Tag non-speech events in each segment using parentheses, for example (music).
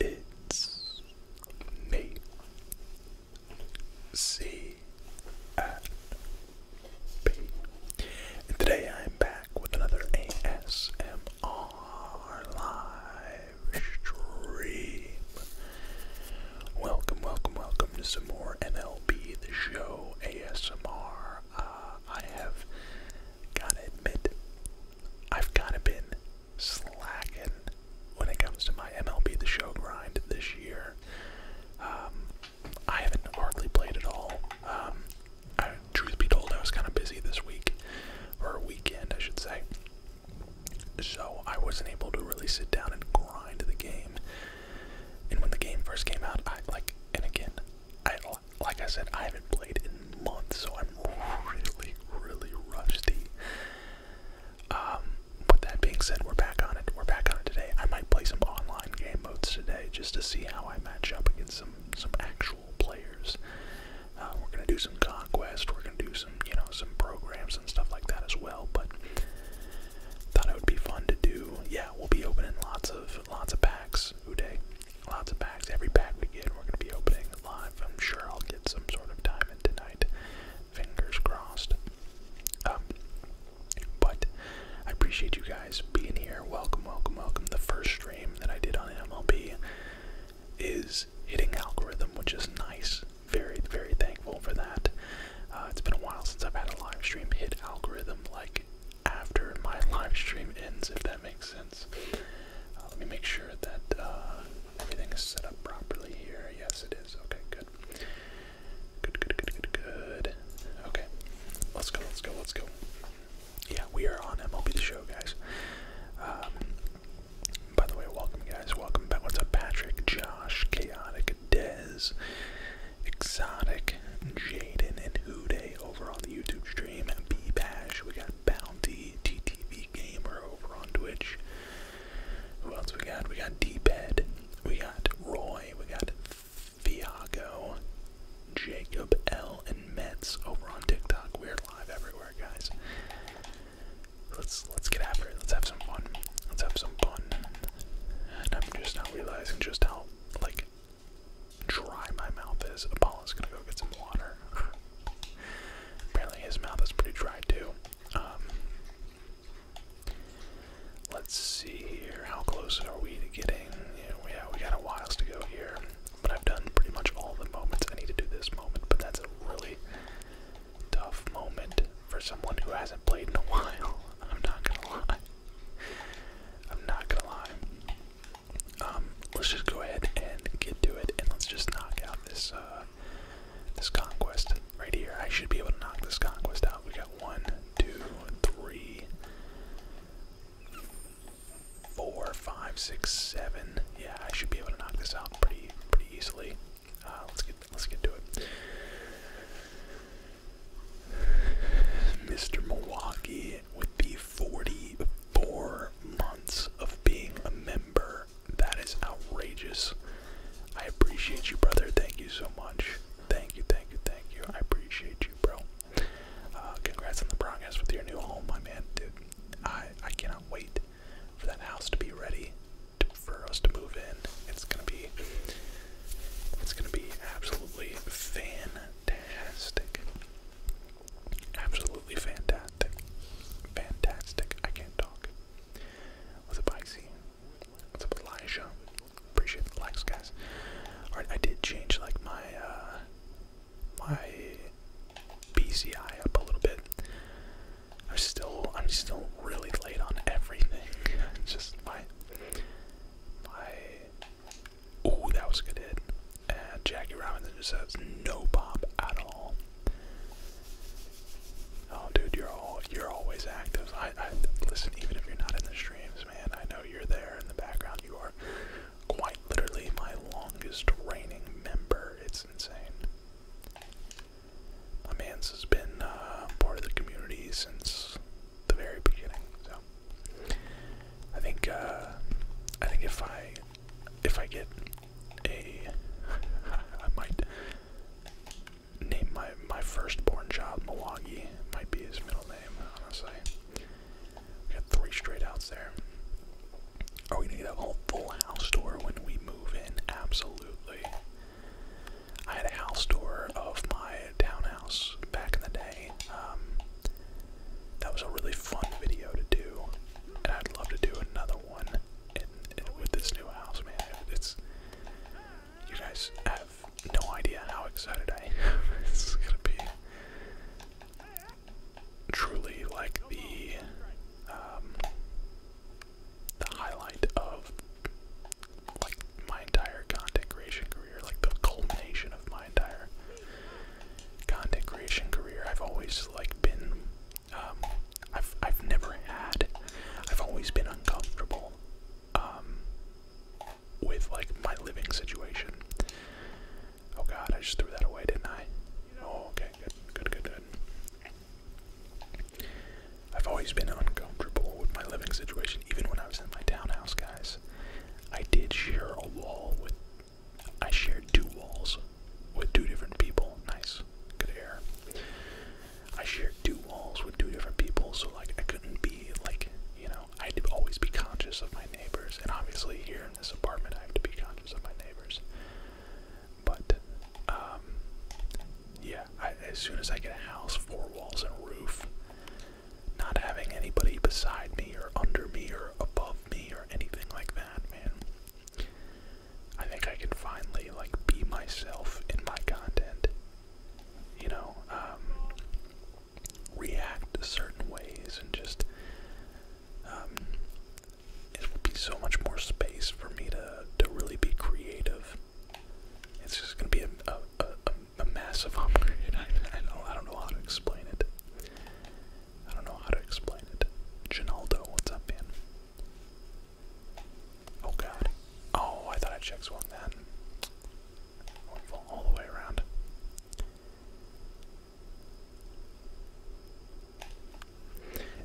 It's me. C today I am back with another ASMR live stream. Welcome, welcome, welcome to some more MLB the show ASMR. Uh, have gotta I've kinda slacking when it comes to my MLB The Show grind this year. Um, I haven't hardly played at all. Um, I, truth be told, I was kind of busy this week, or weekend, I should say. So I wasn't able to really sit down and grind the game. And when the game first came out, I like, and again, I like I said, I haven't played in months, so I'm really, really rusty. Um, with that being said, we're back on it. We're back on it today. I might play some online game modes today just to see how I match up against some some actual players. Uh, we're gonna do some conquest. We're gonna do some you know some programs and stuff like that as well. But thought it would be fun to do. Yeah, we'll be opening lots of lots of packs. Uday, lots of packs. Every pack we get, we're gonna be opening live. I'm sure I'll get some sort of diamond tonight. Fingers crossed. Um, but I appreciate you guys being here. Welcome, welcome, welcome. The first stream that I did on MLB is hitting algorithm, which is nice. Very, very thankful for that. Uh, it's been a while since I've had a live stream hit algorithm like after my live stream ends, if that makes sense. Uh, let me make sure that uh, Everything is set up properly here. Yes, it is. Okay, good. Good, good, good, good, good. Okay, let's go, let's go, let's go. Yeah, we are on MLB The Show, guys. Um, by the way, welcome, guys. Welcome back. What's up, Patrick, Josh, Chaotic, Dez, Exotic, Jaden, and Uday over on the YouTube stream. B Bash, we got Bounty, TTV Gamer over on Twitch. Who else we got? We got D-Ped. We got Roy. We got Viago. Jacob L. and Mets over on TikTok. We're live everywhere, guys. Let's let's get after it. Let's have some fun. Let's have some fun. And I'm just now realizing just how like dry my mouth is. Apollo's gonna go get some water. (laughs) Apparently his mouth is pretty dry too. Um, let's see here. How close are we to getting? You know, yeah, we got a whiles to go here. But I've done pretty much all the moments. I need to do this moment, but that's a really tough moment for someone who hasn't played in a (laughs) while. I'm not gonna lie. I'm not gonna lie. Um, let's just go ahead and get to it, and let's just knock out this uh, this conquest right here. I should be able to knock this conquest out. We got one, two, three, four, five, six, seven. Yeah, I should be able to knock this out pretty pretty easily. Uh, let's get let's get to it. Mr. Milwaukee would be 44 months of being a member that is outrageous. I appreciate you, brother. Thank you so much. Thank you, thank you, thank you. I appreciate you, bro. Uh, congrats on the progress with your new home, my man. Dude, I, I cannot wait for that house to be ready for us to move in. It's gonna be, it's gonna be absolutely fantastic. Absolutely fantastic. Fantastic. I can't talk. What's up, Ixie? What's up, Elijah? Appreciate the likes, guys. Alright, I did change like my uh, my BCI up a little bit. I'm still I'm still really late on everything. (laughs) Just my my Ooh, that was a good hit. And Jackie Robinson just has no pop at all. Oh, dude, you're all you're always active. I, listen, even if you're not in the streams, man. I know you're there in the background. You are quite literally my longest reigning member. It's insane. My man's has been uh, part of the community since the very beginning. So I think uh, I think if I if I get a (laughs) I might name my my firstborn child Milwaukee. Might be his middle name, honestly. We got three straight outs there. Are we gonna get a whole full house tour when we move in? Absolutely. I had a house tour of my townhouse back in the day. Um, that was a really fun video to do, and I'd love to do another one with this new house, man, it's you guys have no idea how excited I am. (laughs) it's gonna be truly like the um, the highlight of like my entire content creation career, like the culmination of my entire content creation career. I've always like been um, I've I've never had. I've always been uncomfortable um, with like my living situation. Oh God, I just threw that away, didn't I? Oh, okay, good, good, good, good. I've always been uncomfortable with my living situation, even when I was in my townhouse, guys. I did share a wall with. I shared two walls with two different people. Nice, good air. I shared two walls with two different people, so like I couldn't be like you know I'd always be conscious of my neighbors, and obviously here in this apartment I have to be conscious of my neighbors. But um, yeah, I, as soon as I get a house, four walls and a roof, not having anybody beside me or under me or above me or anything like that, man. I think I can finally like be myself in my content. You know, um, react certain ways and just um, it will be so much more space for me to to really be creative. It's just gonna be a a, a, massive (laughs) upgrade. I don't I don't know how to explain it. I don't know how to explain it. Ginaldo, what's up, man? Oh god. Oh, I thought I check swung that. Wonderful, all the way around.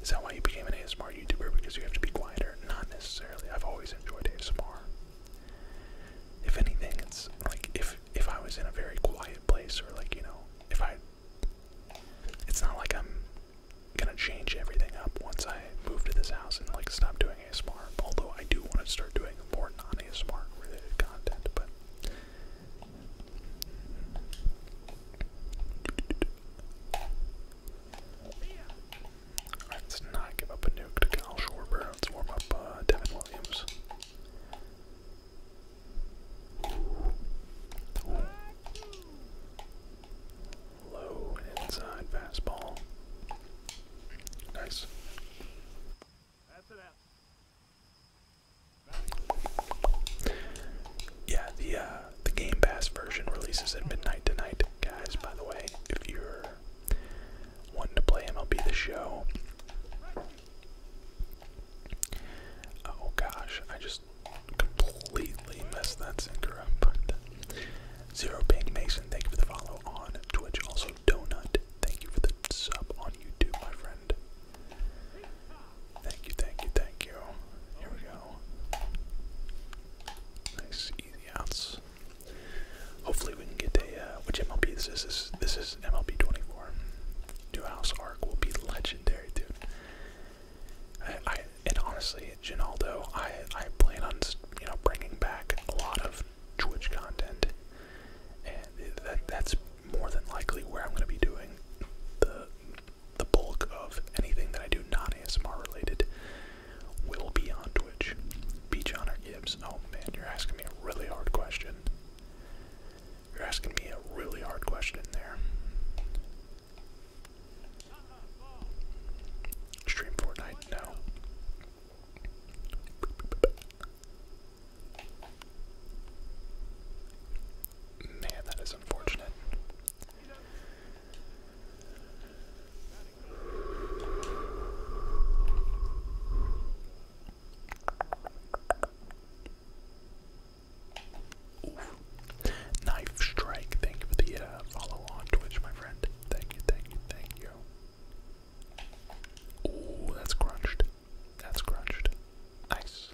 Is that why you became an ASMR YouTuber? Because you have to be quieter? Not necessarily. I've always enjoyed ASMR. If anything, it's like if if I was in a very quiet place or like you know if I. It's not like I'm gonna change everything up once I move to this house and like stop doing ASMR. Although I do want to start doing more non-ASMR related content, but let's not give up a nuke to Kyle Schwarber. Let's warm up uh, Devin Williams low inside fastball. Nice. Yeah, the uh, the Game Pass version releases at midnight tonight, guys. By the way, if you're wanting to play MLB The Show, oh gosh, I just completely messed that sinker up. Zero Pink Mason, thank you for the follow on Twitch. Also, Donut, thank you for the sub on YouTube, my friend. Thank you, thank you, thank you. Here we go. Nice, easy outs. Hopefully, we can get a. Uh, which MLB this is? This, this is MLB 24. New House arc will be legendary, dude. I, and honestly, Ginaldo, I I plan on you know bringing back a lot of Twitch content, and that that's more than likely where I'm going to be doing the the bulk of anything that I do not ASMR related will be on Twitch. Beach Honor Gibbs. Oh man, you're asking me a really hard question. You're asking me a really hard question there. Stream Fortnite now. Man, that is unfortunate. Knife Strike, thank you for the uh, follow on Twitch, my friend. Thank you, thank you, thank you. Ooh, that's crunched. That's crunched. Nice.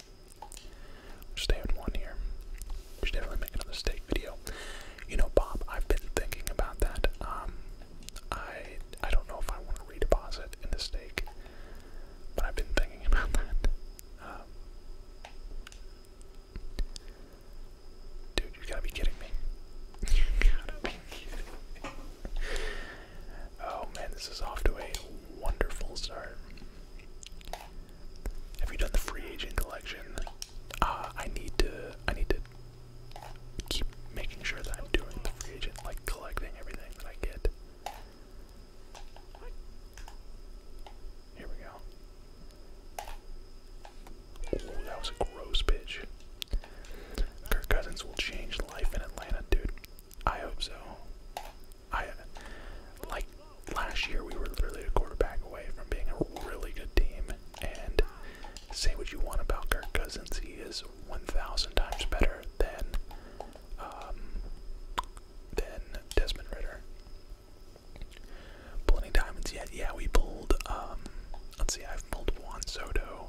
Just having one here. should definitely make another steak video. You know, Bob, I've been thinking about that. Um, I I don't know if I want to redeposit in the steak, but I've been thinking (laughs) about that. Um, Dude, (laughs) you gotta be kidding me. Oh man, this is off to a wonderful start. Have you done the free agent collection? Uh, I need to. I need to keep making sure that I'm doing the free agent, like collecting everything that I get. Here we go. Oh, that was a gross bitch. Kirk Cousins will change life in Atlanta, dude. I hope so. I like last year we were literally a quarterback away from being a really good team. And say what you want about Kirk Cousins, he is 1,000 times better than um, than Desmond Ritter. Pull any diamonds yet? Yeah, we pulled, um, let's see, I've pulled Juan Soto,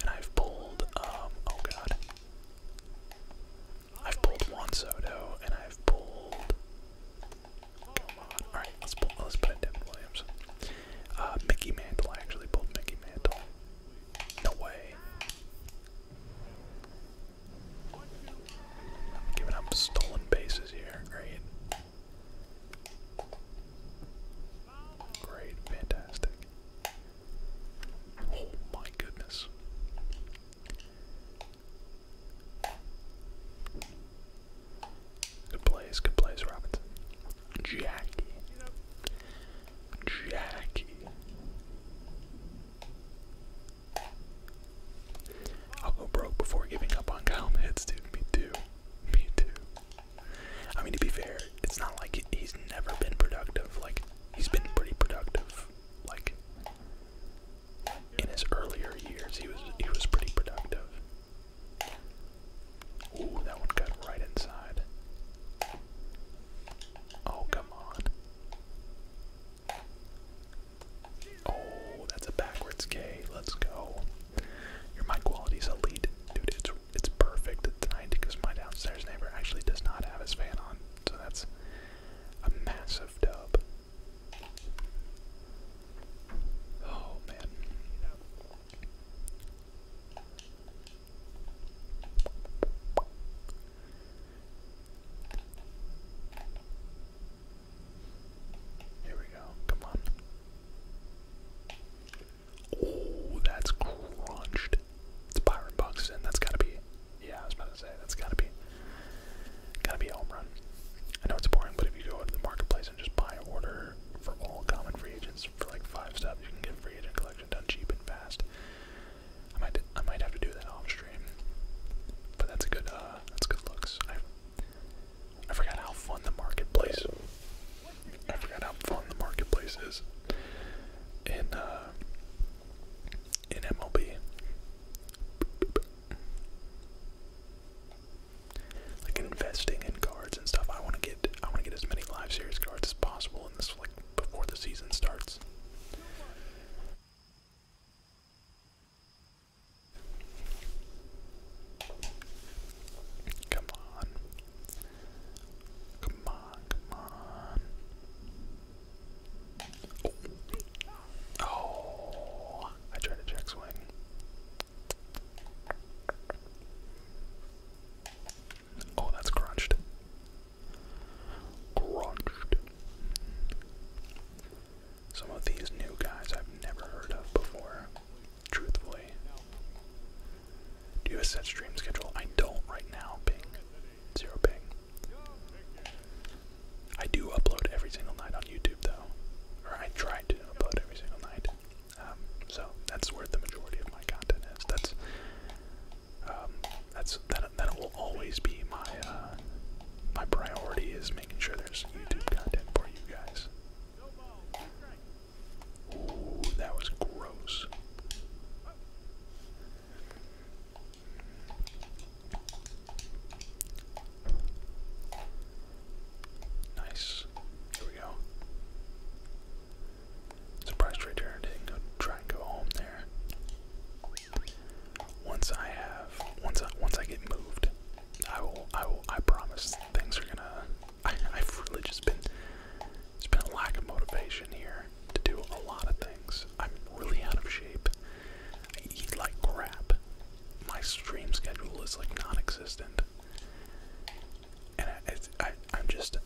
and I've pulled, um, oh god. I've pulled Juan Soto, and I've pulled, come oh, on, alright, let's pull, let's put in Devin Williams. Uh, Mickey Mantle, I actually pulled Mickey Mantle. No way. I'm giving up stolen bases here, right? Great, fantastic. Oh my goodness. Good plays, good plays, Robinson. Jackie. Jackie. I'll go broke before giving up on Hits dude. Me too. Me too. I mean, to be fair, it's not like he's never been productive. Like, he's been pretty productive. Like, in his earlier years, he was he was pretty productive. Ooh, that one got right inside. Oh, come on. Oh, that's a backwards K. Let's go. Your mic quality's elite. Dude, it's it's perfect tonight because my downstairs neighbor actually does not have his fan on. So that's a massive dub. Oh man. Here we go. Come on. Oh, that's crunched. It's Byron Buxton. That's gotta be. Yeah, I was about to say that's gotta be. Gotta be a home run. I know it's boring, but if you go to the marketplace and just buy order for all common free agents for like five steps, you can get free agent collection done cheap and fast. I might I might have to do that off stream, but that's a good uh that's good looks. I forgot how fun the marketplace. I forgot how fun the marketplace is in uh, in MLB. Like investing in cards and stuff. I want to get I want to get as many live series cards as possible in this like before the season starts. Come on. Come on, come on. Oh. oh, I tried to check swing. Oh, that's crunched. Crunched. Some of these new guys I've never heard of before, truthfully. Do you have a set stream schedule? I don't right now, ping. Zero ping. I do upload every single night on YouTube, though. Or I try to upload every single night. Um, so that's where the majority of my content is. That's um, that's that that will always be my uh, my priority is making sure there's YouTube content for you guys. Ooh, that was gross. Nice. Here we go. Surprise trade Didn't go try and go home there. Once I have once I once I get moved, I will I will I promise things are gonna. I, have really just been. It's been a lack of motivation here to do a lot of things. I'm really out of shape. I eat like crap. My stream schedule is like non-existent, and I, am just.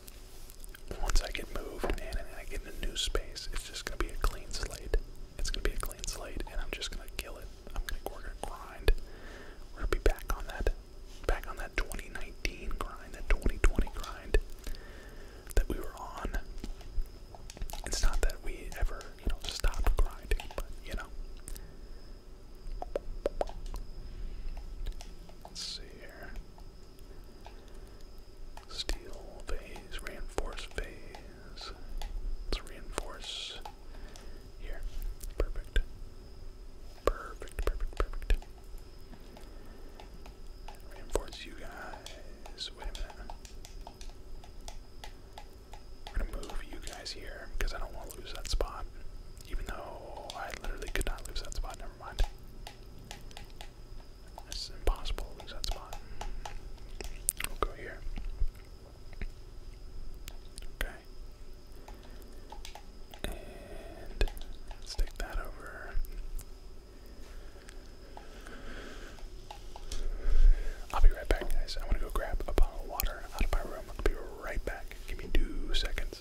Once I get moved and I get in a new space, it's just gonna be a clean slate. It's gonna be a clean slate, and I'm just gonna kill it. I'm gonna grind. We're gonna be back on that, back on that 2019 grind, that 2020 grind that we were on. It's not that we ever, you know, stop grinding, but you know. Let's see here. Steel phase, reinforce phase. Let's reinforce here. Perfect. Perfect, perfect, perfect. Reinforce you guys. Wait a minute. I'm gonna move you guys here because I don't want to lose that spot. Even though I literally could not lose that spot, never mind. impossible to lose that spot. go here. Okay. And let that over. I'll be right back, guys. I'm gonna go grab a bottle of water out of my room. I'll be right back. Give me two seconds.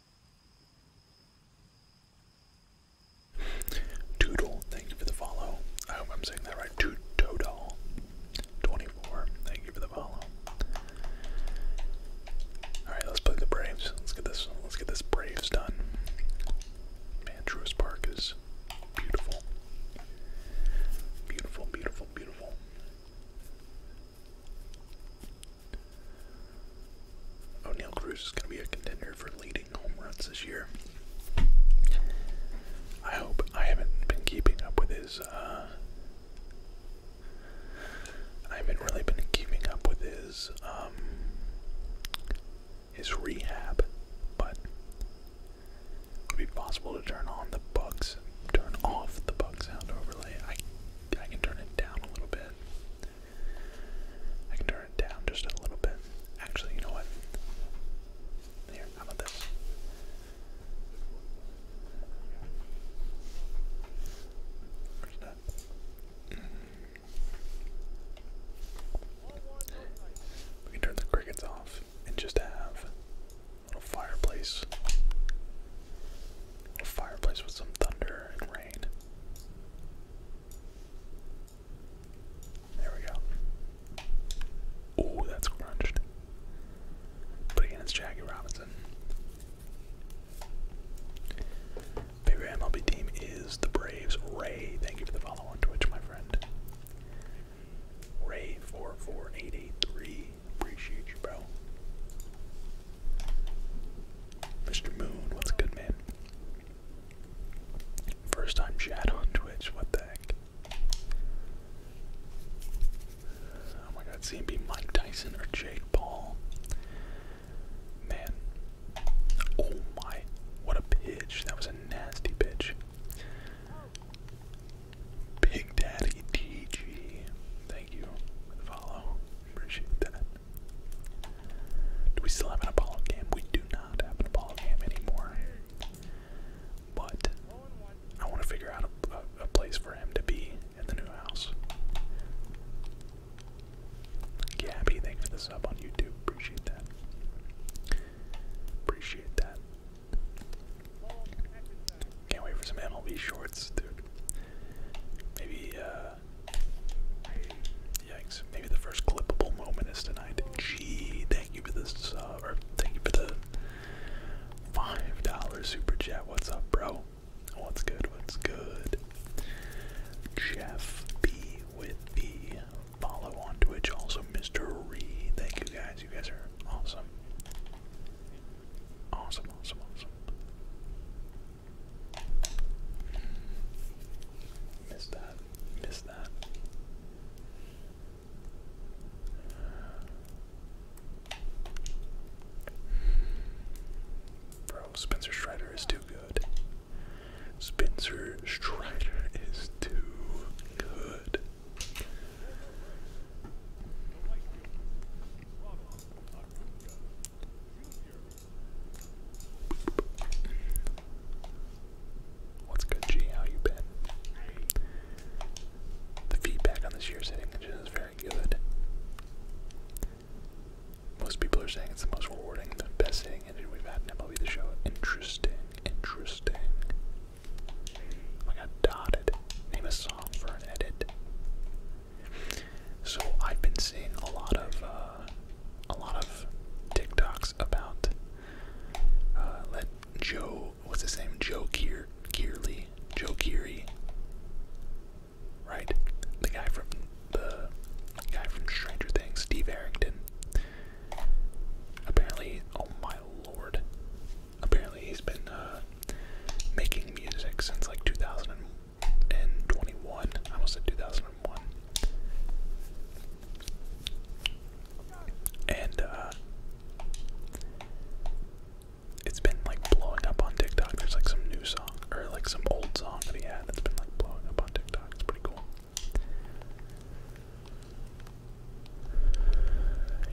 Toodle, thank you for the follow. I hope I'm saying that right. Toodle, 24, thank you for the follow. All right, let's play the Braves. Let's get this. Let's get this Braves done. Man, Truist Park is beautiful, beautiful, beautiful, beautiful. O’Neal oh, Cruz is going to be a contender for leading home runs this year. I hope I haven't been keeping up with his. Uh, I haven't really been keeping up with his um, his rehab, but it would be possible to turn on the bugs, turn off the bug sound overlay. I I can turn it down a little bit. I can turn it down just a little bit. Actually, you know what? Here, how about this? Mm-hmm. We can turn the crickets off and just have a fireplace. A fireplace with some thunder and rain. There we go. Oh, that's crunched. But again, it's Jackie Robinson. Favorite MLB team is the Braves. Ray, thank you for the follow on Twitch, my friend. Ray44883, appreciate you, bro. Mr. Moon, what's good, man? First time chat on Twitch, what the heck? Oh my god, CMB Mike Tyson or Jake Paul. Man. Oh my, what a pitch. That was a nasty pitch. Big Daddy DG. Thank you follow. Appreciate that. Do we still have an Apollo game? We do not have an Apollo game anymore. But I want to figure out a, place for him to be in the new house. Gabby, thanks for the sub on YouTube. Appreciate that. Appreciate that. Can't wait for some MLB shorts, dude. Maybe uh, Yikes. Maybe the first clippable moment is tonight. G, thank you for this, sub, or thank you for the $5 super chat. What's up, bro? What's good? What's good? Jeff B with the follow on Twitch. Also, Mr. Reed. Thank you guys. You guys are awesome. Awesome, awesome, awesome. Missed that. Missed that. Bro, Spencer Strider is too good. Spencer Strider is too good. What's good, G? How you been? The feedback on this year's hitting engine is very good. Most people are saying it's the most rewarding, the best hitting engine we've had in MLB the show. Interesting, interesting. I got dotted. Name a song for an edit. So I've been seeing a lot of uh, uh, a lot of TikToks about uh, let Joe, what's the name, Joe Keir, Joe Keery, right? The guy from the guy from Stranger Things, Steve Harrington. Apparently, oh my lord! Apparently, he's been uh, making music since like 2000 and twenty-one. I almost said two thousand and one. And uh, it's been like blowing up on TikTok. There's like some new song or like some old song that he had that's been like blowing up on TikTok. It's pretty cool.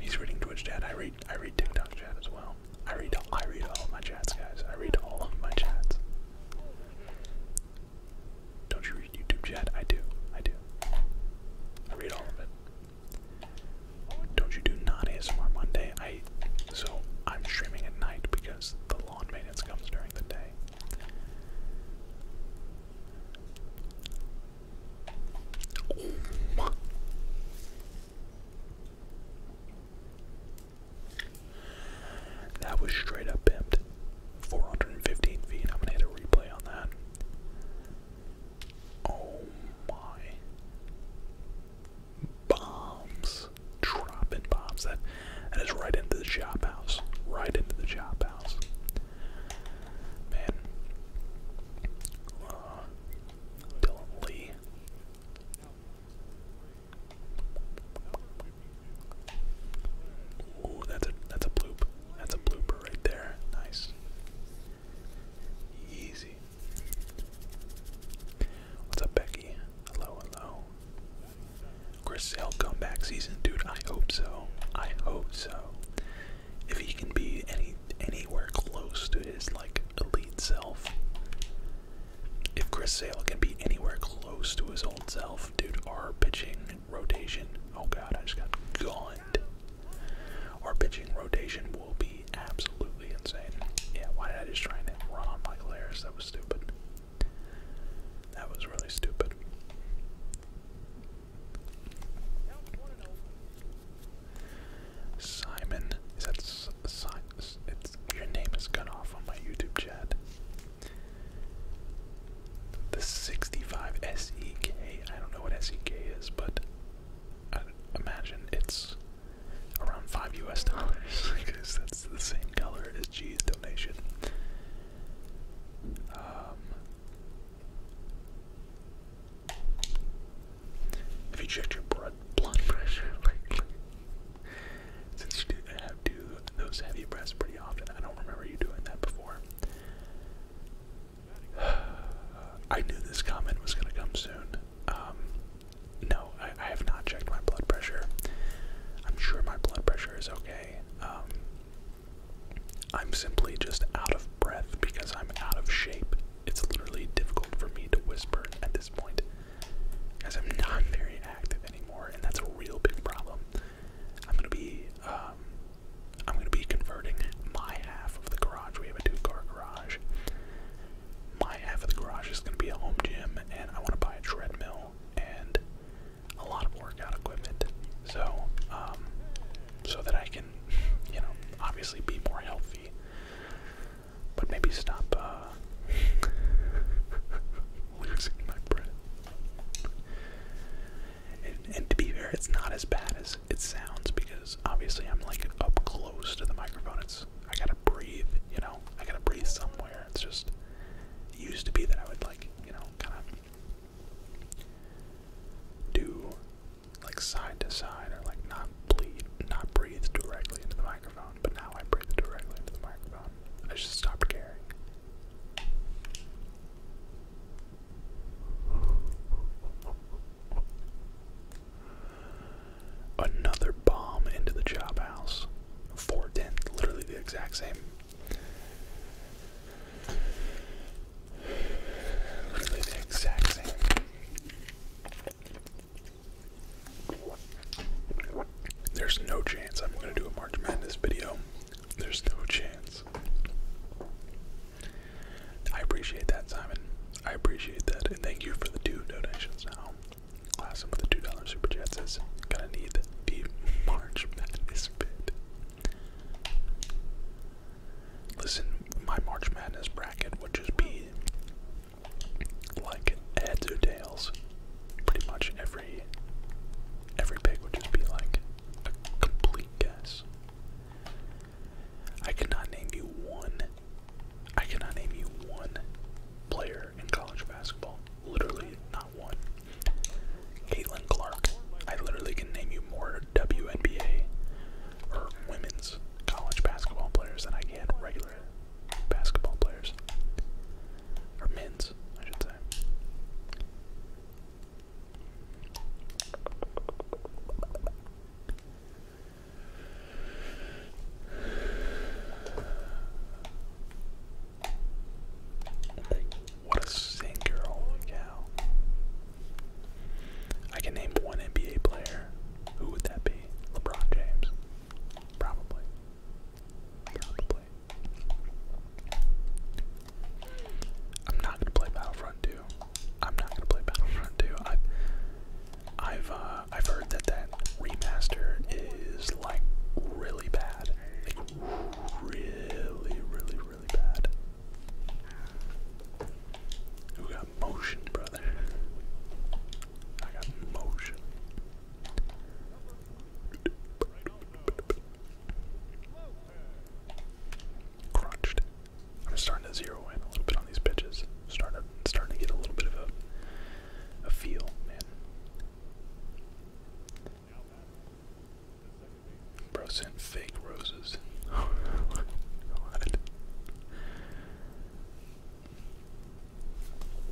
He's reading Twitch chat. I read I read TikTok chat as well. I read I read all of my chats, guys. I read all of my chats. Don't you read YouTube chat? I do. I do. I read all of it. Don't you do not ASMR Monday? I so I'm streaming at night because the lawn maintenance comes during the day. That was straight up pimped. 415 feet. I'm gonna hit a replay on that. Oh my. Bombs. Dropping bombs. That that is right into the chop house. Right into the chop house. Man. Uh, Dylan Lee. Ooh, that's a that's a bloop. That's a blooper right there. Nice. Easy. What's up, Becky? Hello, hello. Griselle comeback season, dude. I hope so. I hope so. If he can be any anywhere close to his like elite self. If Chris Sale can be anywhere close to his old self. Dude, our pitching rotation. Oh god, I just got gone. Our pitching rotation will be absolutely insane. Yeah, why did I just try and run on Michael Harris? That was stupid. That was really stupid. Simon, your name is cut off on my YouTube chat. The 65 SEK, I don't know what SEK is, but I imagine it's around 5 US dollars (laughs) because that's the same color as G's donation. have um, you checked your blood blood pressure since you do those heavy breaths pretty often, I don't remember you doing that before. (sighs) I knew this comment was gonna come soon. Um, no, I, have not checked my blood pressure. I'm sure my blood pressure is okay. Um, I'm simply just out of breath because I'm out of shape. It's literally difficult for me to whisper at this point, as I'm not very active anymore, and that's a real big problem. I'm gonna be um, I'm gonna be converting my half of the garage. We have a two-car garage. My half of the garage is gonna be a home gym, and I want to buy a treadmill and a lot of workout equipment, so um, so that I can, you know, obviously be more healthy, but maybe stop. Uh, (laughs) losing my breath. And, to be fair, it's not as bad as it sounds because obviously I'm like up close to the microphone. It's I gotta breathe, you know. I gotta breathe somewhere. It's just used to be that I would like, you know, kind of do like side to side or like not bleed, not breathe directly into the microphone. But now I breathe directly into the microphone. I should stop, caring. Another bomb into the job house. Four ten, literally the exact same. Literally the exact same. There's no chance I'm gonna do a March Madness video there's no chance. I appreciate that, Simon. I appreciate that. And thank you for the two donations now. Last one with the $2 super chat gonna need the March Madness bid. Listen, my March Madness bracket would just be like heads or tails pretty much every every pick would just be like a complete guess. I cannot name you one. I cannot name you one player in college basketball. Literally not one. Caitlin Clark. I literally can name you more WNBA or women's college basketball players than I can regular basketball players. Or men's, I should say. What a singer, holy cow. I can name one NBA player. Who would that be? LeBron James. Probably. I'm not gonna play Battlefront 2. I'm not gonna play Battlefront 2. I've I've uh, I've heard that that remaster is like really bad, like really, really, really bad. Who got motion, brother? I got motion. Crunched. I'm starting to zero in a little bit on these pitches. Started starting to get a little bit of a a feel, man. Bro sent fake roses. (laughs) what? Oh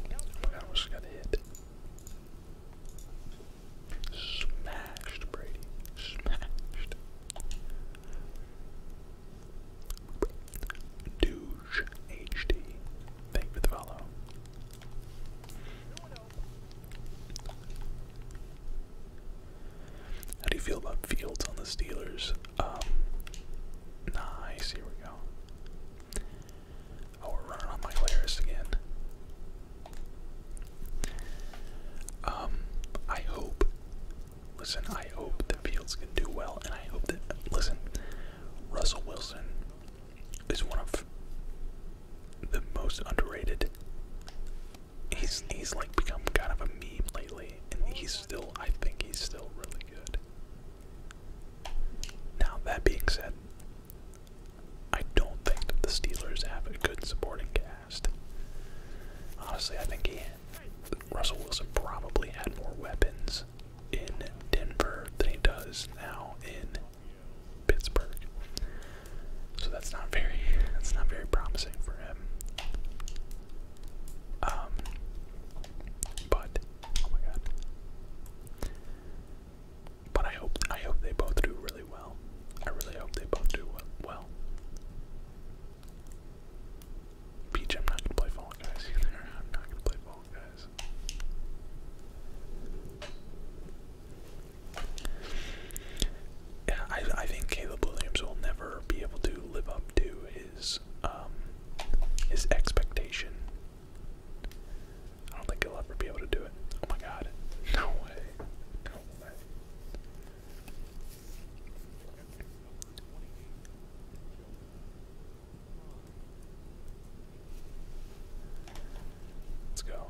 my god, I almost got hit. Smashed, Brady. Smashed. Douche HD. Thank for the follow. How do you feel about Fields on the Steelers? Um, nice, here we go. Oh, we running on my Laris again. Um, I hope. Listen, I hope that Fields can do well, and I hope that. Listen, Russell Wilson is one of the most underrated. He's he's like become kind of a meme lately, and he's still. I think he's still really good. Now that being said, I don't think the Steelers have a good supporting cast. Honestly, I think he, Russell Wilson probably had more weapons in Denver than he does now in Pittsburgh. So that's not very that's not very promising for him. Um but oh my god. But I hope I hope they both do really well. I really hope they both do well. Peach, I'm not gonna play Fall Guys (laughs) I'm not gonna play Fall Guys. I I think Caleb Williams will never be able to live up to his um his expectation. I don't think he'll ever be able to do it. Oh my god. No way. No way. Let's go.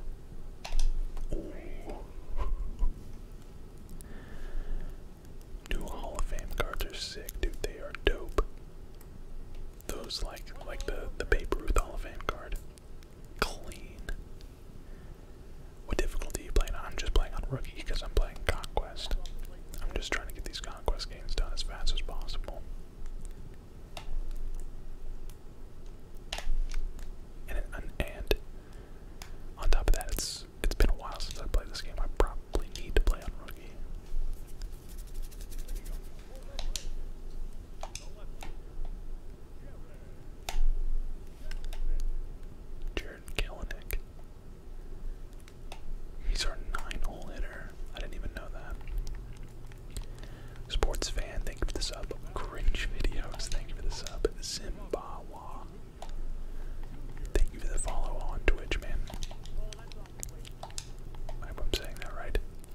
New Hall of Fame cards are sick, dude. They are dope. Those like like the the Babe Ruth Hall of Fame card clean. What difficulty are you playing on? I'm just playing on Rookie because I'm playing Conquest. I'm just trying to get these Conquest games done as fast as possible. And, on top of that, it's it's been a while since I played this game. I probably need to play on Rookie. Jared Kalanick. He's our nine-hole hitter. I didn't even know that. Sports fan, thank you for the sub. Cringe videos, thank you for the sub. Zimbawa. Thank you for the follow on Twitch, man. I hope I'm saying that right.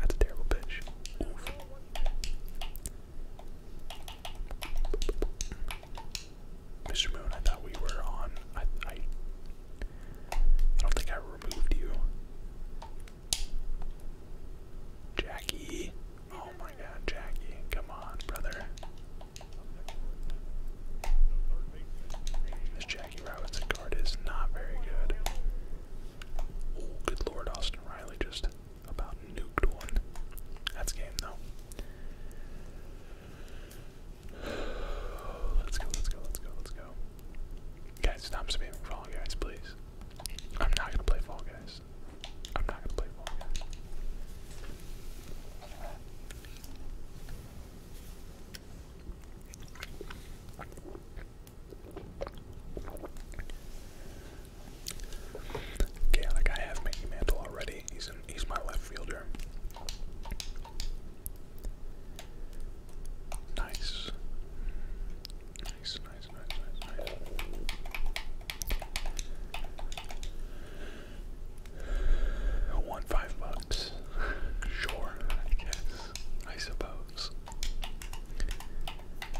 that's a terrible pitch. Mr. Moon, I thought we were on. I, I, don't think I removed you. Jackie. Oh my god, Jackie. Come on, brother. This Jackie Robinson's card is not very good. Oh, good lord, Austin Riley just about nuked one. That's game, though. (sighs) Let's go, let's go, let's go, let's go. Guys, stop spamming Fall Guys, please. I'm not gonna play Fall Guys. I'm not gonna play Fall Guys. Okay, I I have Mickey Mantle already. He's he's my left fielder. Nice. Nice, nice, nice, nice, nice. want five bucks. (laughs) Sure, I guess. I suppose.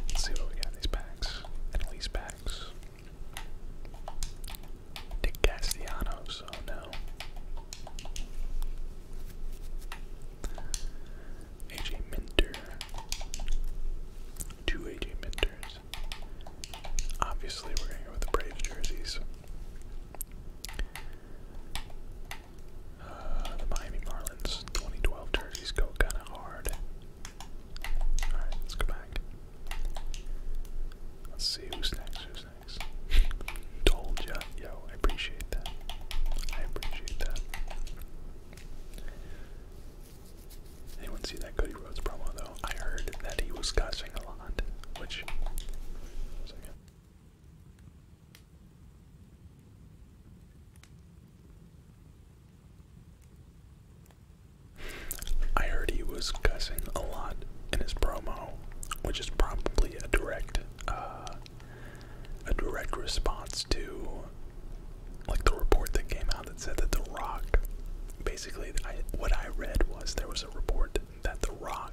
Let's see what we got in these packs. At least packs. Dick Castellanos, oh no. AJ Minter. Two AJ Minters. Obviously, we're going with the Braves jerseys. Uh, the Miami Marlins 2012 jerseys go kind of hard. Alright, let's go back. Let's see who's next, who's next. (laughs) Told ya. Yo, I appreciate that. I appreciate that. Anyone see that Cody Rhodes promo though? I heard that he was cussing a lot, which. I heard he was cussing a lot in his promo, which is probably a direct, uh, a direct response to, like the report that came out that said that The Rock, basically, what I read was there was a report that The Rock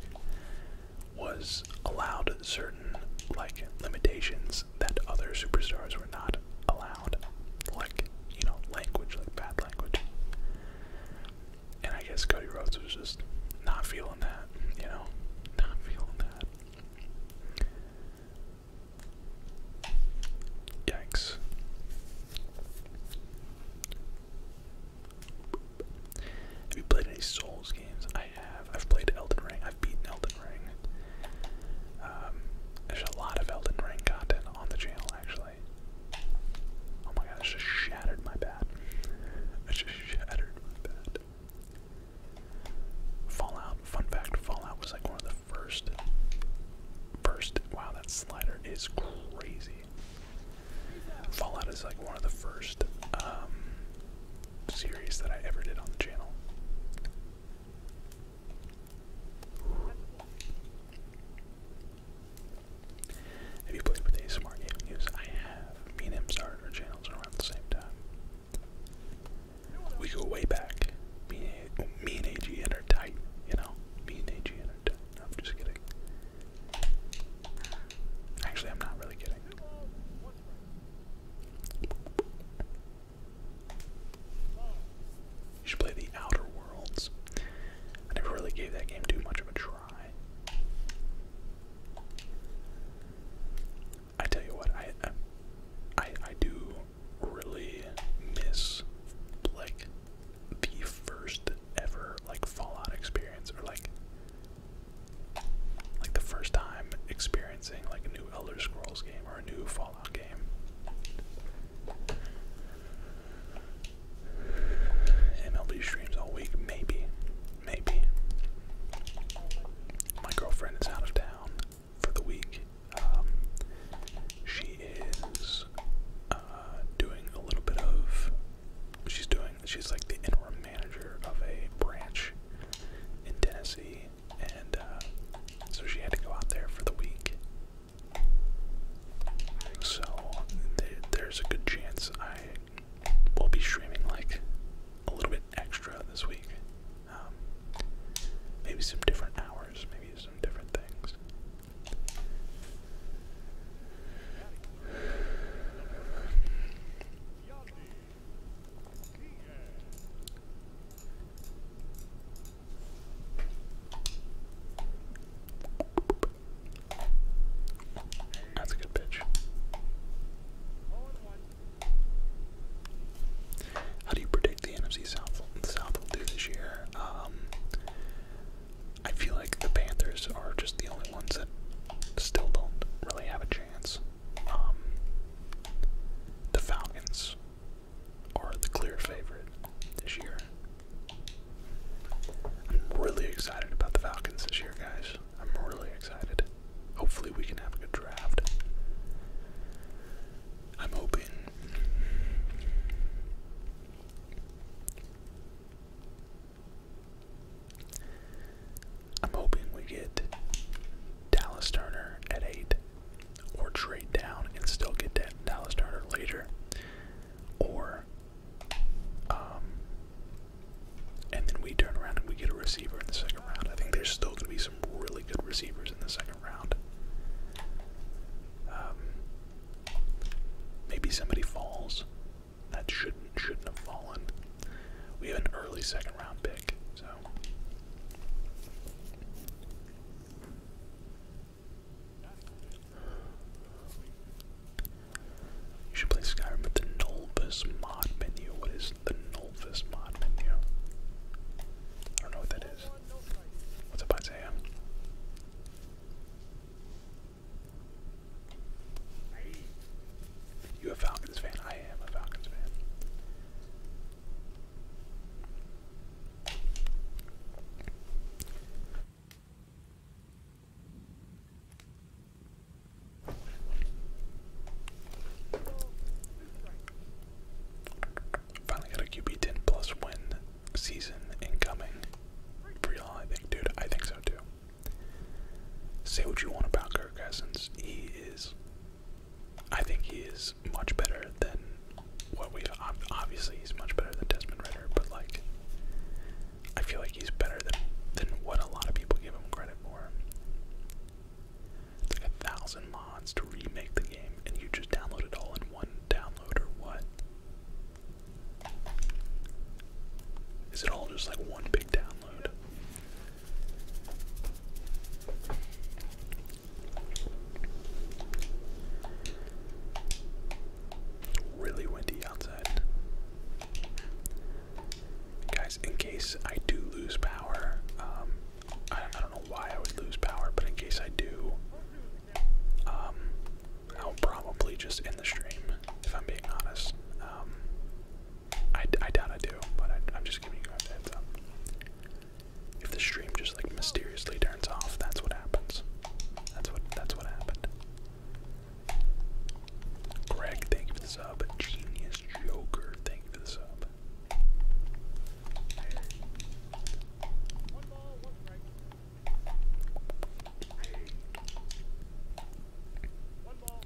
was allowed certain like limitations that other superstars were not allowed, like you know language, like bad language. And I guess Cody Rhodes was just not feeling that, you know, not feeling that. Yikes. Have you played any Souls games? I have. played Elden Ring. I've beaten Elden Ring. Um, there's a lot of Elden Ring content on the channel, actually. Oh my god, I just shattered my bat. I just shattered my bat. Fallout, fun fact, Fallout was like one of the first, first, wow, that slider is crazy. Fallout is like one of the first um, series that I ever did on the channel. Have you played with ASMR Gaming News? I have. Me and him started our channels around the same time. We go way back. Me and, me and AG and are tight, you know? Me and AG and tight. I'm just kidding. Actually, I'm not really kidding. You should play The Outer Worlds. I never really gave that game too much of a try. I tell you what, I I I do really miss like the first ever like Fallout experience or like like the first time experiencing like a new Elder Scrolls game or a new Fallout Fallout game. MLB streams all week, maybe. Maybe. My girlfriend is out of town for the week. Um, she is uh, doing a little bit of. She's doing. She's like the interim manager of a branch in Tennessee and uh, so she had to go out there for the week. So there's a good chance I will be streaming like a little bit extra this week. Um, maybe some different hours, maybe some different things. That's a good pitch. How do you predict the NFC South, will do this year? Um, I feel like the Panthers are just the only ones that still don't really have a chance. Um, the Falcons are the clear favorite this year. I'm really excited about the Falcons this year, guys. I'm really excited. Hopefully, we can have a good draft. I'm hoping. I'm hoping we get Dallas Turner at eight or trade down and still get that Dallas Turner later, or um, and then we turn around and we get a receiver in the second round. I think there's still going to be some really good receivers in the second round. Um, maybe somebody falls that shouldn't shouldn't have fallen. We have an early second round pick, so you should play Skyrim with the Nulvis mod menu. What is the Nulvis mod menu? I don't know what that is. What's up, Isaiah? You a Falcons fan? I am a Falcons fan. Finally got a QB ten plus win season incoming. For y'all, I think, dude. I think so too. Say what you want about Kirk Cousins. He is I think he is much better than what we've obviously he's much better than Desmond Ritter, but like I feel like he's better than than what a lot of people give him credit for. It's like a thousand mods to remake the game, and you just download it all in one download, or what? Is it all just like one big download? Really windy outside. Guys, in case I do lose power, um, I, don't know why I would lose power, but in case I do, um, I'll probably just end the stream, if I'm being honest. Um, I, doubt I do, but I, am just giving you guys a heads up. If the stream just like mysteriously turns off, that's what happens. That's what that's what happened. Greg, thank you for the sub. Genius Joker, thank you for the sub. One ball, one one ball,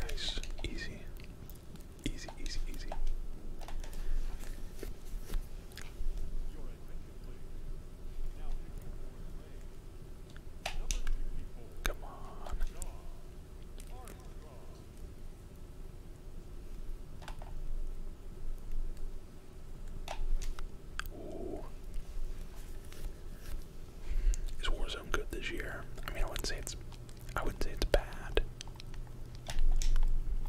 nice, easy. Easy, easy, easy. Come on. Ooh. Is Warzone good this year? I mean, I wouldn't say it's I wouldn't say it's bad.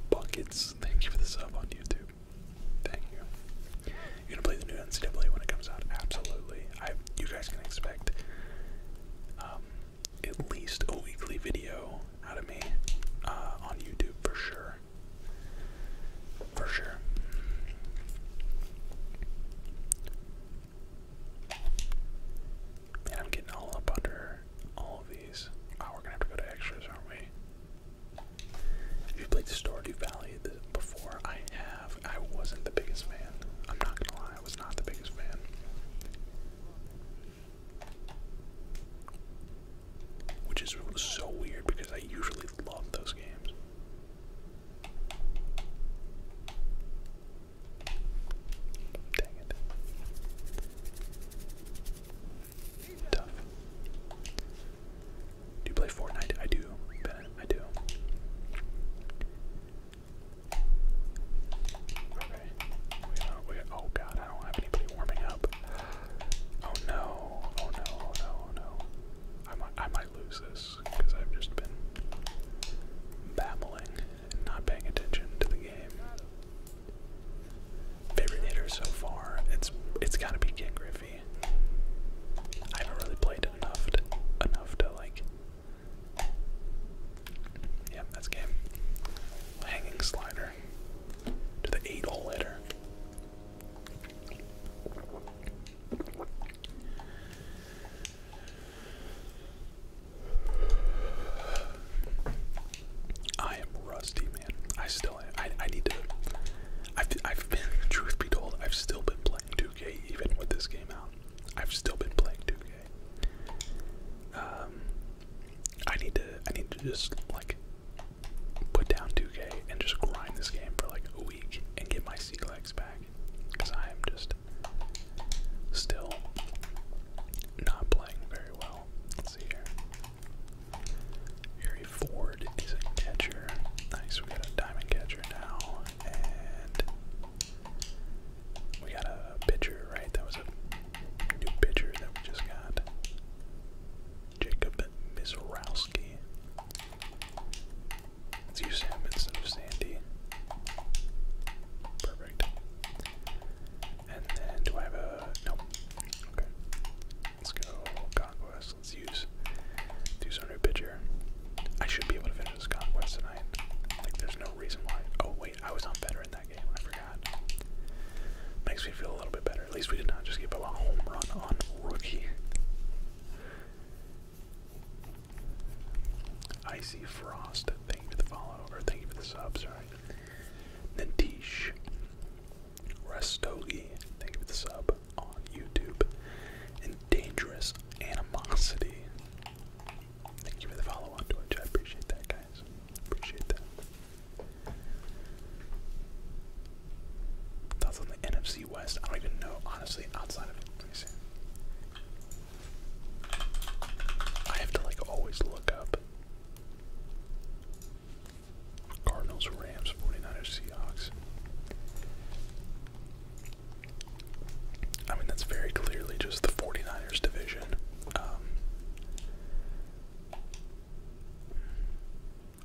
Buckets, thank you for the sub on YouTube. Thank you. You're gonna play the new NCAA when it comes out? Absolutely. I you guys can expect um, at least a weekly video out of me uh, on YouTube for sure. For sure. And I'm getting all up under all these. Oh, we're gonna have to go to extras, aren't we? If you played Stardew Valley before, I have. I wasn't the biggest fan. I'm not gonna lie, I was not the biggest fan. Which is so weird because I usually love those games. Dang it. Tough. Do you play Fortnite? I do, Bennett. I do. Okay. Oh, oh god, I don't have anybody warming up. Oh no. Oh no. Oh no. Oh no. I might, I might lose this because I've just been babbling and not paying attention to the game. Favorite hitter so far? It's it's gotta be Ken Griffey. I haven't really played enough enough to like. Yeah, that's game. Hanging slider to the eight hole hitter. I am rusty, man. I still am. I, I need to. I've, I've been, truth be told, I've still been playing 2K even with this game out. I've still been playing 2K. Um, I need to. I need to just like put down 2K and just grind this game for like a week and get my sea legs back because I am just still not playing very well here. Harry Ford is a catcher. Nice, we got a diamond catcher now. And we got a pitcher, right? That was a new pitcher that we just got. Jacob Mizorowski. Let's use instead of Sandy. Perfect. And then do I have a nope. Okay. Let's go conquest. Let's use use our pitcher. I should be able to finish this conquest tonight. Like there's no reason why. Oh wait, I was on in that game. I forgot. Makes me feel a little bit better. At least we did not just give up a home run on rookie. Icy Frost, thank you for the follow, Over. thank you for the sub, sorry. Natish Restogi, thank you for the sub on YouTube. And Dangerous Animosity. Thank you for the follow on Twitch. I appreciate that, guys. Appreciate that. Thoughts on the NFC West? I don't even know, honestly, outside of it. I have to like always look up Cardinals, Rams, 49ers, Seahawks. I mean, that's very clearly just the 49ers division. Um,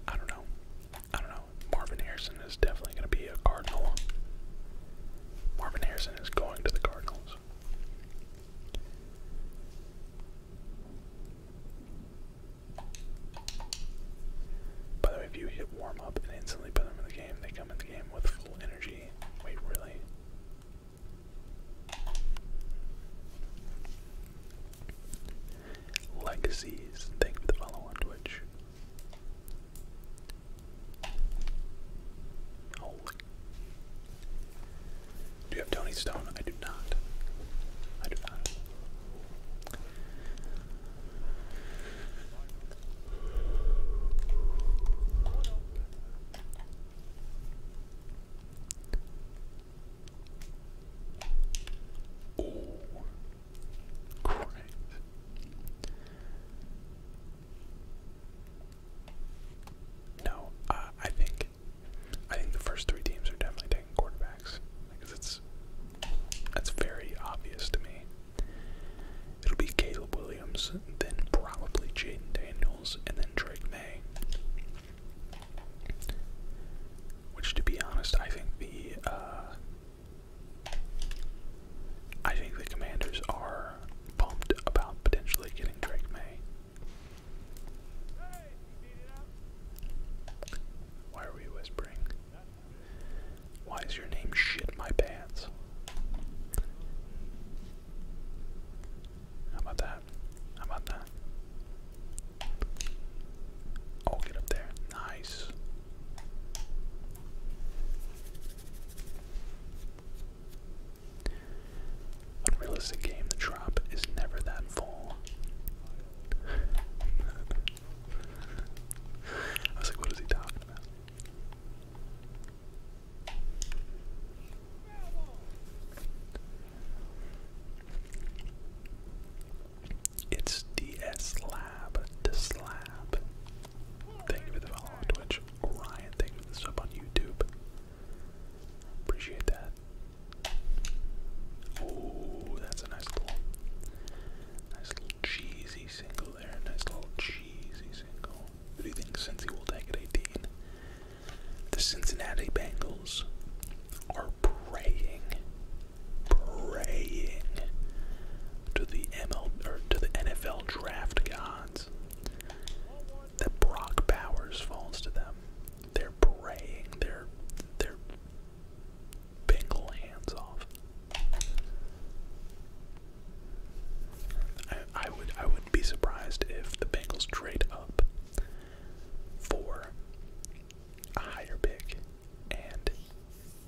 I don't know. I don't know. Marvin Harrison is definitely going to be a Cardinal. Marvin Harrison is going to the Cardinals. By the way, if you hit warm up and instantly put them in the game, they come in the game with full energy. Wait, really? Legacies, thank the follow Twitch. Holy do you have Tony Stone? I do not. I do not. Oh, great. No, uh, I think I think the first three teams are definitely taking quarterbacks because it's that's very obvious to me. It'll be Caleb Williams, then probably Jaden Daniels, and then Drake May. Which, to be honest, I think the uh, I think the Commanders are pumped about potentially getting Drake May. Why are we whispering? Why is your name shit my pants? How about that? How about that? Oh, get up there. Nice. Unrealistic game, the drop is never that full. I was like, what is he talking about? It's DS Lab to Slab. Thank you for the follow on Twitch. Ryan, thank you for the sub on YouTube. Appreciate that. Oh, that's a nice little, cheesy single there. Nice little cheesy single. Who do you think Cincy will take at 18? The Cincinnati Bengals are praying, praying to the to the NFL draft gods that Brock Bowers falls to them. They're praying. They're they're Bengal hands off. I, would I wouldn't be surprised if the Bengals trade up for a higher pick and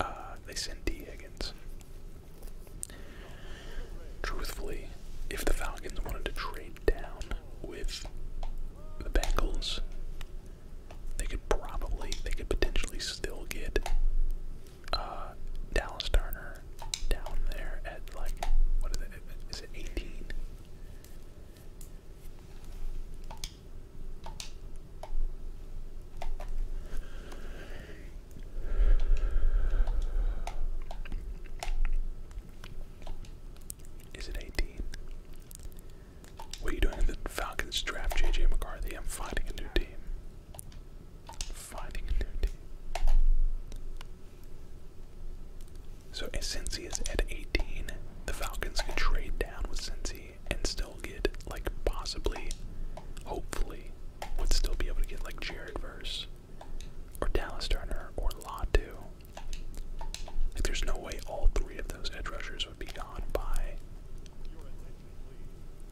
uh, they send D Higgins. Truthfully, if the Falcons wanted to trade down with the Bengals, they could probably, they could potentially still get uh, Dallas Turner down there at like, what is it? Is it 18? Is it 18? What are you doing in the Falcons draft, JJ McCarthy? I'm finding a new team. Finding a new team. So since he is at 18, the Falcons can trade down with Cincy and still get like possibly, hopefully, would still be able to get like Jared Verse or Dallas Turner or Latu like, there's no way all three of those edge rushers would be gone by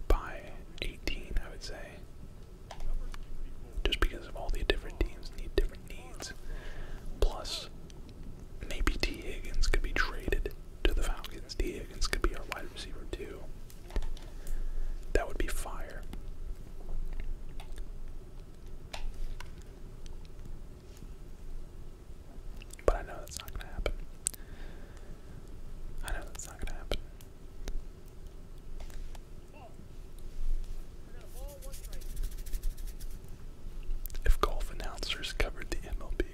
by 18, I would say. Just because of all the different teams need different needs. Plus, maybe T. Higgins could be traded to the Falcons. T. Higgins could be our wide receiver too. That would be fire. But I know that's not gonna happen. I know that's not gonna happen. If golf announcers covered the MLB,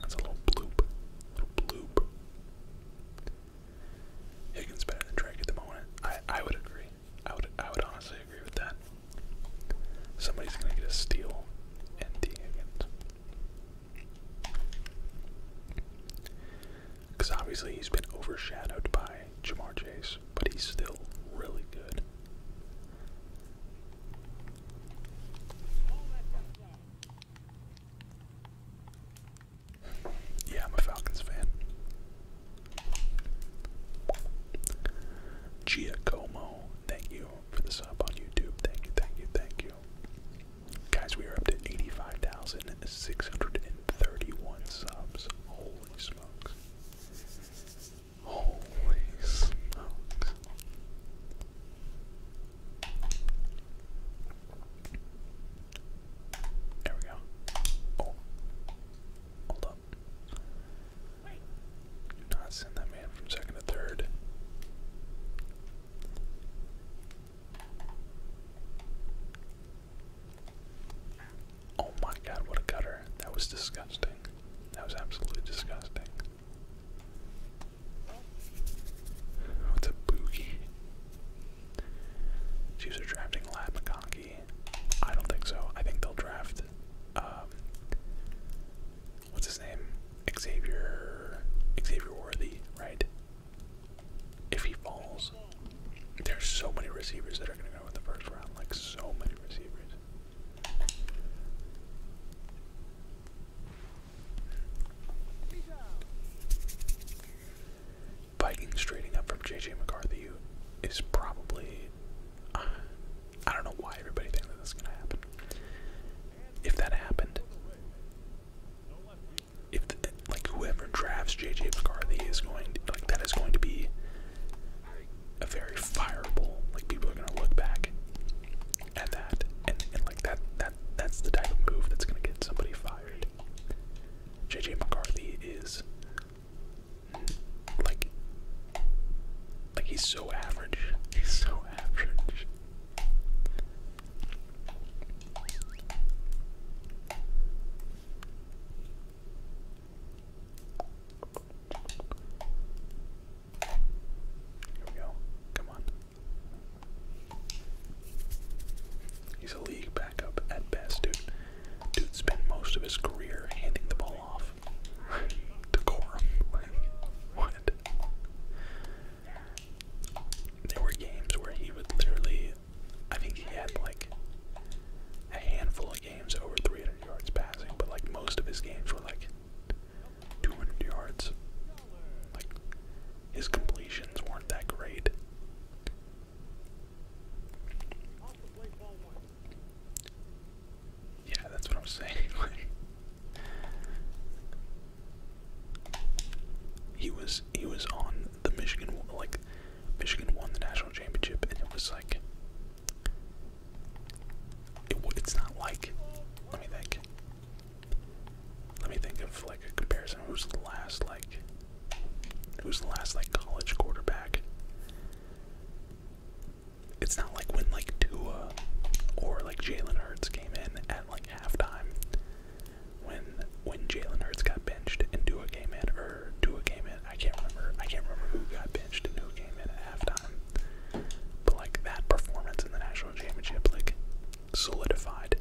that's a little bloop. Little bloop. Higgins better than Drake at the moment. I I would agree. I would I would honestly agree with that. Somebody's gonna get a steal and D against. Because obviously he's been overshadowed by Jamar Chase, but he's still really good. Yeah, I'm a Falcons fan. Giacomo, thank you for the sub on YouTube. Thank you, thank you, thank you. Guys, we are up to 85,631 subs. Holy smokes. Holy smokes. There we go. Oh. Hold on. Do not send that man from second to third. Oh my god, what a gutter. That was disgusting. That was absolutely disgusting. What's a boogie? Chiefs drafting Lad McConkey. I don't think so. I think they'll draft um, what's his name? Xavier Xavier Worthy, right? If he falls. There's so many receivers that are gonna go in the first round, like so many receivers. Vikings straighting up from JJ McCarthy is probably. I don't know why everybody thinks that this is going to happen. If that happened, if the, like whoever drafts JJ McCarthy is going like that is going to be a very fireable. Like people are going to look back at that, and, like that that that's the type of move that's going to get somebody fired. JJ McCarthy is like like he's so average. He's so average. Here we go. Come on. He's a league backup at best, dude. Dude spent most of his career handing the ball off to what? There were games where he would literally, I think he had like a handful of games over 300 yards passing, but like most of his games were like 200 yards. Like, his completions weren't that great. Yeah, that's what I'm saying. (laughs) he was he was on the Michigan like Michigan won the national championship, and it was like it, it's not like. Let me think. Let me think of like a comparison. Who's the last like? Who's the last like college quarterback? it's not like when like Dua or like Jalen Hurts came in at like halftime. When when Jalen Hurts got benched and Dua came in, or Dua came in, I can't remember. I can't remember who got benched and who came in at halftime. But like that performance in the national championship, like solidified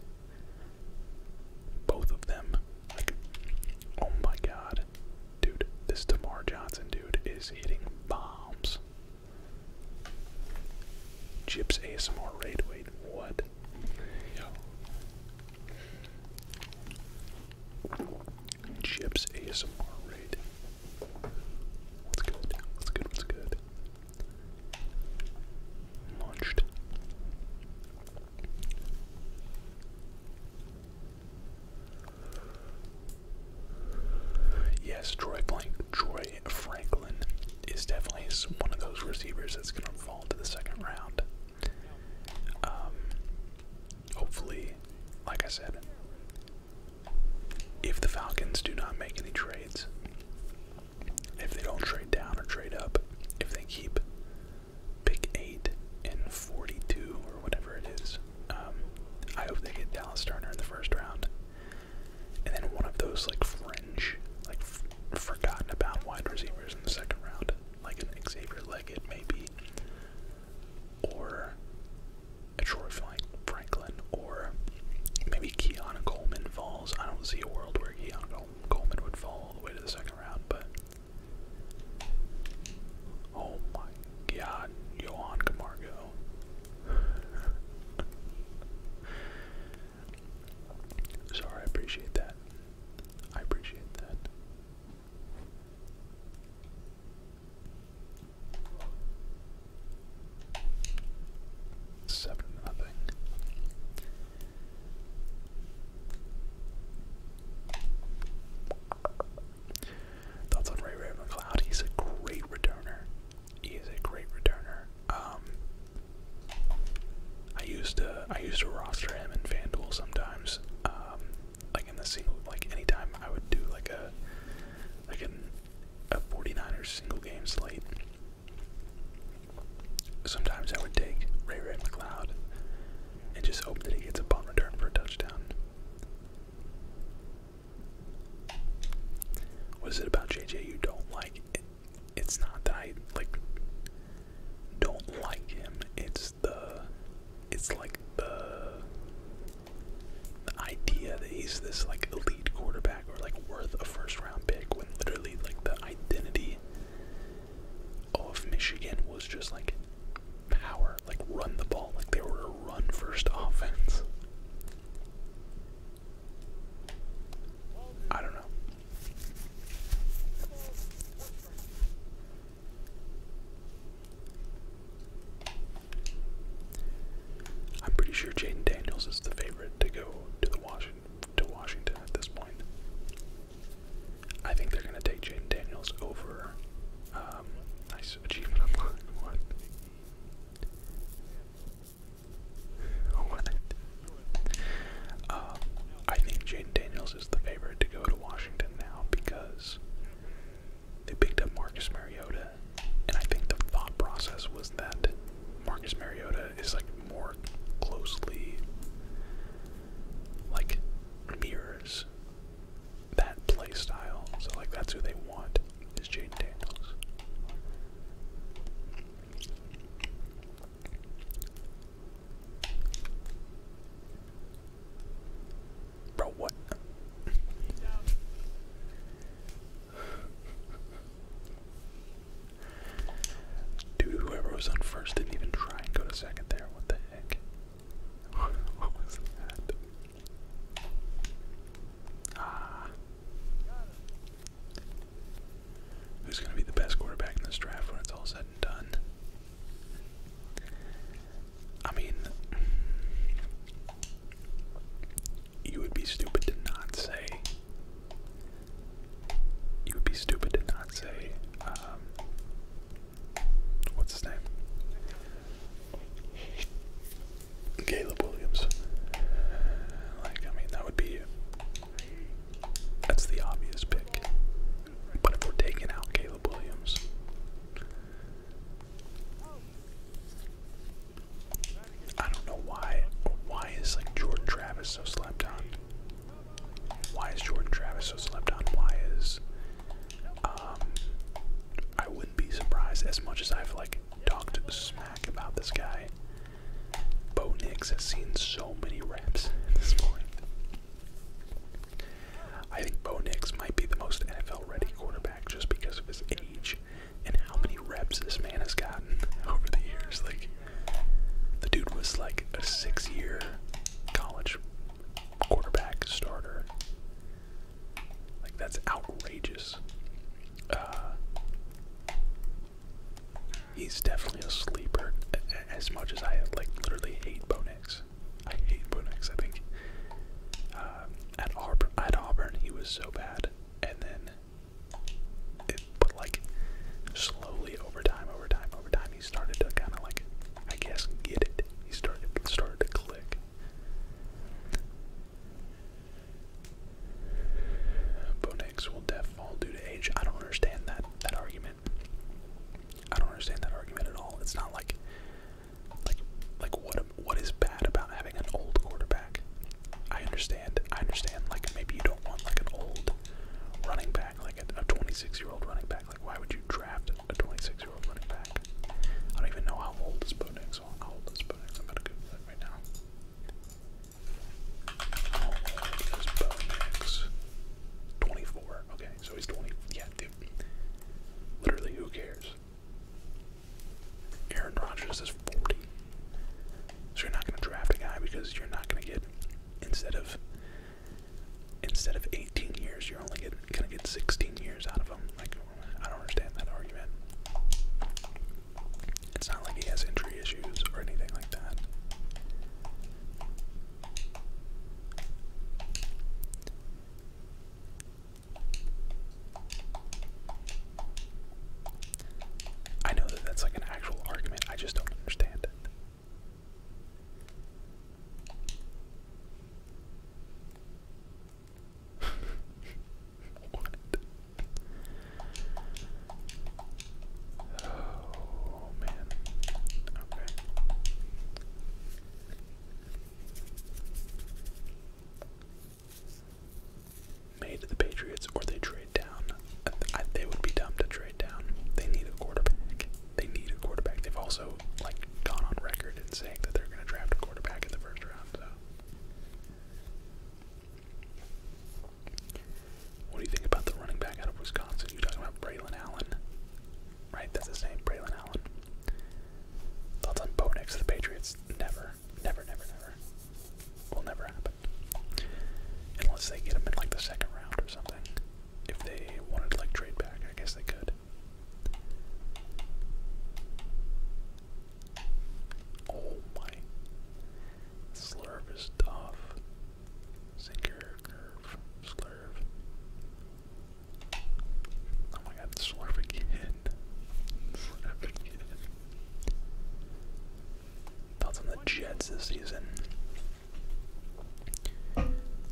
both of them. Like, oh my god, Dude, this Tamar Johnson dude is hitting bombs. Chips ASMR raid, wait, what? Yo. Chips ASMR raid. What's good? What's good? What's good? Munched. Yes, Troy Blank, Troy Franklin is definitely one of those receivers that's going to fall to the second round. Um, hopefully, like I said, if the Falcons do not make any trades, if they don't trade down or trade up, if they keep pick eight and 42 or whatever it is. Um, I hope they get Dallas Turner in the first round, and then one of those like fringe, like forgotten about wide receivers in the second round, like an Xavier Leggett maybe, or a Troy Franklin, or maybe Keon Coleman falls. I don't see a world where Keon Coleman would fall all the way to the second round, but Oh my god, Johan Camargo. Sorry, I appreciate that. I appreciate that. Seven nothing. Thoughts on Ray ray Ravencloud? He's a great returner. He is a great returner. Um, I used to I used to roster him in FanDuel sometimes. Um, like in the single, like anytime I would do like a like an, a 49ers single game slate. Sometimes I would take Ray Ray McLeod and just hope that he gets a punt return for a touchdown. What is it about JJ you don't like? It, it's not that I like don't like him. It's the it's like the the idea that he's this like elite quarterback or like worth a first round pick when literally like the identity of Michigan was just like power, like run the ball, like they were a run first offense. I don't know. I'm pretty sure Jaden Daniels is the favorite to go to the Washington to Washington at this point. I think they're gonna take Jaden Daniels over um, Nice achievement unlocked. What? Oh, what? Uh, I think Jaden Daniels is the favorite to go to Washington now because they picked up Marcus Mariota, and I think the thought process was that Marcus Mariota is like more closely like mirrors that play style. So like that's who they want is Jaden Daniels. Bro, what? Dude, whoever was on first didn't even try and go to second there. What the heck? (laughs) what was that? Ah. Who's going to be the best quarterback in this draft when it's all said and done? I mean, you would be stupid to not say. You would be stupid to not say um, what's his name? Caleb Williams. Like, I mean, that would be. That's the obvious pick. But if we're taking out Caleb Williams. I don't know why. Why is like Jordan Travis so slept on? Why is Jordan Travis so slept on? Why is um, I wouldn't be surprised as much as I've like talked smack about this guy. Bo Nix has seen so many reps (laughs) this point. I think Bo Nix might be the most NFL ready quarterback just because of his age and how many reps this man has gotten (laughs) over the years. Like the dude was like a six year college quarterback starter. Like that's outrageous. Uh, he's definitely a sleeper. As much as I like, literally hate Bonex. I hate Bonex. I think uh, at Auburn, at Auburn, he was so bad, and then but like slowly over time, over time, over time, he started to kind of like, I guess, get it. He started started to click. Bonex will def due to age. I don't understand that that argument. I don't understand that argument at all. It's not like like like what what is bad about having an old quarterback? I understand. I understand like maybe you don't want like an old running back like a 26-year-old running back. Like why would you draft a 26 I don't even know how old this boat is. So I'm gonna go that right now. How old 24. Okay, so he's 24. Yeah, dude. Literally, who cares? Aaron Rodgers is 40. So you're not gonna draft a guy because you're not gonna get instead of instead of 18 years, you're only gonna get 16 years out of him. Like, I don't understand that argument. It's not like he has injury issues or anything like that. I know that that's like an actual argument, I just don't understand it what? Oh the Patriots or they trade down. they would be dumb to trade down. They need a quarterback. They need a quarterback. They've also like gone on record and saying that they're going to draft a quarterback in the first what do you think about the running back out of Wisconsin? You talking about Braylon Allen? Right, that's his name, Braylon Allen. Thoughts on Bo next to the Patriots? Never, never, never, never. Will never happen. Unless they get him in like the second round or something. If they wanted to like trade back, I guess they could. Oh my. Slurve is tough. Sinker, curve, slurve. Oh my god, slurve again. Slurve again. Thoughts on the Jets this season?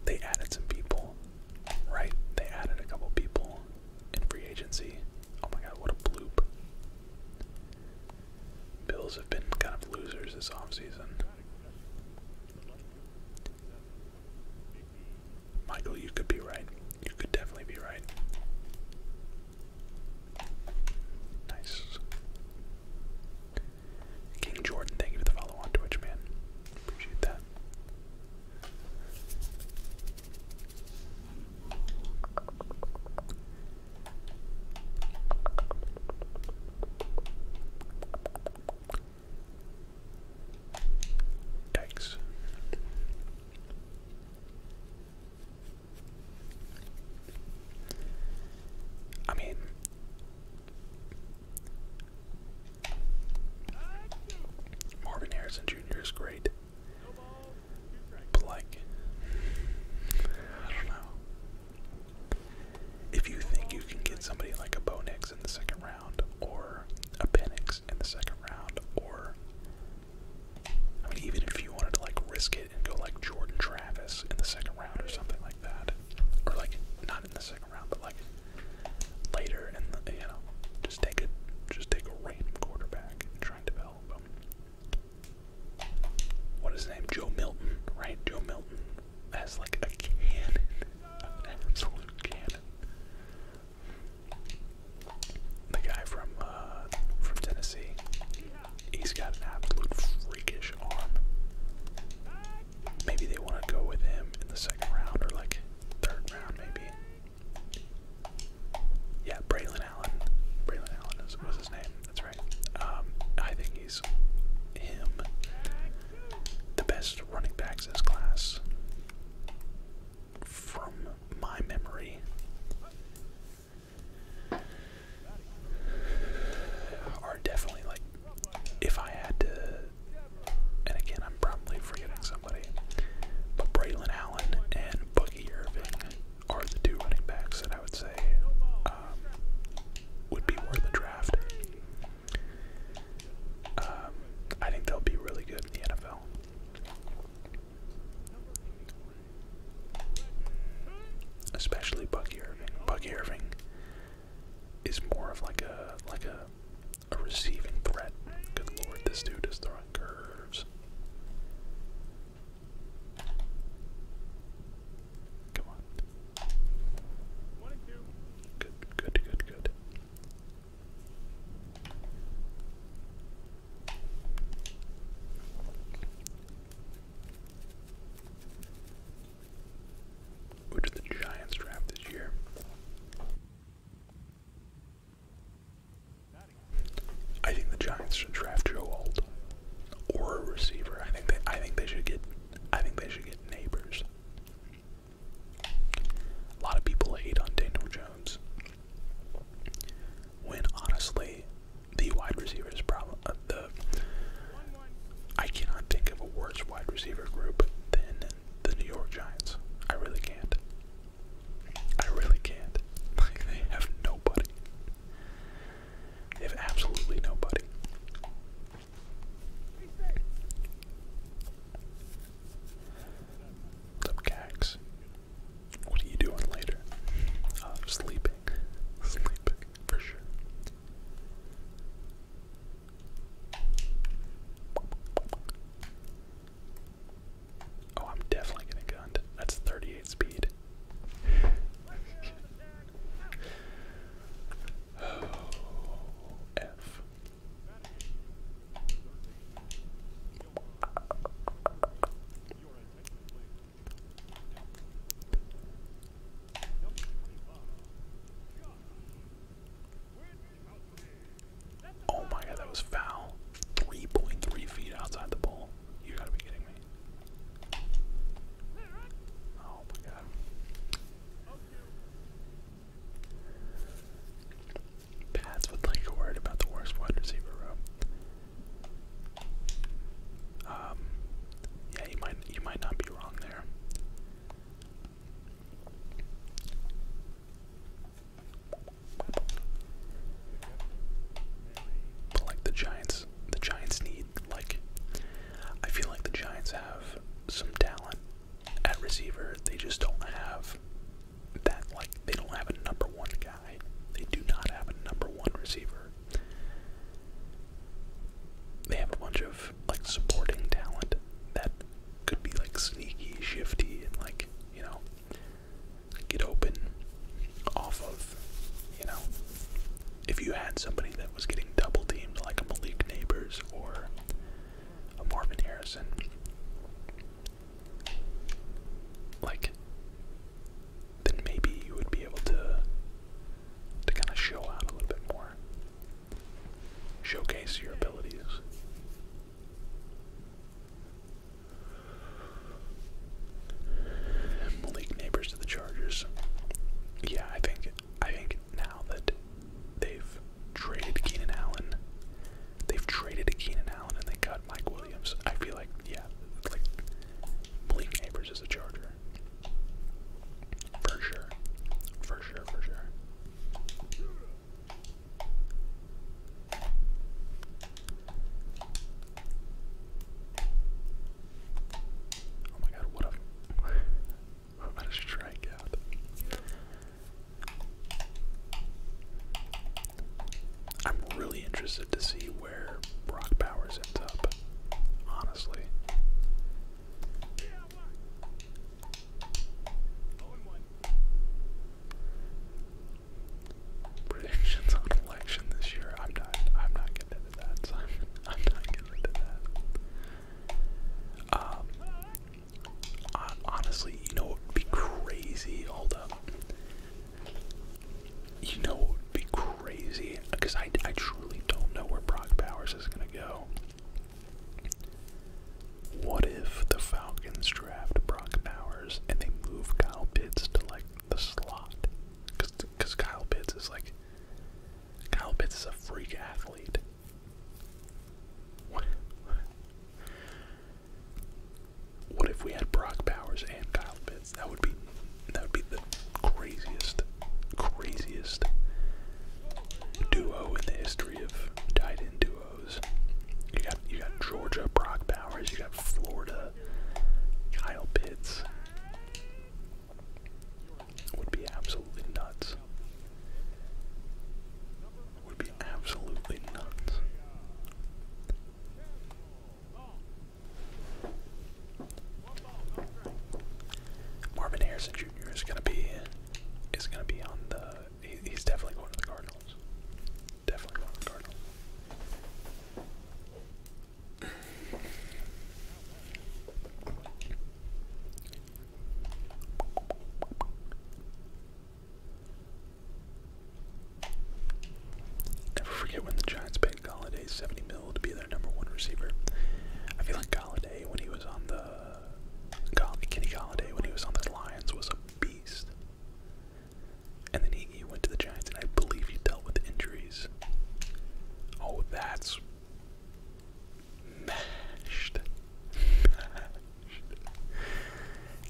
They added some people right? They added a couple people in free agency. Oh my god, what a bloop. Bills have been kind of losers this offseason. Michael, you could be right. You could definitely be right. Nice. King Jordan, thank you for the follow on Twitch, man. Appreciate that. Thanks. I mean, Marvin Harrison Jr. is great. But like, I don't know. If you think you can get somebody like a Bo Nix in the second round, or a Penix in the second round, or I mean, even if you wanted to like risk it and go like Jordan Travis in the second round or something like that, or like not in the second round, but like later, and you know, just take a just take a random quarterback and try and develop him. What is his name? Joe Milton, right? Joe Milton has like a cannon, an absolute cannon. The guy from uh, from Tennessee, he's got an absolute freakish arm. Maybe they want to go with him in the second round or like third round, maybe. Yeah, Braylon Allen. Braylon Allen was his name. That's right. Um, I think he's him, the best running backs in class. From my memory, are definitely like, if I had to, and again, I'm probably forgetting somebody. But Braylon Allen and Boogie Irving are the two running backs that I would say um, would be worth a draft. Um, I think they'll be really good in the NFL. Especially Bucky Irving. Bucky Irving is more of like a like a a receiving threat. Good lord, this dude is throwing curves. Come on. Good, good, good, good. Who did the Giants draft this year? I think the Giants should draft Joe Alt or a receiver. I think they I think they should get I think they should get neighbors. A lot of people hate on Daniel Jones. When honestly, the wide receivers problem uh, the I cannot think of a worse wide receiver group than the New York Giants. I really can't. I really can't. they have nobody. They have absolutely nobody. What's up, Cax? What are you doing later? Uh, sleeping. Sleeping, for sure. Oh, I'm definitely getting gunned. That's 38 speed. (sighs) Oh my god, that was foul. 3.3 feet outside the ball. You gotta be kidding me. Oh my god. Pats would like a word about the worst wide receiver room. Um, yeah, you might you might not be wrong there. But like the Giants, the Giants need like I feel like the Giants have some talent at receiver. They just don't have that like they don't have a number one guy. They do not have a number one receiver. They have a bunch of like supporting talent that could be like sneaky, shifty, and like, you know, get open off of, you know, if you had somebody that was getting double teamed like a Malik Neighbors or a Marvin Harrison. Like, then maybe you would be able to to kind of show out a little bit more, showcase your abilities. Malik Neighbors to the Chargers. Yeah, I think I think now that they've traded Keenan Allen, they've traded Keenan Allen and they got Mike Williams. I feel like yeah, like Malik Neighbors is a Charger. For sure. For sure, for sure. Oh my god, what a strikeout. I'm really interested to see where Brock Bowers ends up, honestly predictions on election this year. I'm not. I'm not getting into that. (laughs) I'm, not getting into that. Um. honestly, you know what would be crazy? Hold up. You know what would be crazy? Because I, I truly don't know where Brock Powers is gonna go. What if the Falcons draft Brock Powers? and they move Kyle Pitts to like the slot. Cause, Cause Kyle Pitts is like Kyle Pitts is a freak athlete. What? What if we had Brock Powers and Kyle Pitts? That would be that would be the craziest, craziest duo in the history of tight end duos. You got you got Georgia, Brock Bowers. You got Florida, Kyle Pitts. Would be absolutely nuts. Would be absolutely nuts. Marvin Harrison Jr. is gonna be is gonna be on the. he's definitely going to the Cardinals. Cardinals. Definitely want the Cardinals. Never forget when the Giants paid Galladay 70 mil to be their number one receiver. I feel like Galladay when he was on the Gall Kenny Galladay when he was on the Lions was a beast. And then he went to the Giants, and I believe he dealt with injuries. Oh, that's mashed.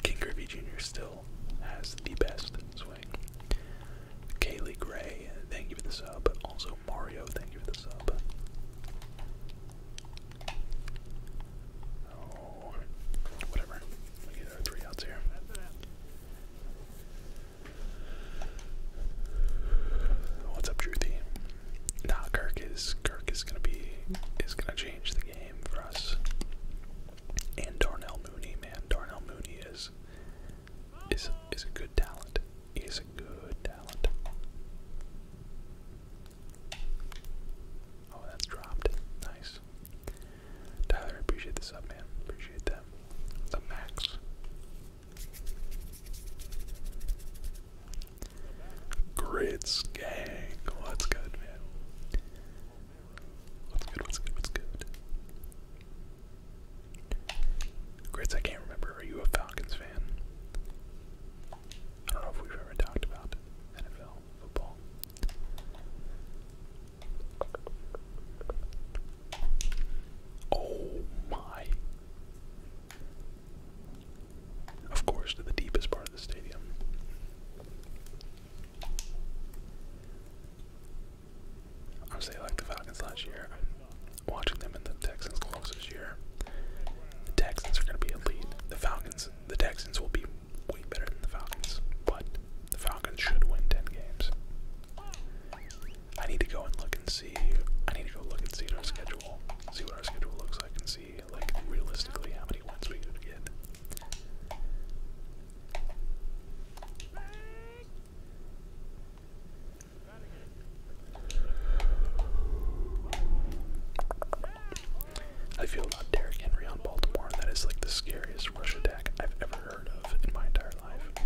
King Griffey Jr. still has the best swing. Kaylee Gray, thank you for the sub. Also, Mario, thank you for the sub. Oh, whatever. We get our three outs here. What's up, Truthy? Nah, Kirk is Kirk is gonna be is gonna change the game for us. And Darnell Mooney, man, Darnell Mooney is is is a good talent. He a good talent. Oh, that's dropped. Nice. Tyler, appreciate this, sub, man. Appreciate that. The max. Grits gang. What's oh, good, man? What's good, what's good, what's good? Grits, I can't remember. Are you a Falcons fan? I don't know if we've ever talked about NFL football. Oh my. Of course, to the deepest part of the stadium. Honestly, I like the Falcons last year. Watching them and the Texans close this year. The Texans are going to be a The Falcons, the Texans will be way better than the Falcons, but the Falcons should win 10 games. I need to go and look and see. I need to go look and see our schedule, see what our schedule looks like, and see like realistically how many wins we could get. I feel about Derrick Henry on Baltimore. That is like the scariest rush attack I've ever heard of in my entire life.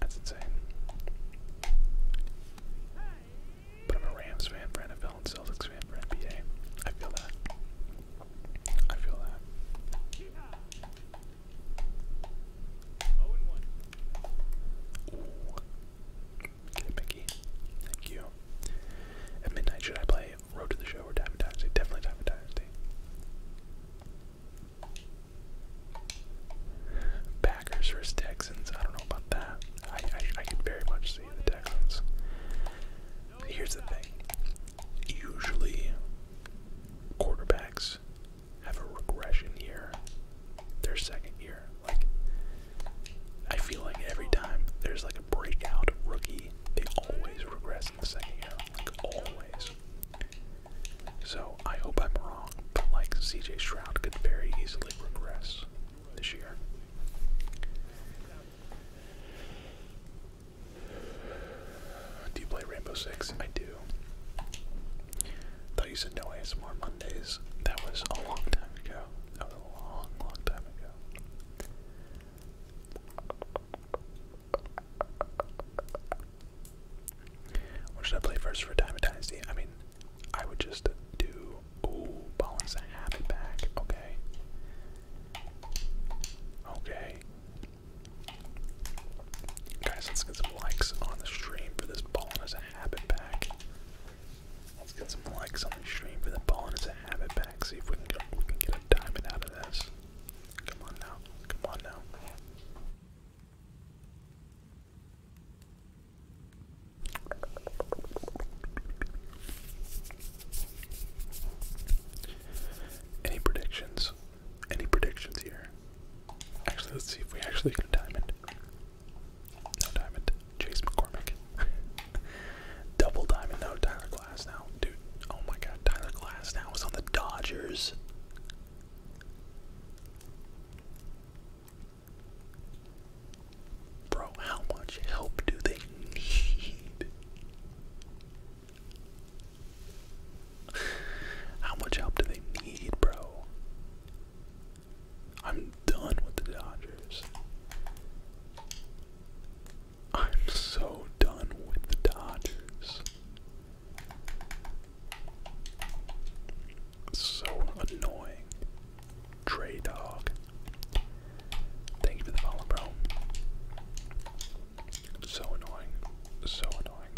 That's insane. But I'm a Rams fan for NFL and Celtics fan for NBA. feel that. I feel that. Mickey. Thank you. At midnight, should I play Road to the Show or Diamond Dynasty. Definitely Diamond Dynasty. Packers versus Texans. I don't know about that. I, I, I very much see the Texans. Here's the thing. Usually, quarterbacks have a regression year, their second year. Like, I feel like every time there's like a breakout rookie they always regress in the second year, like always. So I hope I'm wrong, but like CJ Shroud could very easily regress this year. Do you play Rainbow Six? I do. Thought you said no ASMR Mondays. That was a long time ago. That was a long, long time ago. What should I play first for Diamond Dynasty? I mean, I would just do. Ooh, as a habit back. Okay. Okay. Guys, let's get some likes on the stream for this Ballin' as a habit back. Let's get some likes on the stream for the Ballin' as a habit back. See if we can we can get a diamond out of this. Come on now. Come on now. Any predictions? Any predictions here? Actually, let's see if we actually get a diamond. No diamond. Chase McCormick. (laughs) Double diamond. No, Tyler Glass now, dude. Oh my God, Tyler Glass now is on the Dodgers. Bro, how much help do they need? How much help do they need, bro? I'm done with the Dodgers. I'm so done with the Dodgers. So annoying. Trey Thank you for the follow, bro. So annoying. So annoying.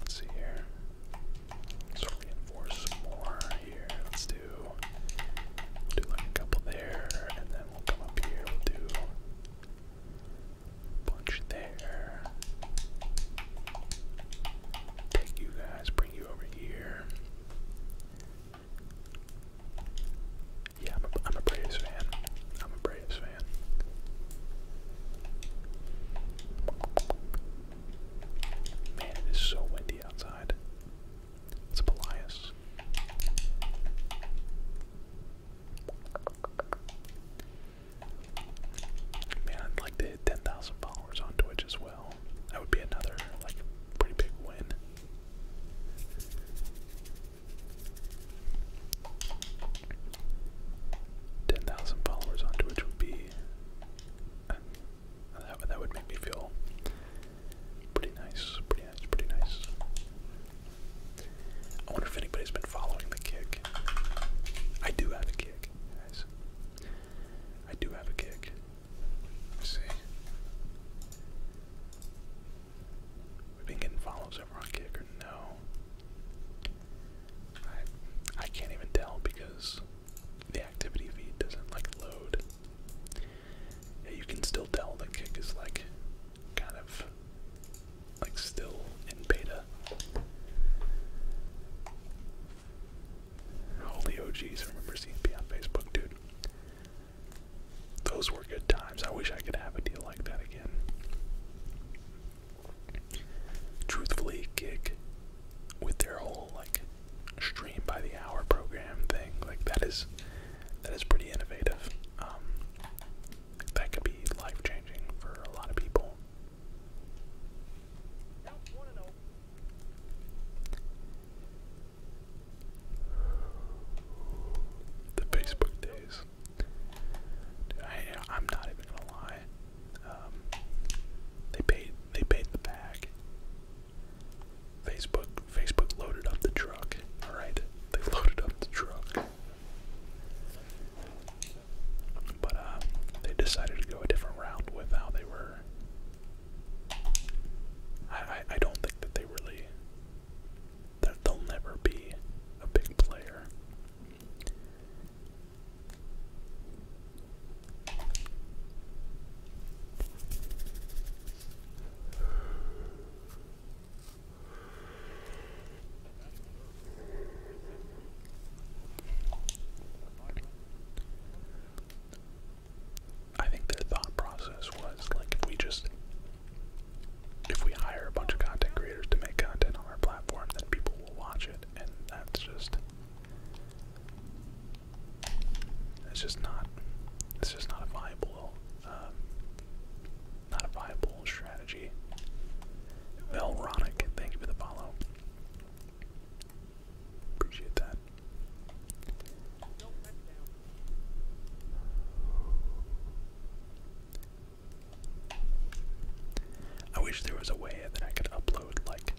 Let's see here. Let's reinforce some more here. Let's do do like a couple there and then then will come up here, we'll do bunch there. Take you guys, bring you over here. Yeah, I'm a Braves fan. I'm a Braves fan. Man, it is so windy outside. It's Pelias. Man, I'd like to hit 10,000 followers on Twitch as well. That would be another, like, pretty big win. Ten thousand followers on Twitch would be. Uh, that, that would make me feel Pretty nice, pretty nice, pretty nice. I wonder if anybody's been following the kick. I do have a kick, guys. I do have a kick. see. We've been getting follows over on kick or no. I I can't even tell because the activity feed doesn't like load you can still tell the kick is like kind of like still in beta. Holy OGs, I remember CMP on Facebook, dude. Those were good times. I wish I could have a deal like that again. Truthfully, kick with their whole like stream by the hour program thing, like that is that is pretty innovative. Um, that could be life changing for a lot of people. The Facebook days. I, am not even gonna lie. Um, they paid. They paid the bag. Facebook Facebook loaded up the truck. Alright? They loaded up the truck. But uh, they decided to go a different route with how they were I I, don't think that they really they'll never be a big player. I think their thought process was like if we just if we hire a bunch of content creators to make content on our platform, then people will watch it, and that's just it's just not it's just not a viable um, not a viable strategy. Velronic, thank you for the follow. Appreciate that. I wish there was a way that I could upload like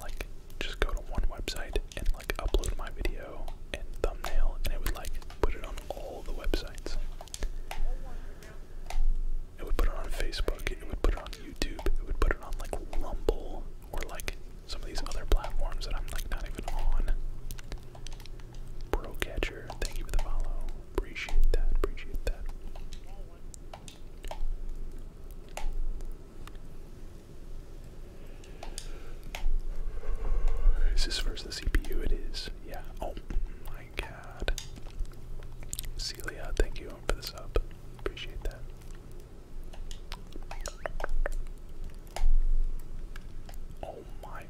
like just go to one website and like upload my video and thumbnail and it would like put it on all the websites. It would put it on Facebook, it would put it on YouTube, it would put it on like Rumble or like some of these other platforms that I'm like not even on. Procatcher, thank you for the follow. Appreciate that, appreciate that. Is this versus the CPU? It is. Yeah. Oh my god. Celia, thank you for this up. Appreciate that. Oh my.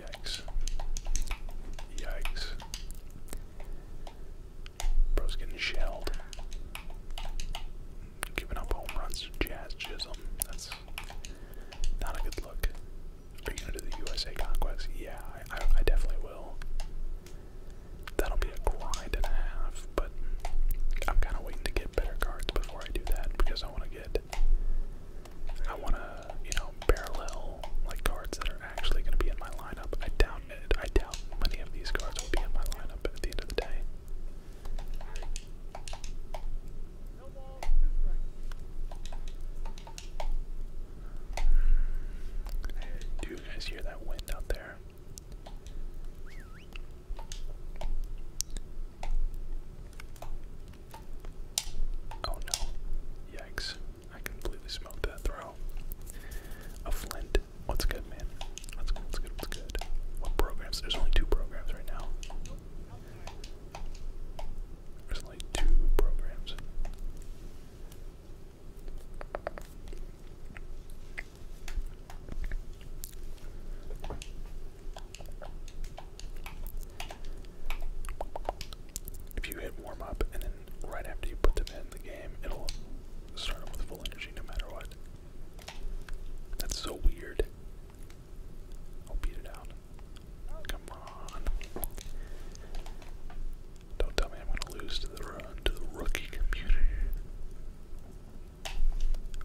Yikes. Yikes. Bro's getting shelled. Giving up home runs Jazz Chisholm. That's not a good look. Are you going to the USA Conquest? Yeah, I, I definitely will. That'll be a grind and a half, but I'm kind of waiting to get better cards before I do that because I want to get. I want to, you know, parallel like cards that are actually going to be in my lineup. I doubt I doubt many of these cards will be in my lineup at the end of the day. Do you guys hear that wind out there? Oh no. Yikes. I completely smoked that throw. A flint what's good, man? What's good? What's good? What's good? What programs? There's only two programs right now. There's only two programs. If you hit warm up and then right after you put them in the game, it'll start with full energy no matter what. That's so weird. I'll beat it out. Come on. Don't tell me I'm gonna lose to the rookie computer.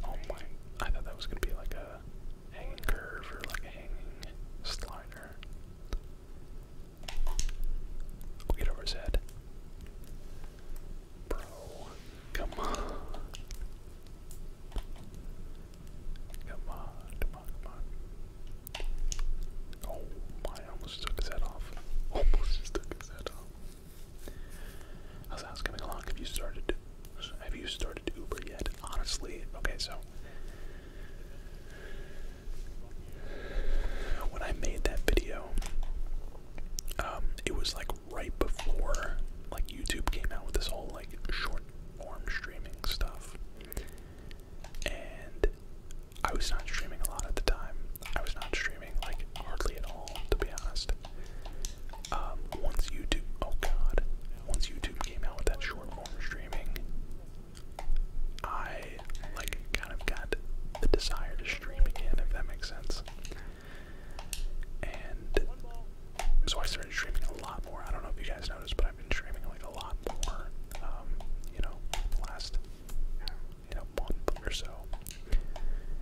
Oh my I thought that was gonna be like a hanging like a slider. get over his head. Bro, come on. Come on, come on, come on. Oh I almost took his head off. (laughs) Almost took his head off. How's the coming along? Have you started have you started Uber yet? Honestly, okay, so when I made that video, um, it was like right before like YouTube came out with this whole like short form streaming stuff. And I was not streaming a lot at the time. I was not streaming like hardly at all, to be honest. Um, once YouTube, oh god, once YouTube came out with that short form streaming, I I like kind of got the desire to stream again, if that makes sense. And so I started streaming a lot more. I don't know if you guys noticed, but I've been streaming like a lot more. Um, you know, last you know month or so,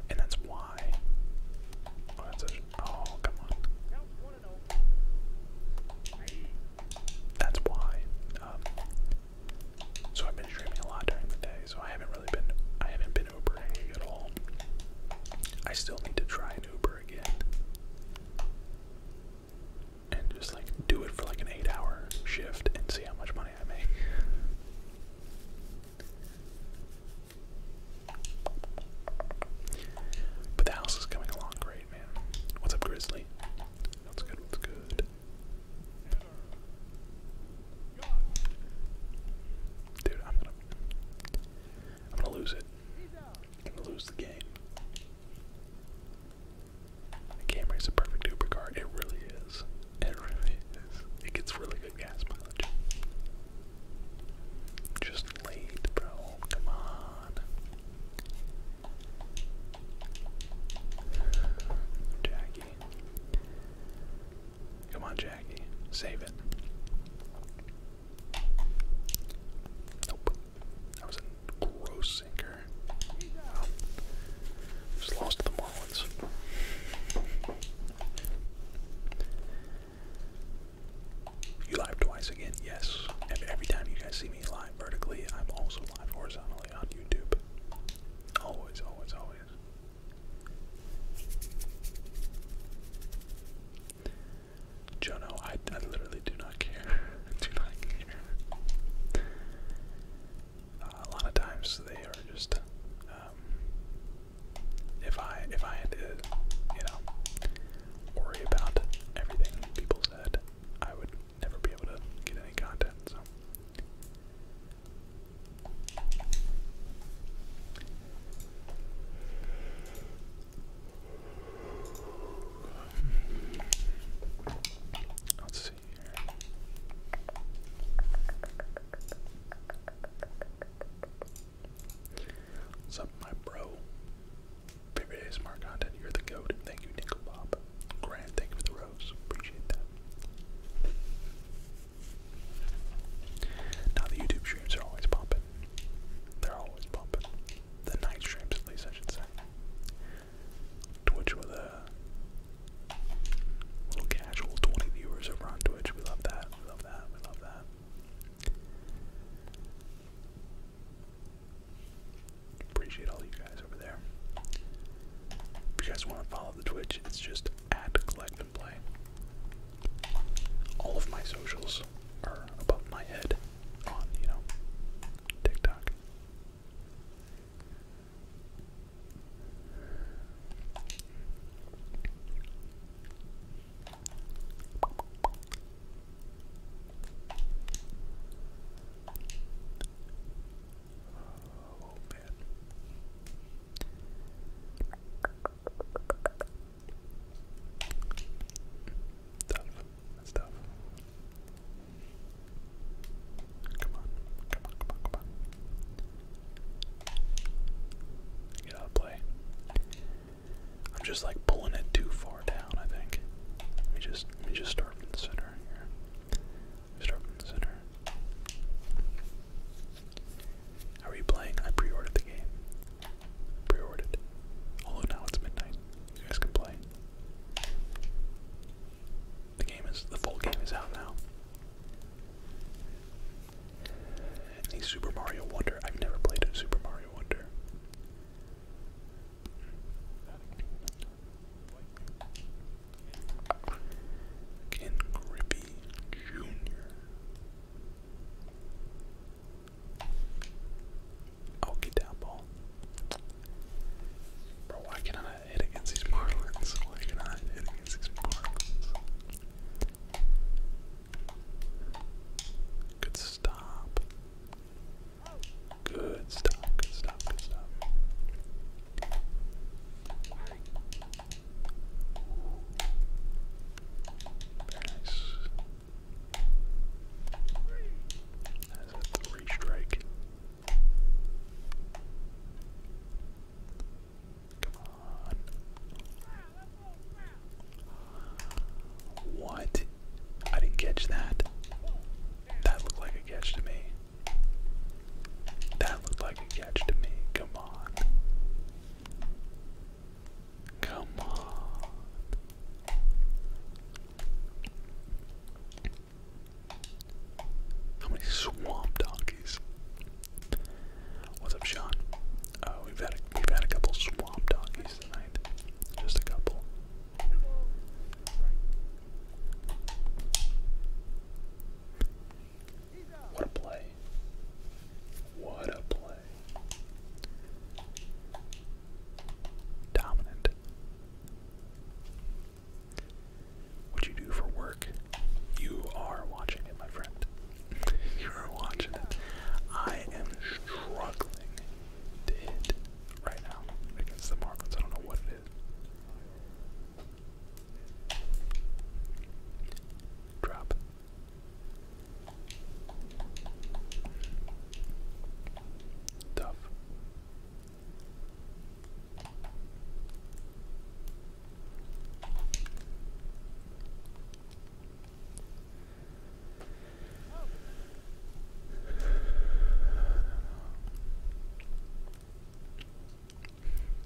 and that's why. Oh, oh come on. That's why um, so I've been streaming a lot during the day, so I haven't really been I haven't been Ubering at all. I still need to try an Uber again. And just like do it for like an eight hour shift and see how much money I make. But the house is coming along great, man. What's up, Grizzly? What's good, what's good? Dude, I'm gonna I'm gonna lose it. I'm gonna lose the game. The camera a perfect Uber It really is. It really is. It gets really good gas mileage. Just late, bro. Come on. Jackie. Come on, Jackie. Save it. Nope. That was a gross sinker. Just lost the Marlins. You live twice again, yes. And every time you guys see me live vertically, I'm also live horizontally on YouTube. Always, always, always. Jono, I, I literally do not care. (laughs) do not care. Uh, a lot of times they are just. Um, if I if I had to, you know, worry about everything people said, I would never be able to get any content. So Let's see What's up, my bro? Favorite ASMR content, you're the goat. Thank you, Nickel Bob. Grant, thank you rose. Appreciate that. Now the YouTube streams are always pumping. They're always pumping. The night streams, at least I should say. Twitch with a little casual 20 viewers over on Twitch. We love that. We love that. We love that. Appreciate all you guys over there. If you guys want to follow the Twitch, it's just at Collect and Play. All of my socials are above my head on, you know, TikTok. Oh man. Tough. That's Come on. Come on, come on, come on. Get out of play. I'm just like pulling it too far down, I think. Let me just let me just start from the center here. Start from the center. How are you playing? I pre-ordered the game. Pre-ordered. Although now it's midnight. You guys can play. The game is the full game is out now. the Super Mario Wonder. I've never played a Super Mario Wonder. Ken Grippy Jr. I'll ball. Bro, why can I hit against these Marlins? Why can I hit against these Marlins? Good stop. Good stop, good stop, good stop nice. That's a three strike. Come on. What? I didn't catch that. That looked like a catch to me. That looked like a catch to me. Come on. Come on. How many swamp donkeys? What's up, Sean? Oh, we've had we've had a couple swamp donkeys tonight. Just a couple. What a play. What a play. Dominant. What you do for work, you are watching it, my friend. You're watching it. I am struggling right now against the Marlins. I don't know what it is. Drop. Tough.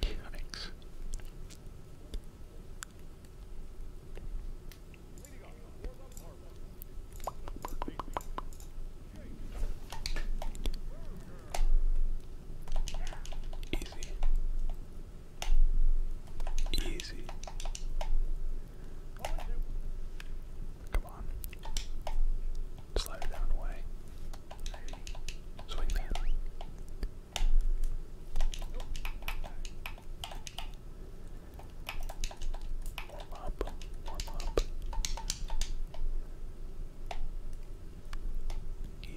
Yikes. Easy. Easy. Come on. Slide it down away. Swing that.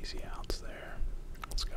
Easy outs there. Let's go.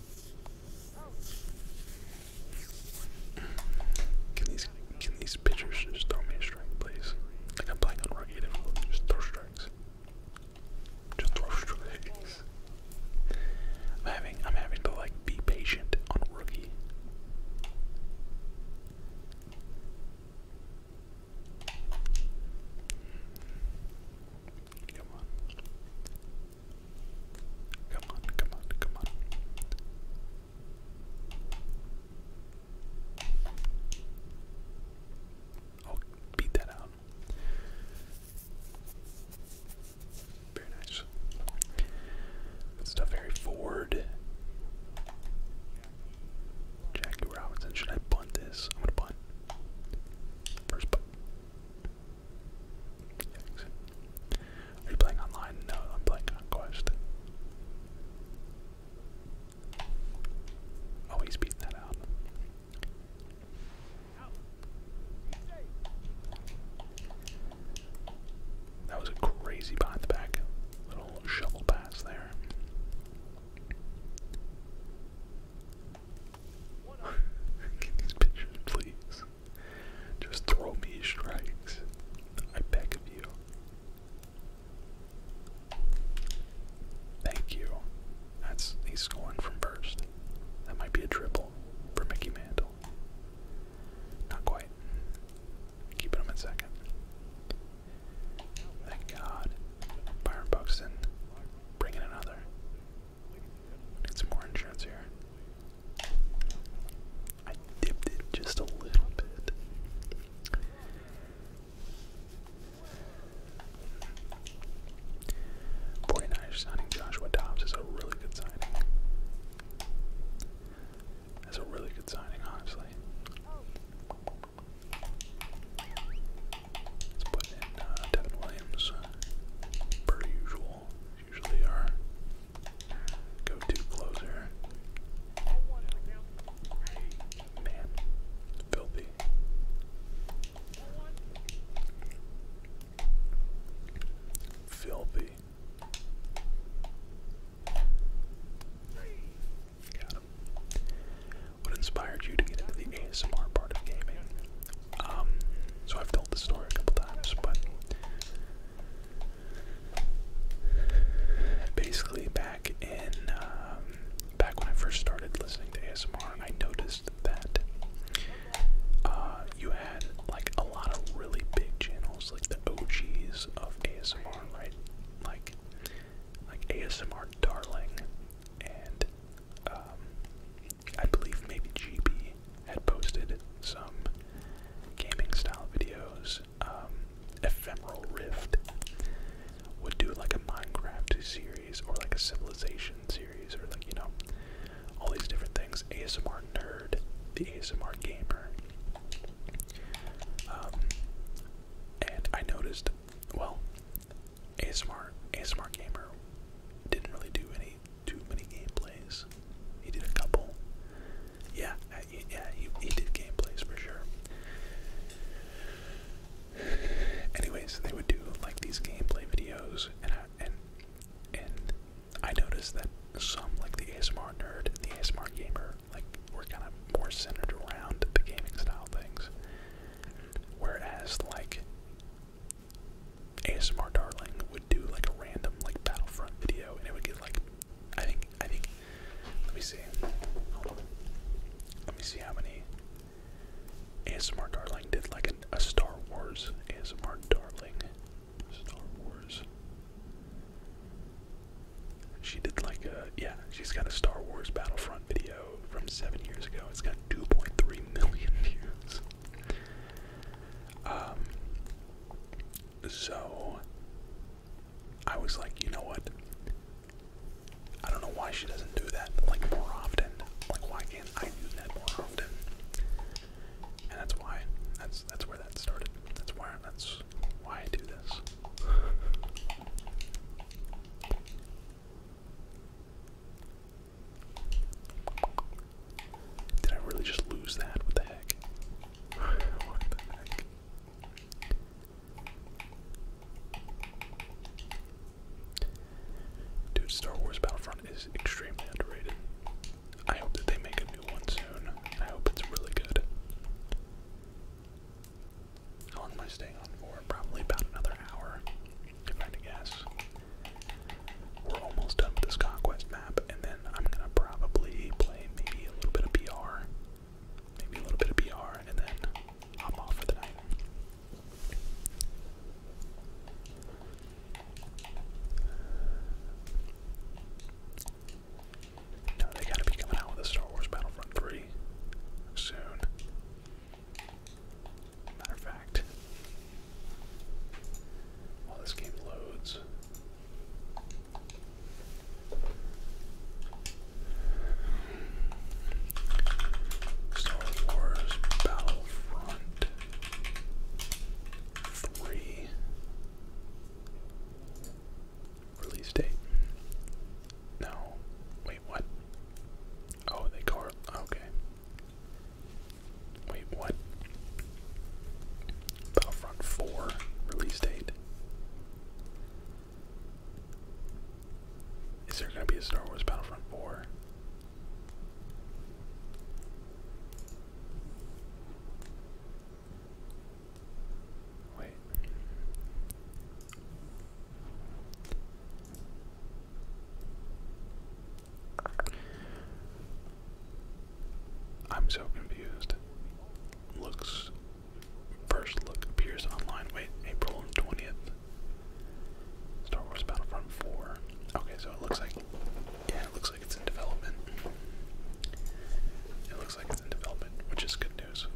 Can these can these pitchers just throw me a strike, please? Like I'm playing on just throw strikes. Just throw strikes. I'm having I'm having to like be patient on rookie. Come on. Come on, come on, come on. i oh, beat that out. Very nice. stuff, Harry Ford. Jackie Robinson. Should I bunt this? I'm gonna bunt. First bunt. Are you playing online? No, I'm playing on Oh, he's beating that out. That was a crazy behind the back little shovel pass there. (laughs) Get these pictures, please. Just throw me strikes. I beg of you. Thank you. That's he's scoring from first. That might be a triple for Mickey Mantle. Not quite. Keeping him in second. Thank God. Byron Buxton bringing another. Need more insurance here. I dipped it just a little bit. Forty nine signing Joshua Dobbs is a really good signing. That's a really good signing, honestly. Let's put in uh, Devin Williams, per usual usually our go-to closer. Man, filthy. Filthy. Got him. What inspired you to get into the ASMR part of gaming? Um, so I've told the story a couple times, but basically back in um, back when I first started listening to ASMR, I noticed that uh, you had like a lot of really big channels, like the OGs of ASMR, right? Like like ASMR Darling and um, I believe maybe GB had posted some gaming style videos. Um, Ephemeral Rift would do like a Minecraft series or like a Civilization series or like, you know, all these different things. ASMR Nerd, the ASMR Gamer. Um, and I noticed, well, ASMR, ASMR Gamer didn't really do any too many gameplays. He did a couple. Yeah, yeah, he, he did gameplays for sure. Anyways, they would do like these gameplay videos, and I, and and I noticed that some like the ASMR nerd, and the ASMR gamer, like were kind of more centered around the gaming style things, whereas like ASMR Darling would do like a random like Battlefront video, and it would get like, I think, I think, let me see, let me see how many ASMR Darling did like a Star Wars ASMR Darling, Star Wars. She did like a yeah, she's got a Star Wars Battlefront video from seven years ago. It's got 2.3 million (laughs) views. Um, so I was like, you know what? I don't know why she doesn't do that like more often. Like why can't I do that more often? And that's why. That's that's where that started. That's why that's why I do this. Did I really just lose that? What the heck? (laughs) what the heck? Dude, Star Wars Battlefront is extremely underrated. I hope that they make a new one soon. I hope it's really good. How long am I staying on for? Probably about another hour, if I we're almost done with this conquest map, and then I'm gonna probably play maybe a little bit of PR, Maybe a little bit of BR, and then I'm off for the night. Now they gotta be coming out with a Star Wars Battlefront 3 soon. Matter of fact, while this game loads. Star Wars Battlefront 3 release date. No. Wait, what? Oh, they call it. Okay. Wait, what? Battlefront 4 release date. Is there going to be a Star Wars Battlefront 4? Wait. I'm so confused. Looks. First look appears online. Wait, April 20th. Star Wars Battlefront 4. Okay, so it looks like. Yeah, it looks like it's in development. It looks like it's in development, which is good news.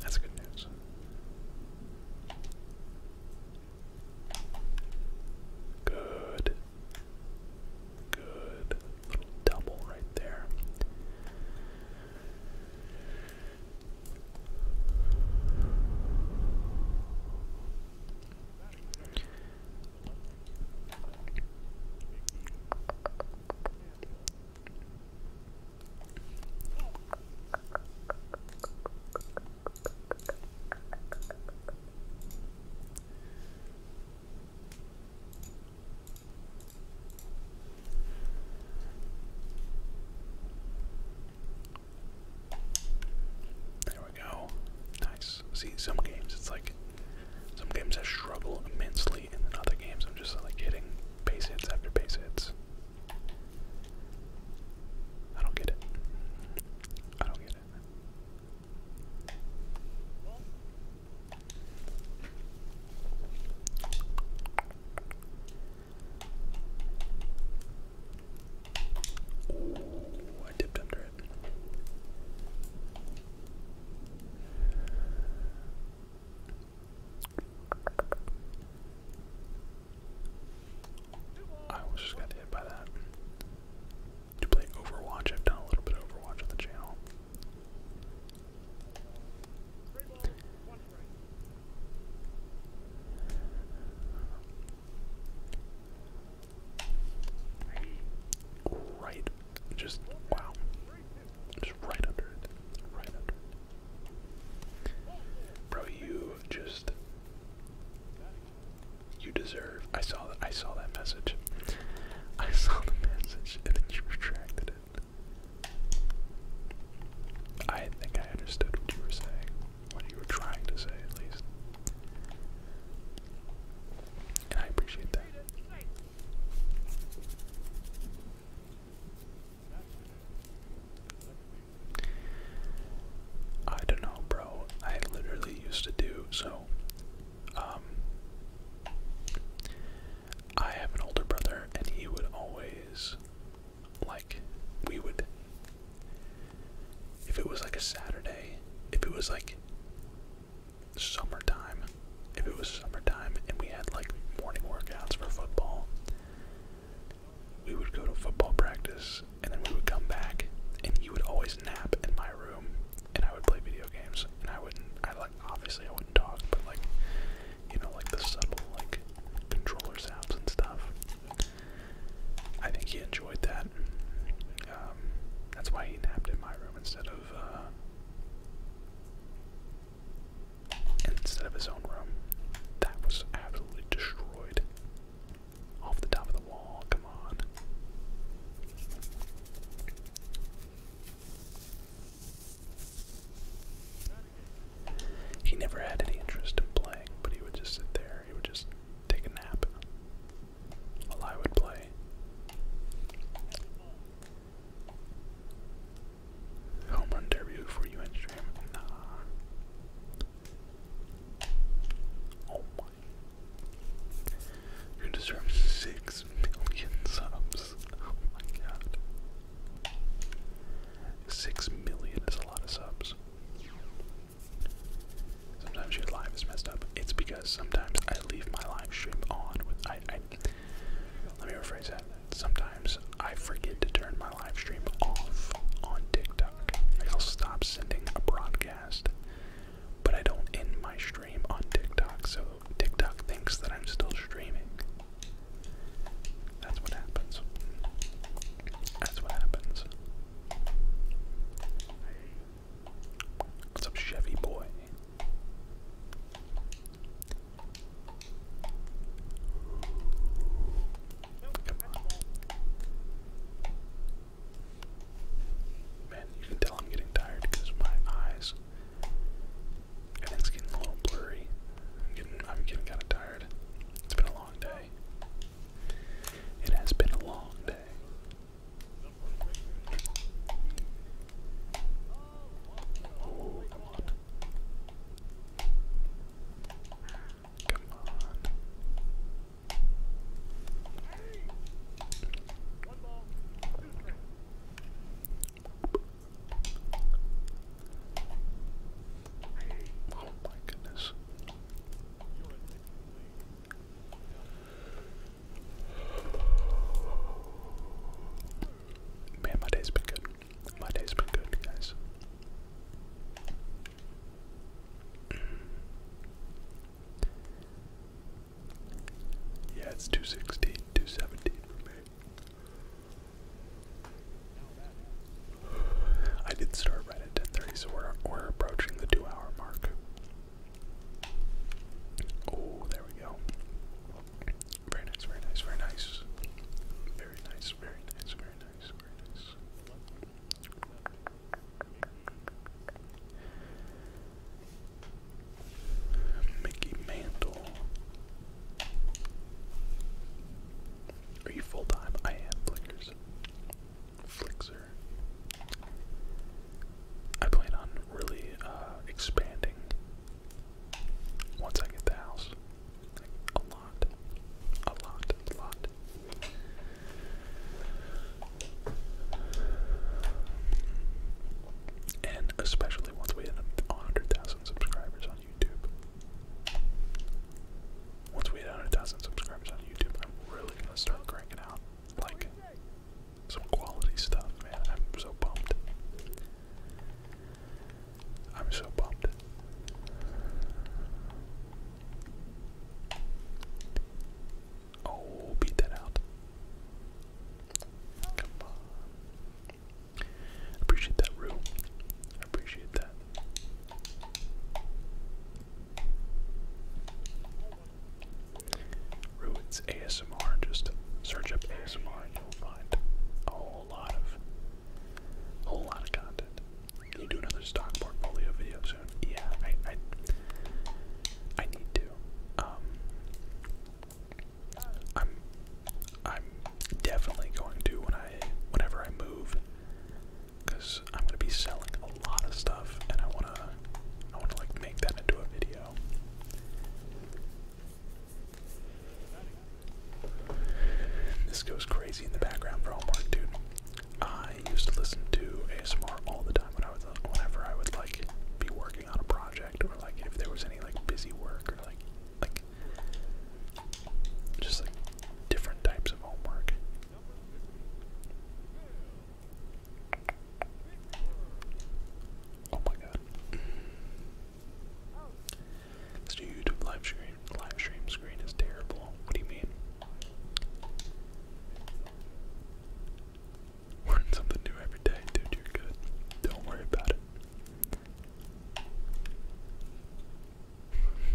That's good news. Good Good little double right there. There we go. Nice. See, some games it's like some games I struggle immensely, and then other games I'm just like hitting base hits after base hits. I don't get it. I don't get it. I dipped under it. I almost just got hit by that to play Overwatch. I've done a little bit of Overwatch on the channel. Right, just wow, just right under it, right under it. Bro, you just you deserve. I saw that. I saw that message. I saw the message, and then you retracted it. I think I understood what you were saying, what you were trying to say, at least. And I appreciate that. I don't know, bro. I literally used to do so. Um, I have an older brother, and he would always, like, we would, if it was like a Saturday, if it was like summertime, if it was summertime and we had like morning workouts for football, we would go to football practice and then we would come back, and he would always nap in my room and I would play video games, and I wouldn't. I like obviously I wouldn't talk, but like you know, like the subtle like controller sounds and stuff. I think he enjoyed that. Um, that's why he napped in my room instead of uh, instead of his own room. That was absolutely destroyed. Off the top of the wall, come on. He never had any interest in playing, but he would just sit there. He would just take a nap while I would play. Home run derby before you end you deserve six million subs. Oh my god. Six million is a lot of subs. Sometimes your live is messed up. It's because sometimes I leave my live stream on with I, I let me rephrase that. Sometimes I forget to turn my live stream off on TikTok. I'll stop sending a broadcast but I don't end my stream on TikTok, so TikTok thinks that I'm still streaming. That's what happens. That's what happens. What's up, Chevy boy? Come on. Man, you can tell I'm getting tired because my eyes. Everything's getting a little blurry. I'm getting, I'm getting kind of tired. It's been a long day. It has been a long day. Oh, come on. Come on. Oh my goodness. Man, my day's been good. My day's been good, guys. Yeah, it's 216, 217 for me. I did start right at 10.30, so we're, we're approaching the two hour mark. Oh, there we go. Very nice, very nice, very nice. Very nice, very nice, very nice, very nice. Mickey Mantle. Are you full time? I am Flickers. Flixer. I plan on really uh, expanding once I get the house. Like, a lot. A lot. A lot and especially once we hit 100,000 subscribers on YouTube. Once we hit 100,000 subscribers on YouTube, I'm really gonna start cranking out like some quality stuff, man. I'm so pumped. I'm so pumped. Oh, beat that out. Come on. Appreciate that, Rue. I appreciate that. Rue, it's ASMR. Just search up ASMR you'll find a whole lot of a whole lot of content. Can you do another stock portfolio video soon? Yeah, I I, need to. Um, I'm I'm definitely going to when I whenever I move cuz I'm going to be selling a lot of stuff and I want to I want to like make that into a video. This goes crazy in the background for homework, dude. I used to listen to ASMR all the time when I was whenever I would like be working on a project or like if there was any like busy work or like like just like different types of homework. Oh my god. This new YouTube live stream live stream screen is terrible. What do you mean? Learn something new every day, dude. You're good. Don't worry about it.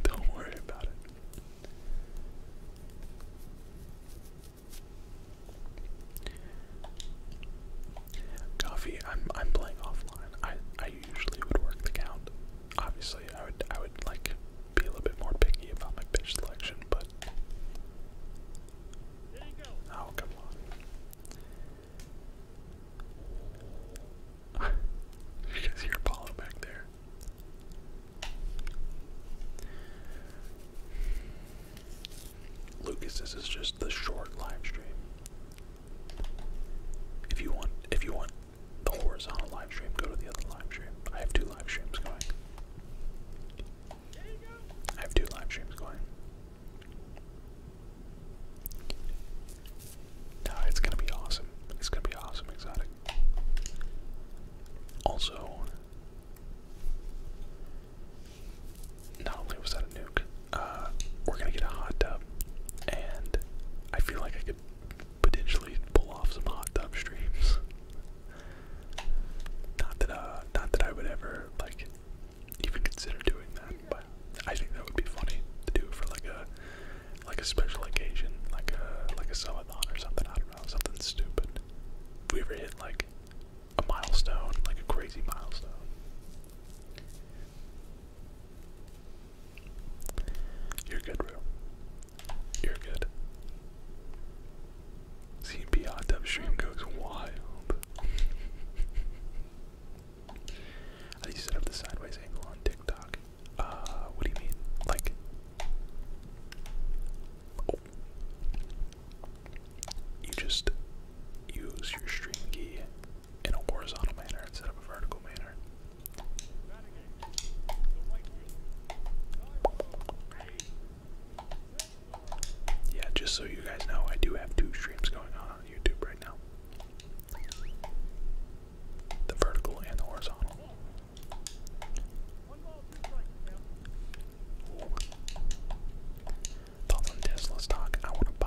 Don't worry about it. Coffee, I'm I'm playing offline. I I usually would work the count. Obviously, I would I would like be a little bit more picky about my pitch selection, but oh come on you guys hear Apollo back there. Lucas, this is just the short live stream. If you want if you want the horizontal live stream, go to the other live stream. I have two live streams going. I have two live streams going. No, it's gonna be awesome. It's gonna be awesome, exotic. Also, not only was that a nuke, uh, we're gonna get a hot tub, and I feel like I could potentially pull off some hot tub streams. Not that, uh, not that I would ever like even consider doing that, but I think that would be funny to do for like a like a special occasion, like a like a subathon or something. I don't know, something stupid. we ever hit like a milestone, like a crazy milestone. You're good, bro. You're good. CMP stream goes wild. How do you set up the sideways angle on TikTok? Uh, what do you mean? Like, oh. you just use your stream key in a horizontal manner instead of a vertical manner. Yeah, just so you guys know, I do have two streams going on on YouTube right now. The vertical and the horizontal. Thoughts on Tesla stock? I want to buy.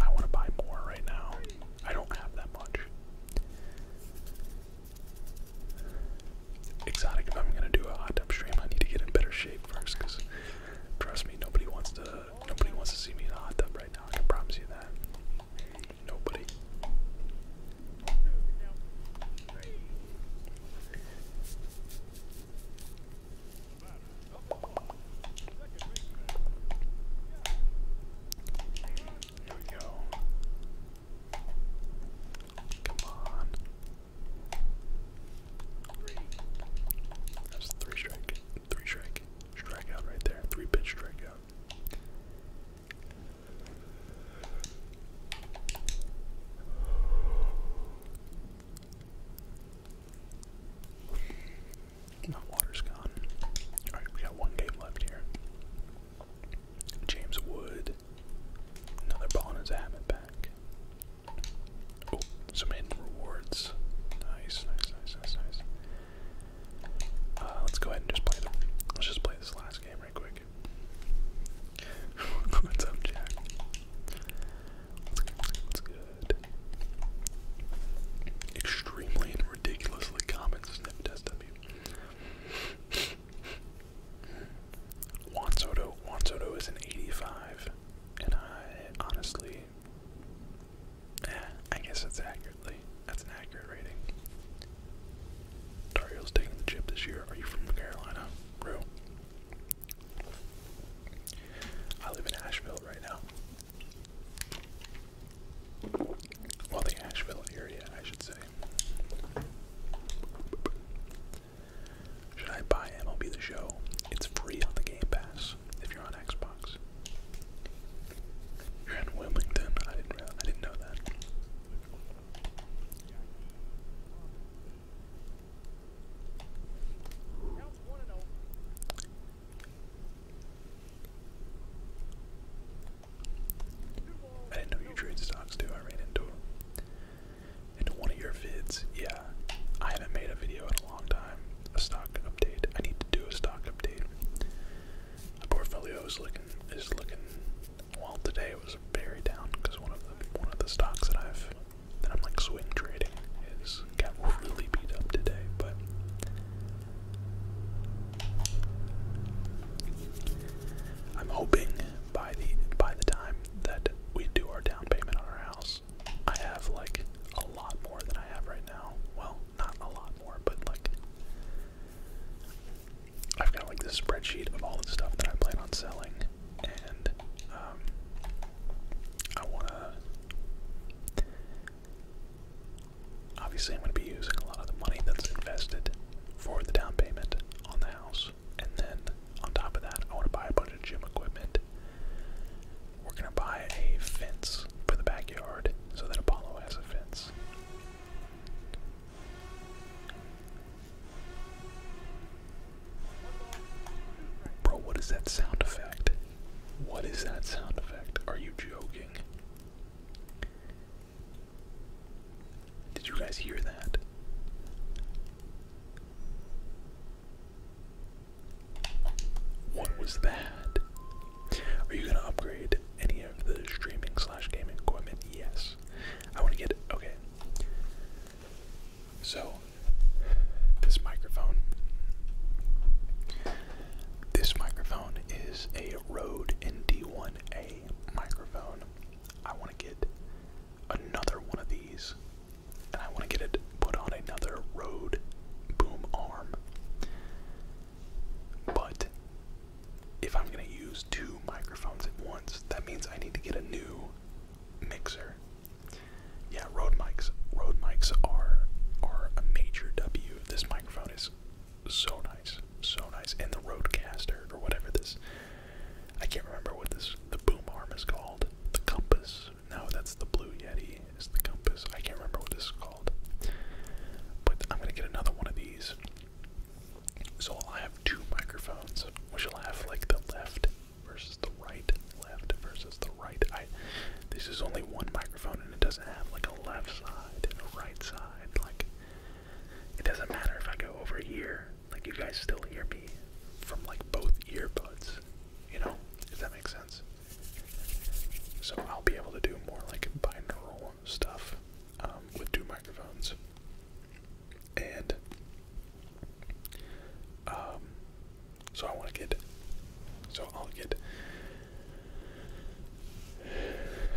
I want to buy more right now. I don't have that much. Exotic. If I'm gonna do a hot tub stream, I need to get in better shape first, because trust me, nobody wants to nobody wants to see me in a hot tub right now. I can promise you that. Nobody. Come on. That's three strike, three strike, strikeout right there. Three pitch strikeout. My water's gone. Alright, we got one game left here. James Wood. Another ball in his habit back. Oh, some hidden rewards. Nice, nice, nice, nice, nice. Uh, let's go ahead and just play them. Let's just play this last game right quick. (laughs) What's up, Jack? What's good? Extremely and ridiculously common snip test W. Juan Soto. Juan Soto is an 85, and I honestly yeah, I guess that's accurately. That's an accurate rating. Dario's taking the chip this year. Are you from Carolina? Bro. I live in Asheville right now. Well, the Asheville area, I should say. Should I buy MLB The Show? It's free on the Game Pass. If you're on Xbox, you're in Wilmington. I didn't I didn't know that. I didn't know you trade stocks too. I ran into into one of your vids. Yeah, I haven't made a video in a long time. A stock update. I need to do a stock update. The portfolio is looking is looking. Well, today was very down because one of the one of the stocks that I've that I'm like swing trading is got really beat up today. But I'm hoping by the by the time that we do our down payment on our house, I have like a lot more than I have right now. Well, not a lot more, but like I've got like this spreadsheet of all the stuff that I plan on selling, and um, I wanna. Obviously, I'm gonna be using a lot of the money that's invested for the down payment on the house, and then on top of that, I want to buy a bunch of gym equipment we're gonna buy a fence for the backyard so that Apollo has a fence. Bro, what is that sound effect? What is that sound effect? Are you joking? Did you guys hear that? What was that? Are you gonna upgrade any of the streaming slash gaming equipment? Yes. I wanna get okay. So this microphone. This microphone is a Rode ND1A microphone. I want to get another one of these and I want to get it put on another road boom arm. But if I'm going to use two microphones at once, that means I need to get a new mixer. Yeah, Rode mics. Rode mics are are a major W. This microphone is so nice, so nice. And the Rodecaster or whatever this, I can't remember what this the boom arm is called. The Compass no, that's the Blue Yeti, is the compass. I can't remember what this is called. But I'm gonna get another one of these. So I'll have two microphones, which will have like the left versus the right, left versus the right. I this is only one microphone and it doesn't have like a left side and a right side. Like it doesn't matter if I go over here, like you guys still hear me from like both earbuds. You know? Does that make sense? So I'll be able to do more like binaural stuff um, with two microphones. And um, so I want to get, so I'll get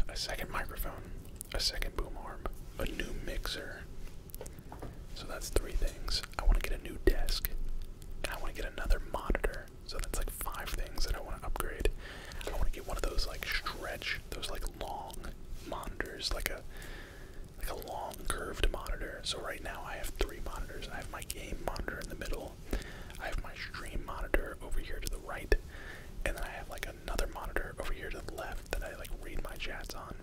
a second microphone, a second boom arm, a new mixer. So that's three things. I want to get a new desk, and I want to get another monitor. So that's like five things that I want to upgrade. I want to get one of those like stretch, those like long monitors, like a like a long curved monitor. So right now I have three monitors. I have my game monitor in the middle. I have my stream monitor over here to the right, and then I have like another monitor over here to the left that I like read my chats on.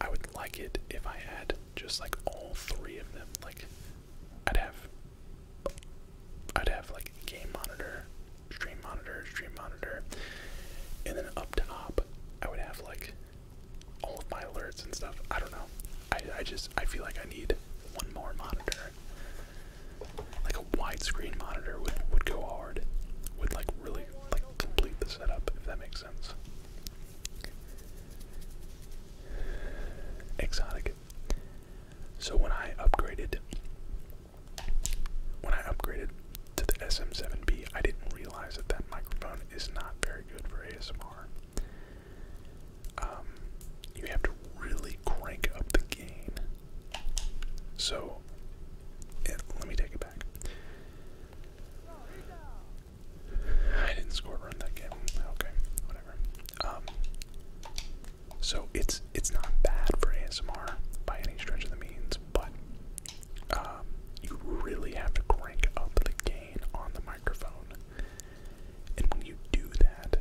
I would like it if I had just like all three of them, like I'd have I'd have like game monitor, stream monitor, stream monitor, and then up top I would have like all of my alerts and stuff. I don't know. I I just I feel like I need one more monitor. Like a widescreen monitor would would go hard. Would like really like complete the setup if that makes sense. Exotic. So when I upgraded when I upgraded to the SM7B, I didn't realize that that microphone is not very good for ASMR. Um, you have to really crank up the gain. So, eh, let me take it back. I didn't score a run that game. Okay, whatever. Um, so it's it's not bad for ASMR by any stretch of the means, but um, you really have to crank up the gain on the microphone, and when you do that,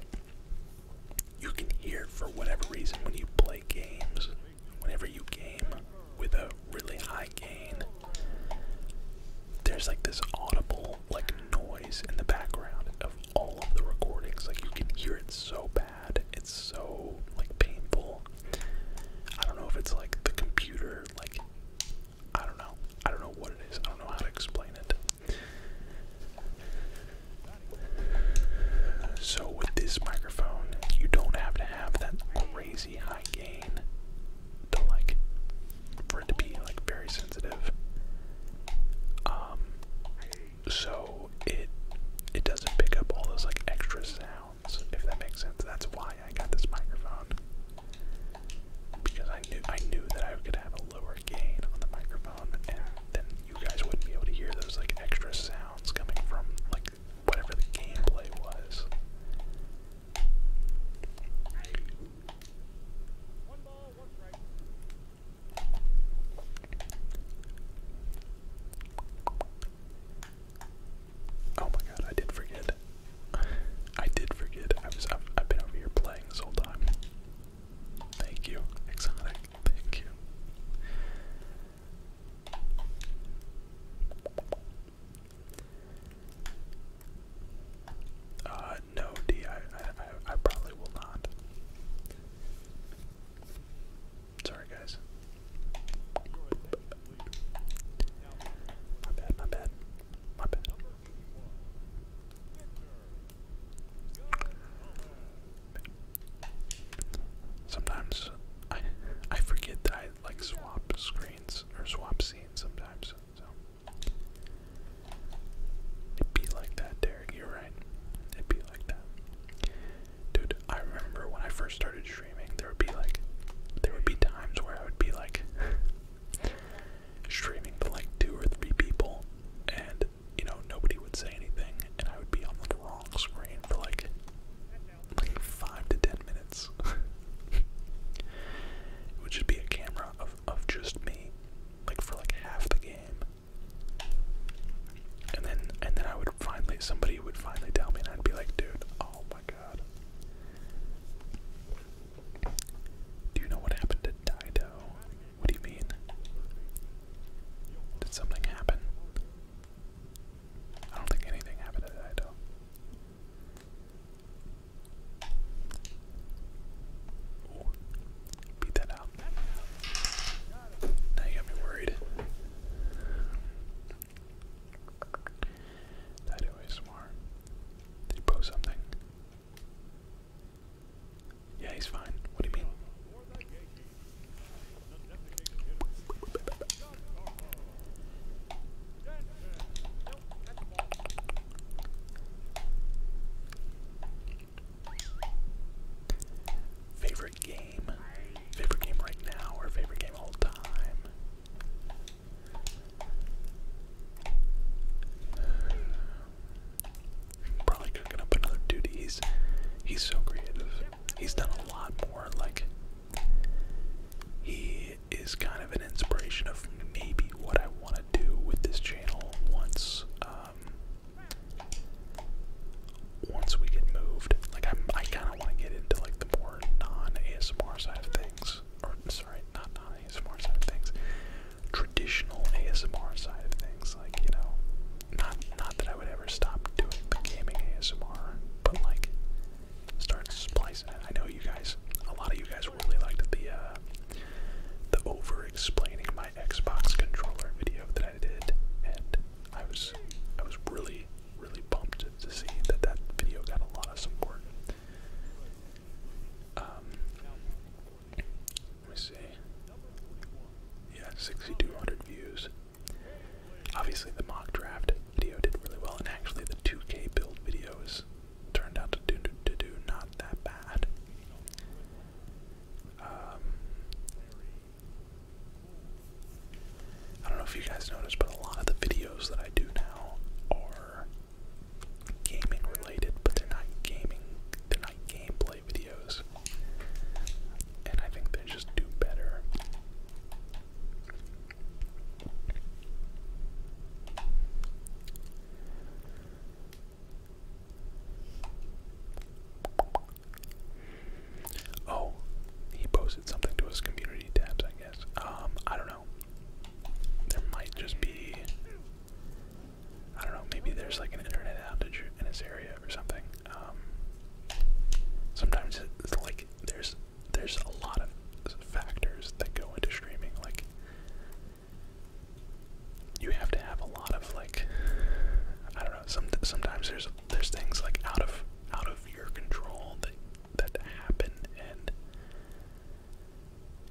you can hear for whatever reason when you play games, whenever you game with a really high gain, there's like this audible like noise in the background of all of the recordings. Like you can hear it so bad. It's so like painful. I don't know if it's like the computer like I don't know. I don't know what it is. I don't know how to explain it. So with this microphone, you don't have to have that crazy high gain to like for it to be like very sensitive. Um so it it doesn't pick up all those like extra sounds, if that makes sense. That's why I got this microphone. Because I knew I knew that I could have a lower gain on the microphone and then you guys wouldn't be able to hear those like extra sounds coming from like whatever the gameplay was. Oh my god, I did forget. I did forget. I was I've, been over here playing this whole time. Thank you, exotic. Thank you. Uh, no, D. I, I, I probably will not. Sorry, guys. My bad. My bad. My bad. Sometimes I I forget that I like swap screens or swap scenes sometimes it'd be like that, Derek. You're right. It'd be like that, dude. I remember when I first started streaming, there would be like, there would be times where I would be like (laughs) streaming to like two or three people, and you know nobody would say anything, and I would be on the wrong screen for like like five to ten minutes. (laughs) it would just be a camera of of just me, like for like half the game. And then and then I would finally somebody would finally tell me and I'd be like, dude, oh my god. Do you know what happened to Dido? What do you mean? Did something happen? I don't think anything happened to Dido beat that out. Now you got me worried. That ASMR. Did he post something? Yeah, he's fine. What do you mean? Favorite game? Favorite game right now or favorite game all time? Probably cooking up another dude. He's he's so creative. He's done a lot more. Like he is kind of an inspiration of maybe what I want to do with this channel once um, once we get moved. Like I'm, I kind of want to get into like the more non-ASMR side of things, or sorry, not non-ASMR side of things, traditional ASMR side of things. Like you know, not not that I would ever stop doing the gaming ASMR, but like start splicing I know you guys, a lot of you guys really liked the. Uh, the over explaining my Xbox controller video that I did, and I was I was really really pumped to see that that video got a lot of support. Um, let me see. Yeah, 6,200 views. Obviously, the mock draft video did really well, and actually, the 2K build videos turned out to do, to do not that bad. Um, I don't know if you guys noticed, but a lot of the videos that I do now are gaming related, but they're not gaming, they're not gameplay videos. And I think they just do better. Oh, he posted something to his community tabs, I guess. Um, I don't know. There might just be. I don't know, maybe there's like an internet outage in his area or something. Um, sometimes it's like there's there's a lot of factors that go into streaming, like you have to have a lot of like I don't know. sometimes there's there's things like out of out of your control that that happen and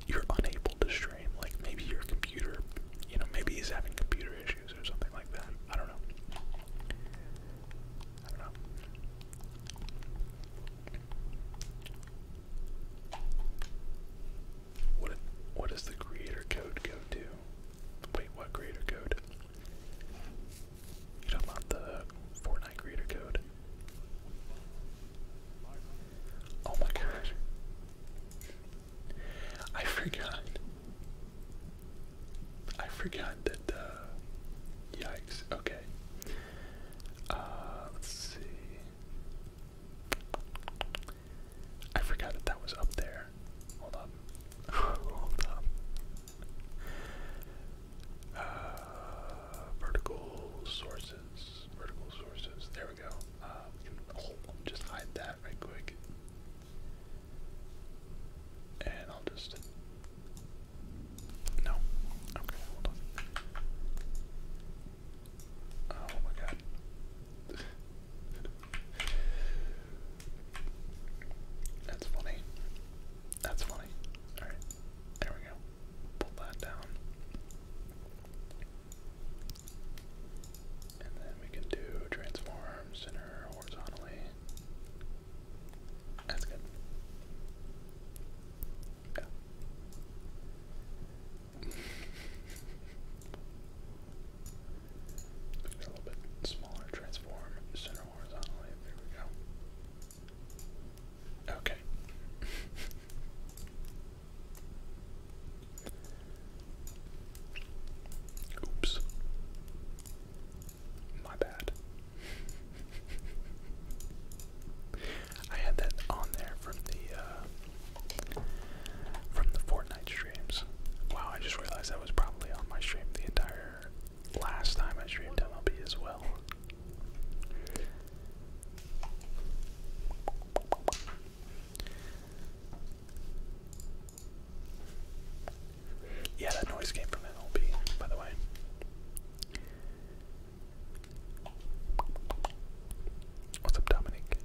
you're unable to stream. Like maybe your computer, you know, maybe he's having computer issues or something like that. I don't know. I don't know. What what does the creator code go to? Wait, what creator code? You talking about the Fortnite creator code? Oh my gosh. I forgot. I forgot that, uh, yikes, okay. Uh, let's see. I forgot that that was up there. Hold up. (laughs) Hold up. Uh, vertical sources. Vertical sources. There we go. Uh, just hide that right quick. And I'll just. No. Okay, hold on. Oh my god. That's funny. That's funny. Alright, there we go. Pull that down. And then we can do transform center horizontally. That's good. Yeah. It's a little bit smaller. Transform center horizontally. There we go. Okay. Oops. My bad. I had that on there from the uh, from the Fortnite streams. Wow, I just realized that was probably on my stream the entire last time I streamed MLB as well. Yeah, that noise came from MLB, by the way. What's up, Dominic?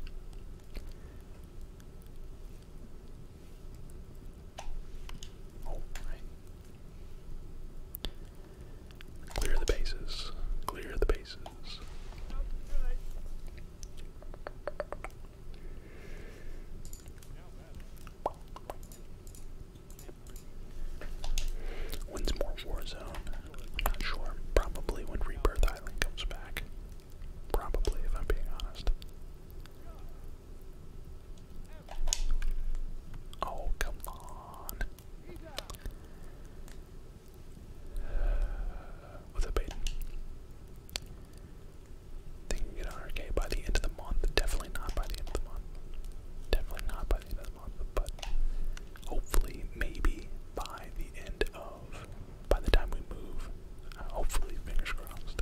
Clear the bases. Clear the bases. When's more Warzone? i not sure. Probably when Rebirth Island comes back. Probably, if I'm being honest. Oh, come on. With a bait. Think you get 100k by the end of the month. Definitely not by the end of the month. Definitely not by the end of the month, but hopefully, maybe by the end of by the time we move. Uh, hopefully, fingers crossed.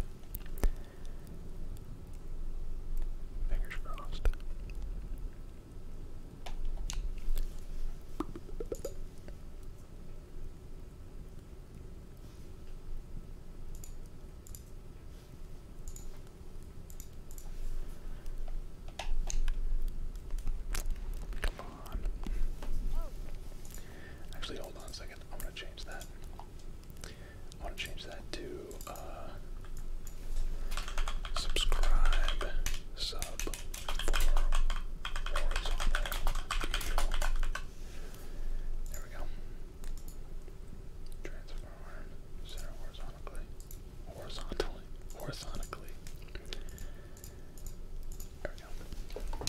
Fingers crossed. Actually, hold on a second. I want to change that. I want to change that to uh, subscribe sub There we go. Transform center horizontally. Horizontally. Horizontally. There we go.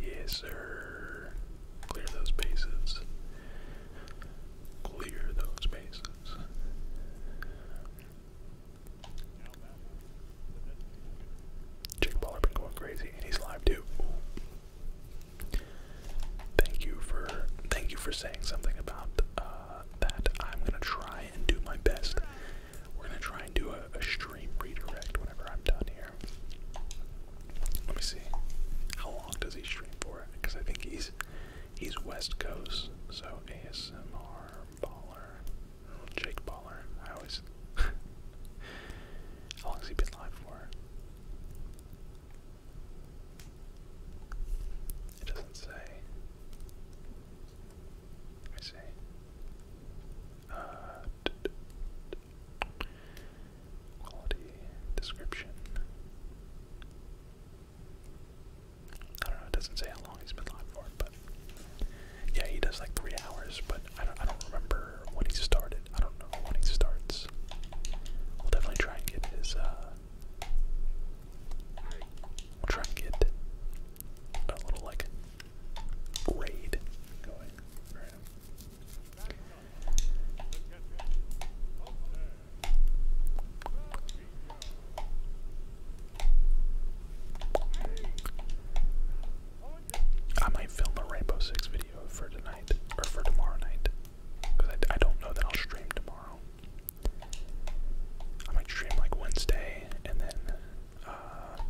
Yes, sir. Clear those bases. Clear those bases. Jake been going crazy, and he's live too. Thank you for thank you for saying something about uh, that. I'm gonna try and do my best. We're gonna try and do a, stream redirect whenever I'm done here. Let me see. How long does he stream for? Because I think he's he's West Coast, so ASMR baller, Jake baller. I (laughs) How long has he been alive for? It doesn't say. Let me Uh, quality description. I don't know, it doesn't say how long he's been live for, but yeah, he does like three hours, but I don't, I don't remember when he started. I don't know when he starts. We'll definitely try and get his. Uh, we'll try and get a little like raid I might film a Rainbow Six video for tonight or for tomorrow night, because I, I don't know that I'll stream tomorrow. I might stream like Wednesday and then uh,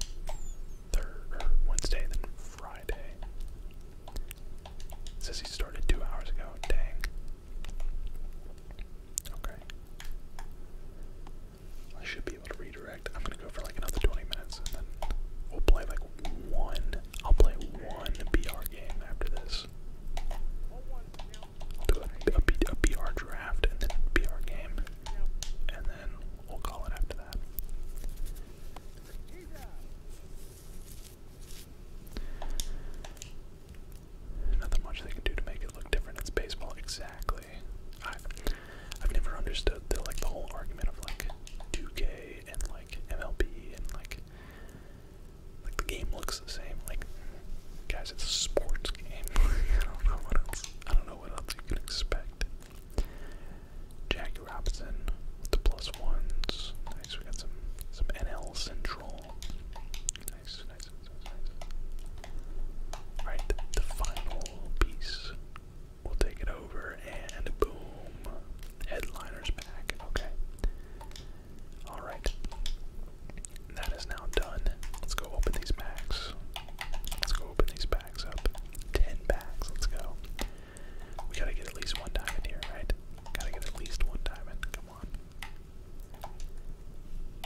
third Wednesday, then Friday. It says he started two hours ago. Dang. Okay. I should be able to redirect. I'm gonna go for like another 20 minutes and then we'll play like one. I'll play one BR game after this. do a, a, draft and then a game, and then we'll call it after that. Nothing much they can do to make it look different. It's baseball, exactly. I've never understood the like the whole argument of like 2K State and like MLB and like like the game looks the same. Like guys, it's a sports game. (laughs) I don't know what else. I don't know what else you can expect. Jackie Robinson with the plus ones. Nice. We got some some NL Central. Nice, nice, nice, nice. nice. the final piece We'll take it over and boom. Headliner's back. Okay. Alright. That is now done. Let's go open these packs. Let's go open these packs up. Ten packs. Let's go. We gotta get at least one diamond here, right? Gotta get at least one diamond. Come on.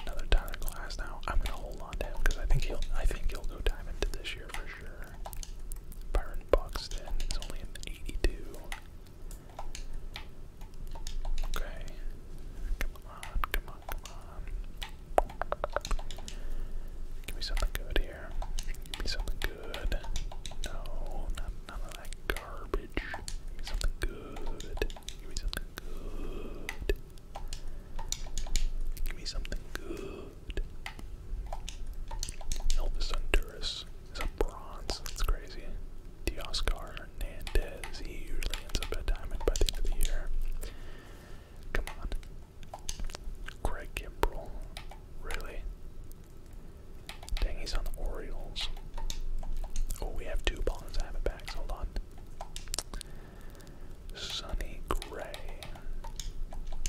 Another Tyler Glass now. I'm gonna hold on to him because I think he'll I think he'll go diamond this year for sure player. Byron Buxton is only an 82. Okay. Come on, come on, come on. Give me something good here. Give me something good. No, not none of that garbage. Give me something good. Give me something good. Give me something good. Elvis Honduras is a bronze. That's crazy. Dioscar Hernandez. He usually ends up at diamond by the end of the year. Come on. Greg Gimbrel. Really? Dang, he's on the Orioles. Oh, we have two bonds. I have it back. Hold on. Sonny Gray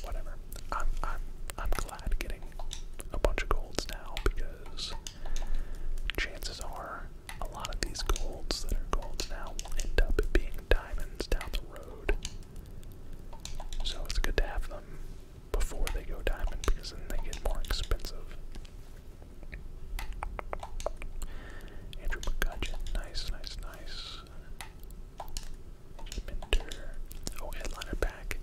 whatever. I'm I'm I'm glad getting a bunch of golds now because chances are a lot of these golds that are golds now will end up being diamonds down the road. So it's good to have them before they go diamond because then they get more expensive. Andrew McCutcheon, nice, nice, nice. Oh, headliner pack.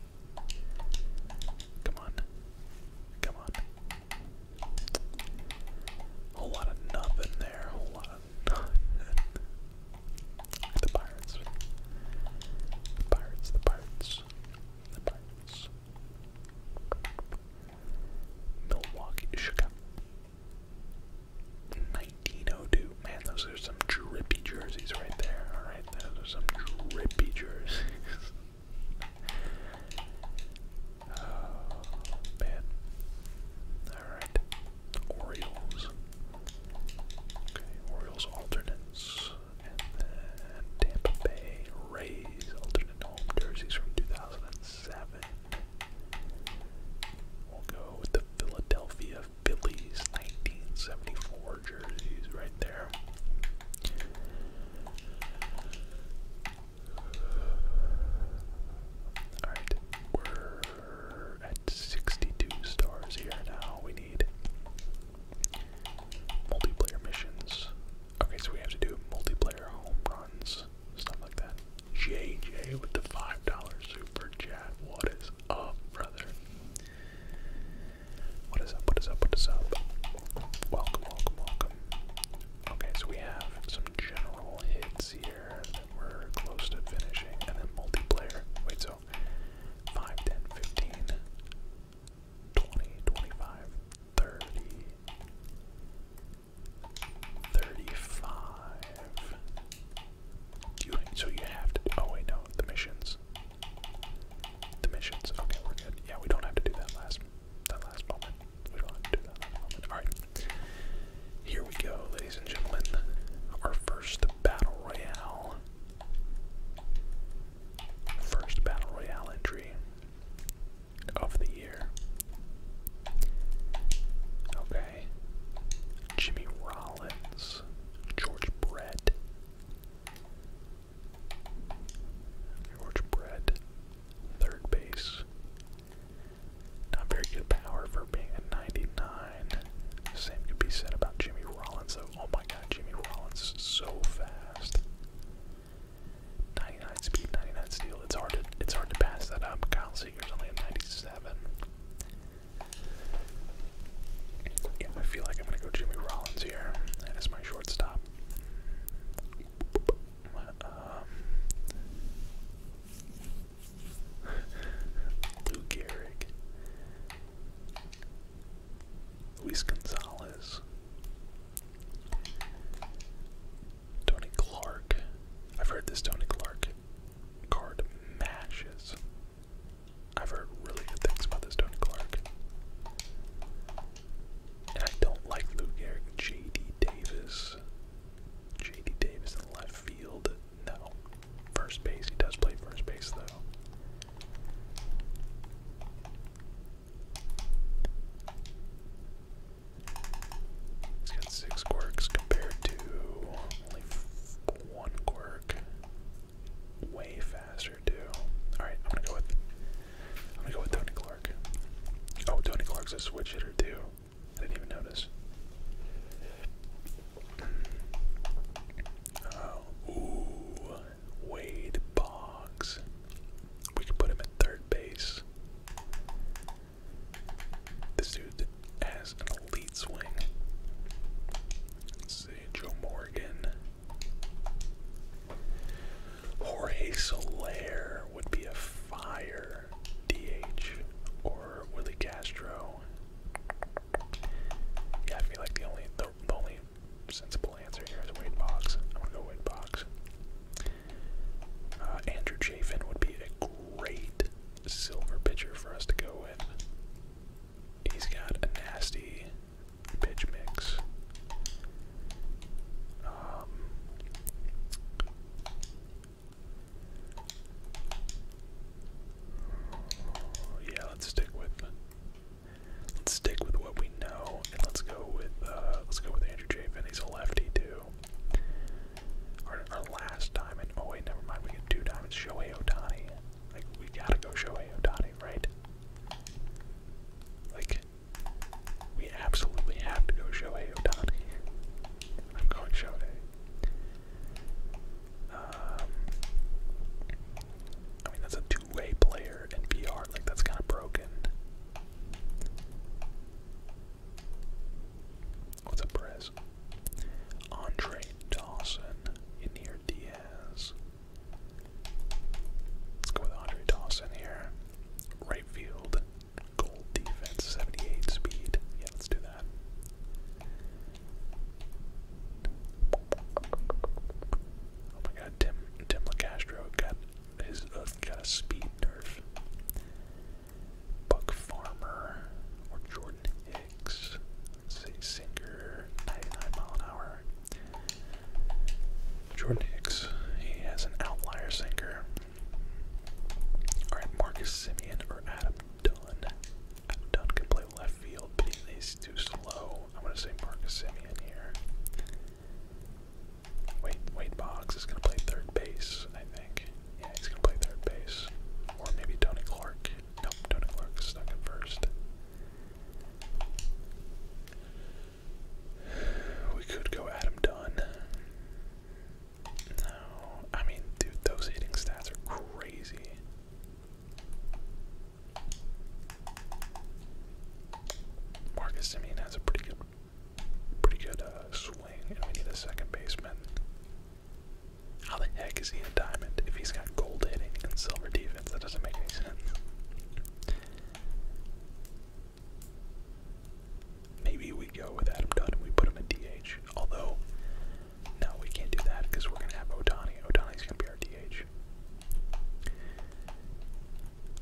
Come on. Come on. Whole lot of nothing there. Whole lot of nothing. (laughs) the pirates. The pirates, the pirates. The pirates. Milwaukee Chicago. 1902. Man, those are some drippy jerseys right there. All right, those are some drippy jerseys. (laughs) oh man. All right, Orioles. Okay, Orioles alternates, and then Tampa Bay Rays alternate home jerseys from 2007. We'll go with the Philadelphia Phillies 1974 jerseys right there. Alright, we're at 62 stars here now. We need multiplayer missions. Okay, so we have to do multiplayer home runs, stuff like that. JJ with the $5 super chat. What is up, brother? What is up? What is up? What is up? Welcome, welcome, welcome. Okay, so we have some general hits here that we're close to finishing, and then multiplayer. Wait, so 5, 10, 15, 20, 25, 30, 35. You, so you have to. Oh, wait, no, the missions. The missions. Okay, we're good. Yeah, we don't have to do that last that last moment. We don't have to do that last moment. Alright. Here we go, ladies and gentlemen. Our first battle royale. First battle royale entry of the year. Okay. Jimmy Rollins, George Brett, George Brett, third base. Not very good power for being a 99. Same could be said about Jimmy Rollins, though. Oh my god, Jimmy Rollins is so fast. 99 speed, 99 steal. It's hard to it's hard to pass that up. Kyle Seeger's only a 97. Yeah, I feel like I'm gonna go Jimmy Rollins here. That is my shortstop. Um, (laughs) Lou Gehrig, Luis Gonzalez, Tony Clark. I've heard this Tony Clark card mashes. I've heard really good things about this Tony Clark. And I don't like Lou Gehrig. J.D. Davis. J.D. Davis in left field. No. First base. He does play first base, though. He's got six quirks compared to only one quirk. Wave faster too. All right, I'm gonna go with I'm gonna go with Tony Clark. Oh, Tony Clark's a switch hitter too. I didn't even notice. Uh, Wade Boggs. We could put him at third base. This dude has an elite swing. Let's see, Joe Morgan. Jorge Soler would be a fire DH or Willie Castro. Yeah, I feel like the only the, only sensible answer here is Wade Box. I'm to go Wade Box. Uh, Andrew Chafin would be a great silver pitcher for us to go with. He's got a nasty pitch mix. Um, yeah, let's stick with let's stick with what we know, and let's go with uh, let's go with Andrew Chafin. He's a lefty too. Our, last diamond. Oh wait, never mind. We get two diamonds. Shohei Otani. Like we gotta go Shohei Otani happening, right? Like, we absolutely have to go Shohei Otani. I'm going Shohei. Um, I mean, that's a two-way player in VR. Like, that's kind of broken. What's up, Perez? Andre Dawson, Yanir Diaz, Let's go with Andre Dawson here. Right field, gold defense, 78 speed. Yeah, let's do that. Oh my god, Tim Tim LaCastro got his uh, got a speed nerf. Buck Farmer or Jordan Hicks let Sinker, 99 mile an hour. Jordan Hicks, he has an outlier sinker. Alright, Marcus Simeon or Adam Dunn. Adam Dunn can play left field, but he's too slow. I'm gonna say Marcus Simeon here. Wait, Wade Boggs is gonna play third base, I think. Yeah, he's gonna play third base. Or maybe Tony Clark. Nope, Tony Clark's stuck at first. We could go Adam Dunn. No, I mean, dude, those hitting stats are crazy. Marcus Simeon has a pretty good, pretty good uh, swing, and we need a second baseman. How the heck is he a diamond if he's got gold hitting and silver D that doesn't make any sense. Maybe we go with Adam Dunn and we put him in DH. Although, no, we can't do that because we're going to have Otani. Otani's going to be our DH.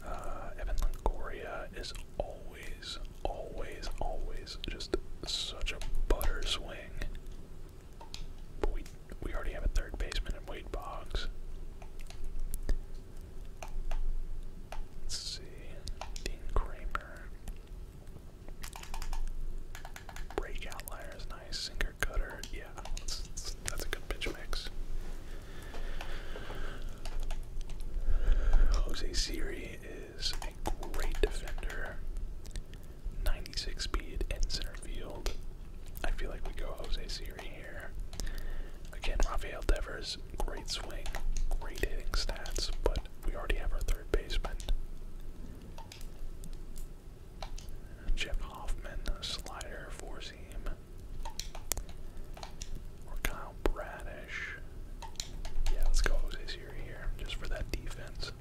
Uh, Evan Longoria is always, always, always just such a butter swing we, we already have a third baseman in Wade Boggs. Let's see. Dean Kramer. Breakout outlier is nice. Sinker cutter. Yeah, that's, a good pitch mix. Jose Siri is a great defender. 96 speed and center field. I feel like we go Jose Siri here. Again, Rafael Devers, great swing, great hitting stats, but we already have our third baseman. Jeff Hoffman, slider, for seam. Or Kyle Bradish. Yeah, let's go Jose Siri here, just for that defense.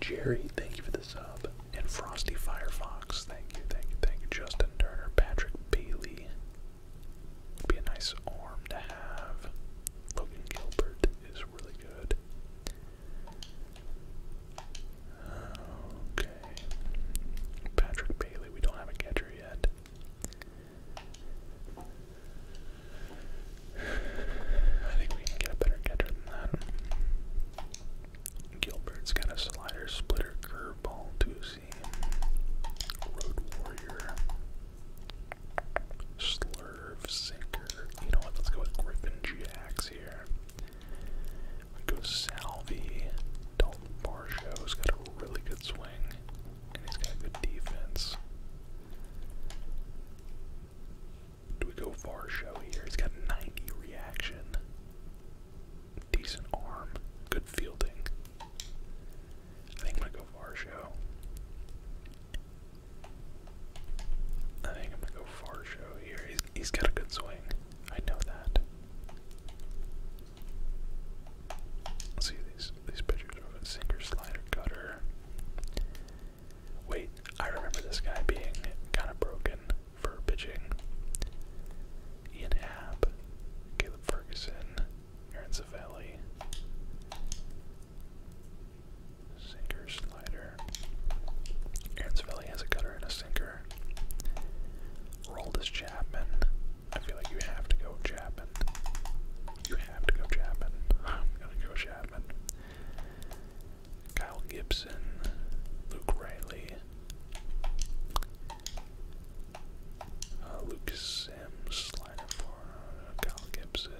Jerry, thank you for the sub and Frosty Firefox. Thank you, thank you, thank you. Justin Turner, Patrick Bailey. Would be a nice arm to have. Logan Gilbert is really good. Okay. Patrick Bailey, we don't have a catcher yet. (sighs) I think we can get a better catcher than that. Gilbert's got a slider, splitter, curveball, two seam, road warrior, slurve, sinker. You know what? Let's go with Griffin Jax here. We go Salvi. Dalton Barsho's got a really good swing, and he's got good defense. Do we go Varsho here? He's got 90 reaction. Decent arm. Good fielding. I think I'm gonna go Varsho. I think I'm gonna go Varsho here. He's, he's got a good swing. I know that. see these these pictures of a sinker, slider, cutter. Wait, I remember this guy being kind of broken for pitching. Ian Happ, Caleb Ferguson, Aaron Savelli, sinker slider. Aaron Savelli has a cutter and a sinker. Roldis Chapman. I feel like you have to go Chapman. You have to go Chapman. (laughs) I'm gonna go Chapman. Kyle Gibson, Luke Riley, uh, Lucas Sims, Linefora, Kyle Gibson,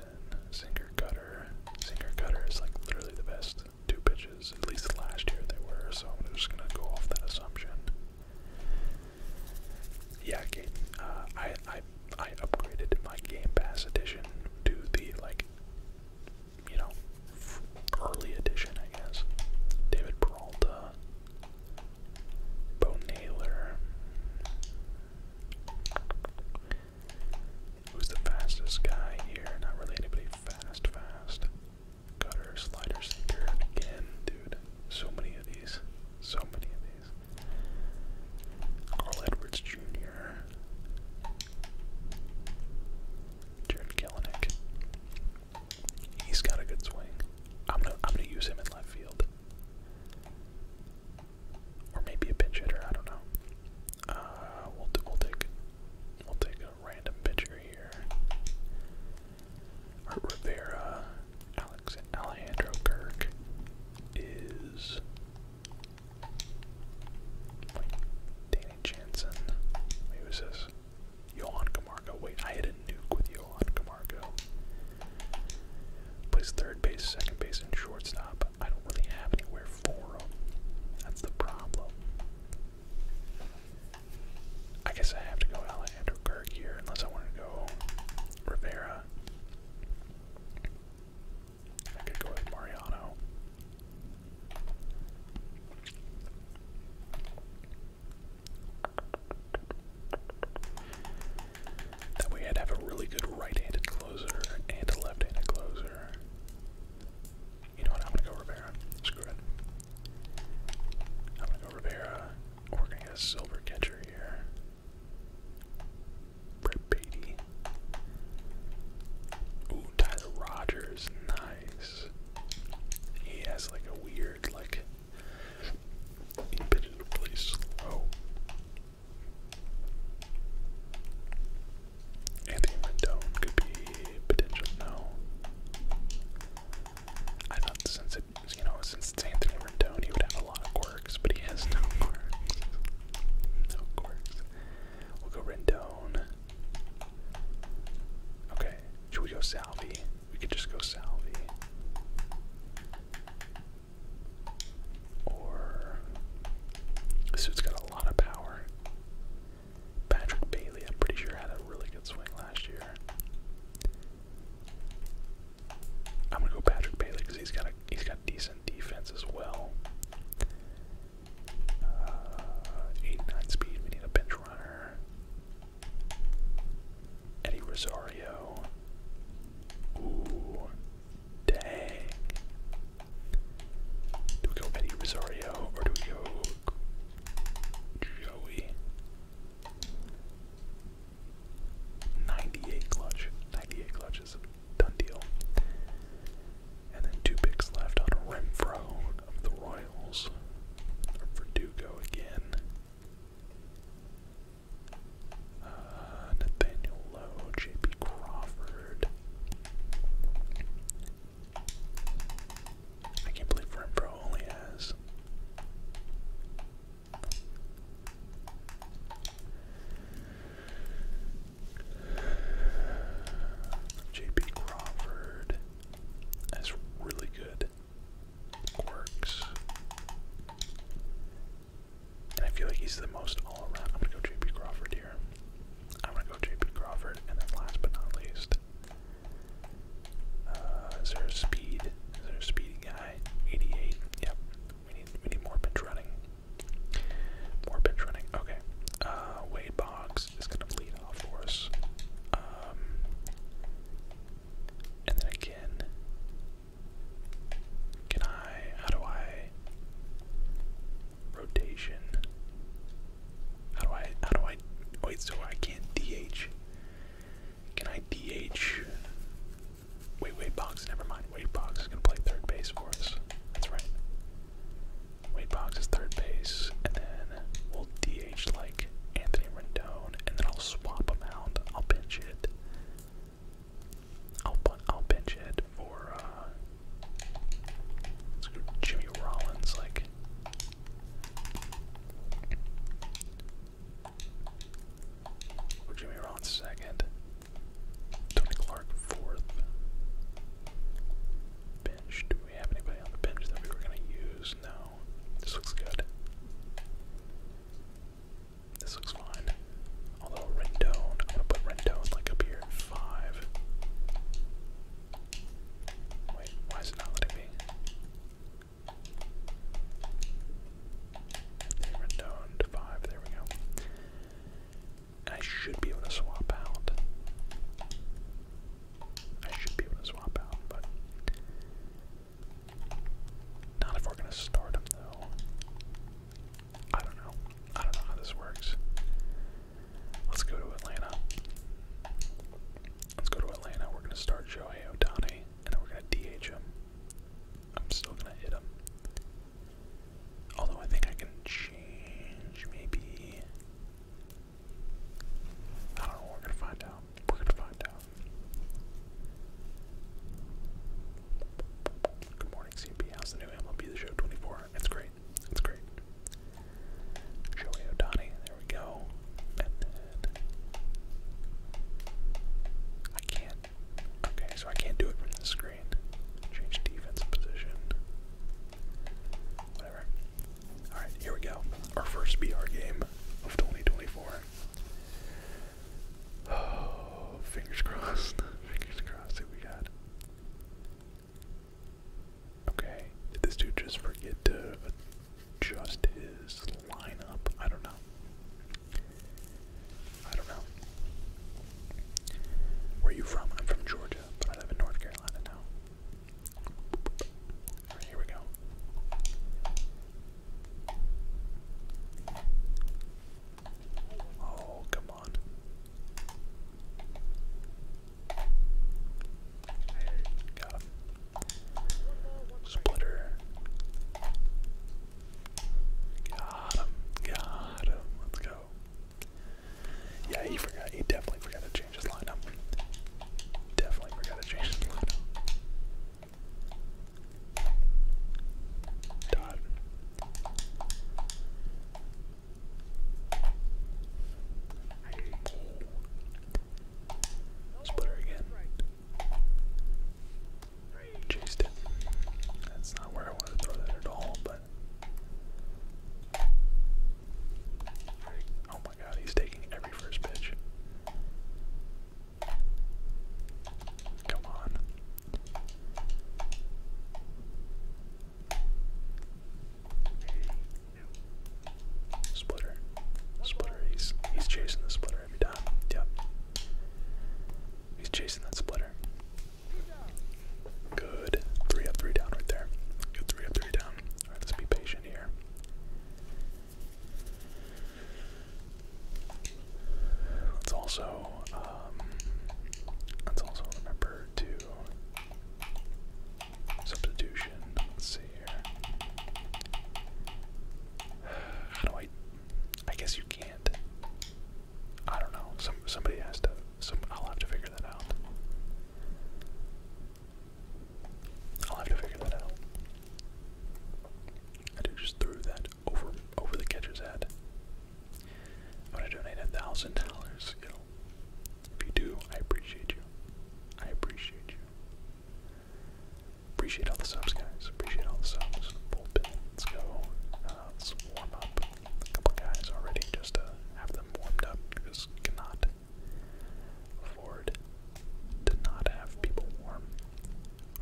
Sinker Cutter. Sinker Cutter is like literally the best two pitches, at least last year they were, so I'm just gonna go off that assumption. Yeah, game. Uh, I I I upgraded my Game Pass edition to the like you know, early edition, I guess. David Peralta, Bo Naylor. Who's the fastest guy here? Not really fast, fast. Cutter, slider, sinker. Again, dude. So many of these. So many of these. Carl Edwards Jr. Jared Kelenic. He's got a good swing. I'm gonna I'm gonna use him in left field. Or maybe a pinch hitter, I don't know. Uh, we'll we'll take we'll take a random pitcher here. Rivera, Alex Alejandro Kirk is Danny Jansen. who's this? Johan Camargo. Wait, I had a nuke with Johan Camargo. Plays third base, second base, and shortstop. I don't really have anywhere for him. That's the problem. I guess I have to go Alejandro Kirk here, unless I want to go Rivera. I could go with Mariano. That way i have a really good right-handed closer and a left-handed closer. You know what, I'm gonna go Rivera. Screw it. I'm gonna go Rivera. We're gonna get a silver catcher here. Brett Beatty. Ooh, Tyler Rogers. He has like a weird, like, Anthony Rendon could be potential no. I thought since it, you know, since it's Anthony Rendon, he would have a lot of quirks, but he has no quirks. No quirks. We'll go Rendon. Okay, should we go Salvi? We could just go Salvi. Or this dude's got a lot of power. Patrick Bailey, I'm pretty sure had a really good swing last year. I'm gonna go Patrick Bailey because he's got he's got decent defense as well. Uh, 89 speed. We need a bench runner. Eddie Rosario. Ooh, dang. Do we go Eddie Rosario or do we go Joey? 98 clutch. 98 clutch done deal. And then two picks left on Renfro of the Royals. Verdugo again. Uh, Nathaniel Lowe, Crawford. I can't believe Renfro only has. J.P. Crawford, that's really good quirks. I feel like he's the most all around. I'm gonna go JP Crawford here. I'm gonna go JP Crawford, and then last but not least, uh, is there speed? Is there a guy? 88. Yep. We need we need more bench running. More bench running. Okay. Uh, Wade Boggs is going to lead off for us. Um, and then again, can I, how do I, rotation, how do I, how do I, wait, so I can DH, can I DH, wait, wait, Box, never mind, wait, Box is going to play third base for us, that's right. Wade Box is third base, and then we'll DH like Anthony Rendon, and then I'll swap him out. I'll bench it. I'll I'll bench it for uh, Jimmy Rollins. Like, Jimmy Rollins second, Tony Clark fourth. Bench? Do we have anybody on the bench that we were gonna use? No. This looks good. This looks fine. Although Rendon, I'm gonna put Rendon like up here five. Wait, why is it not letting me? Rendon to five, there we go. I should be able to swap out. I should be able to swap out, but not if we're gonna start him though. I don't know. I don't know how this works. Let's go to Atlanta. Let's go to Atlanta. We're gonna start Shohei Otani, and then we're gonna DH him. I'm still gonna hit him. Although I think I can change maybe Good morning, CP. How's the new MLB The Show 24? It's great. It's great. Joey O'Donnell, there we go. I can't. Okay, so I can't do it from the screen. Change defensive position. Whatever. Alright, here we go. Our first VR game of 2024. Oh, (sighs) fingers crossed. Fingers crossed that we got. Okay, did this dude just forget to adjust his lineup? I don't know. I don't know. Where are you from? I'm from Georgia, but I live in North Carolina now here we go. Oh, come on. Got him. Splitter. Got him. Got him. Let's go. Yeah, he forgot. He definitely forgot to change change his lineup. Definitely forgot to change his lineup. Dot. Splitter again. Chased it. That's not where I wanted to throw that at all, but. Oh my god, he's taking every first pitch. Come on. Splitter. Splitter. He's he's chasing the splitter every time. Yep. He's chasing that splitter. Good. Three up, three down right there. Good three up, three down. Alright, let's be patient here. Let's also um, let's also remember to substitution. Let's see here. How do I? I guess you can't. I don't know. Some somebody has to. Some I'll have to figure that out. I'll have to figure that out. I just threw that over over the catcher's head. i to donate a thousand dollars, you If you do, I appreciate you. I appreciate you. Appreciate all the subs, guys. Appreciate all the subs. Let's go. Uh, let's warm up. A couple guys already just to uh, have them warmed up. You cannot Ford to not have people warm.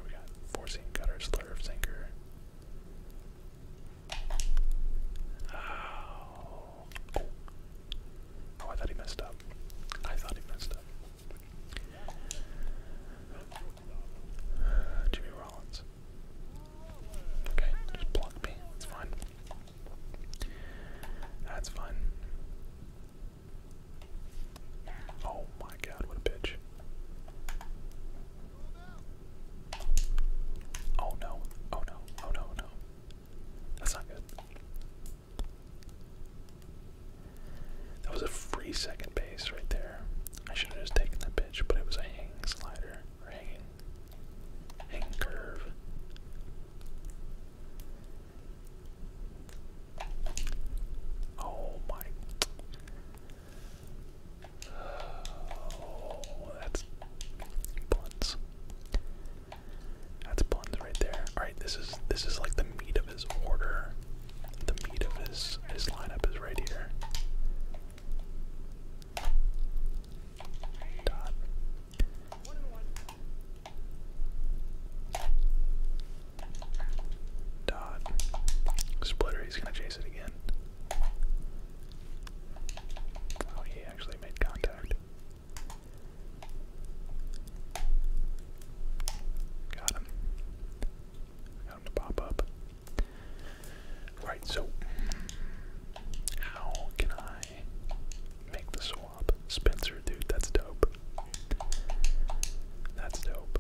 We got forcing gutter slurve sinker. Oh. oh. I thought he messed up. I thought he messed up. (sighs) Jimmy Rollins. Okay, just block me. It's fine. That's fine. Oh my god, what a pitch. Oh no, oh no, oh no, oh no. That's not good. That was a free second base right there. I should have just taken the pitch, but it was a hanging slider, hanging, hang curve. Oh my. Oh, that's buns. That's buns right there. All right, this is this is like the meat of his order. The meat of his his lineup is right here. Dot. Dot. Splitter, he's gonna chase it again. Oh, he actually made contact. Got him. Got him to pop up. Right, so how can I make the sword? Spencer, dude, that's dope. That's dope.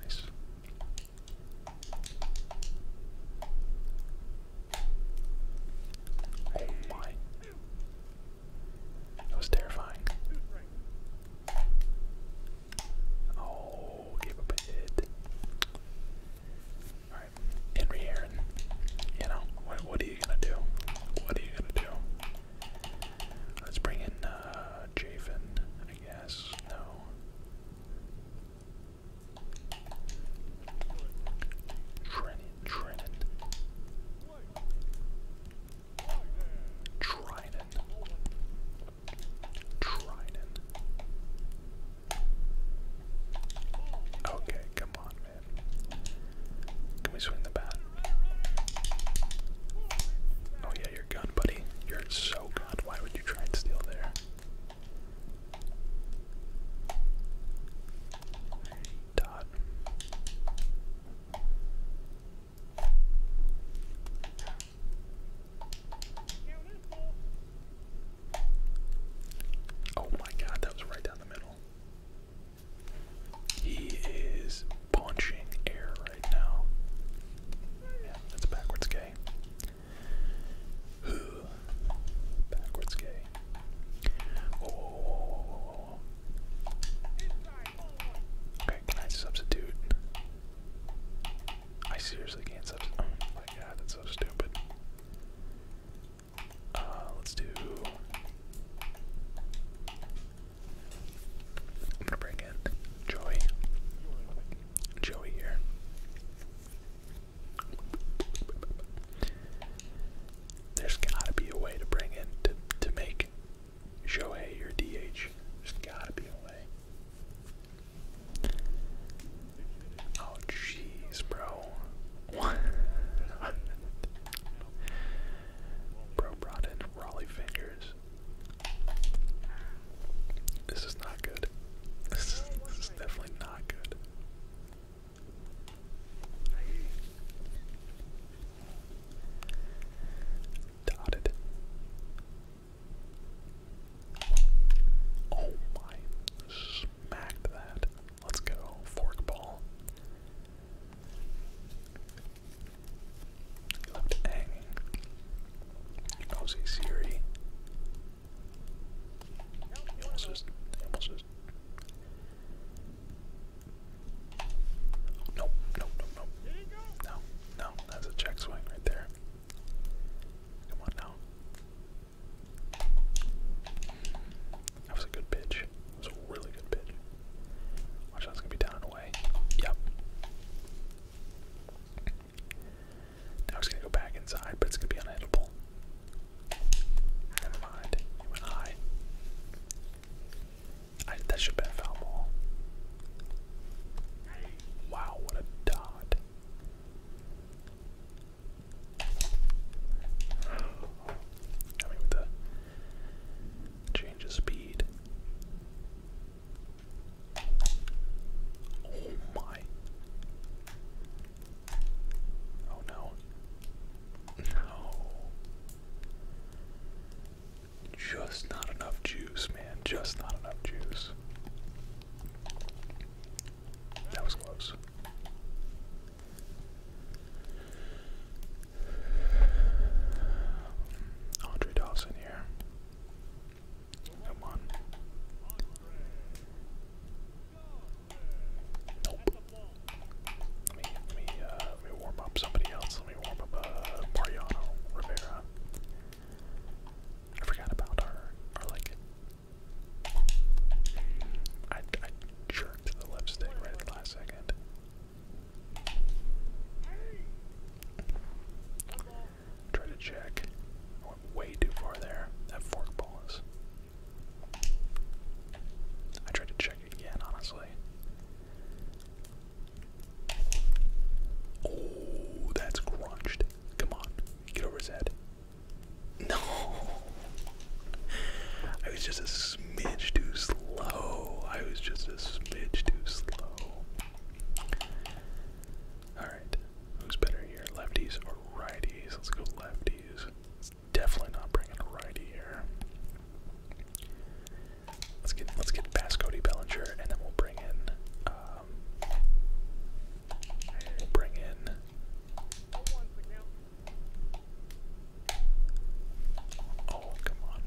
Nice. Oh my. That was terrifying. Oh, gave a hit. All right, Henry Aaron. You know what? What are you gonna do? What are you gonna do? Let's bring in uh, I guess no. Trinan, Trinan. Trinan. Trinan. Okay, come on, man. Can we swing the bat? Oh yeah, you're gone, buddy. You're so gone. Why would you try and steal there? Dot. Oh my god, that was right down the middle. He is punching air right now. Yeah, that's backwards gay. backwards gay. Okay, can I substitute? I seriously can't substitute. Oh my god, that's so stupid. Uh, let's do. I'm gonna bring in Joey. Joey here. There's gotta be a way to bring in to to make Joey your DH. There's gotta be a way. Oh jeez, bro. What? (laughs) bro brought in fingers. This is not good. this is definitely not good. Dotted. Oh my, smacked that. Let's go, forkball. Left hanging. Obviously Siri. almost almost just. Nope, nope, nope, No, no, that's a check swing right there. Come on now. That was a good pitch. That was a really good pitch. Watch that's gonna be down and away. Yep. Now he's gonna go back inside, but it's gonna be unhittable. Never mind. He went I, that should have a foul ball. Wow, what a dot. I with the change of speed. Oh my. Oh no. No. Just not enough juice, man. Just not enough juice. That was close. Andre Dawson here. Come on. Nope. Let me, let me, uh, let me warm up somebody else. Let me warm up, uh, Rivera. I forgot about our, our like, I, jerked the lipstick right at the last second. Try to check. I went way too far there. That forkball is. I tried to check again, honestly. Oh, that's crunched. Come on, get over his no. I was just a smidge too slow. I was just a smidge too slow. Alright. Who's better here? Lefties or righties? Let's go lefties. definitely not bringing a righty here. Let's get let's get past Cody Bellinger and then we'll bring in uh, we'll bring in. Oh, come on. Come on.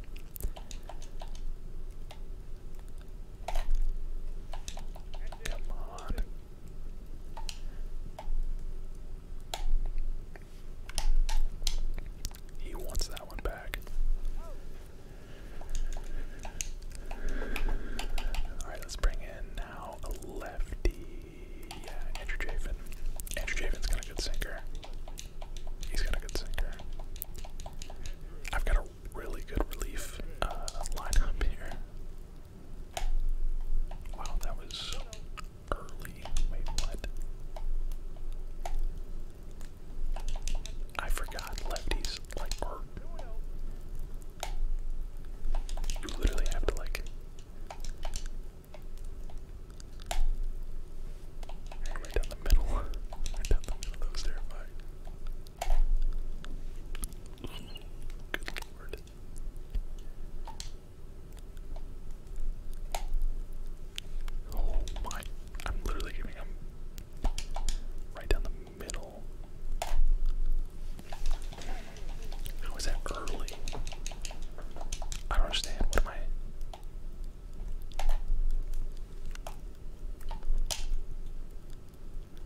He wants that one back. Alright, let's bring in a lefty. Andrew Chafin. Andrew Chafin's got a good sinker. He's got a good sinker. I've got a really good relief uh, lineup here. Wow, that was early. Wait, what? I forgot lefties like you literally have to like. Right down the middle. (laughs) Right down the middle. That was terrifying. Good lord. Oh my. I'm literally giving him right down the middle. How is that early? I don't understand. What am I?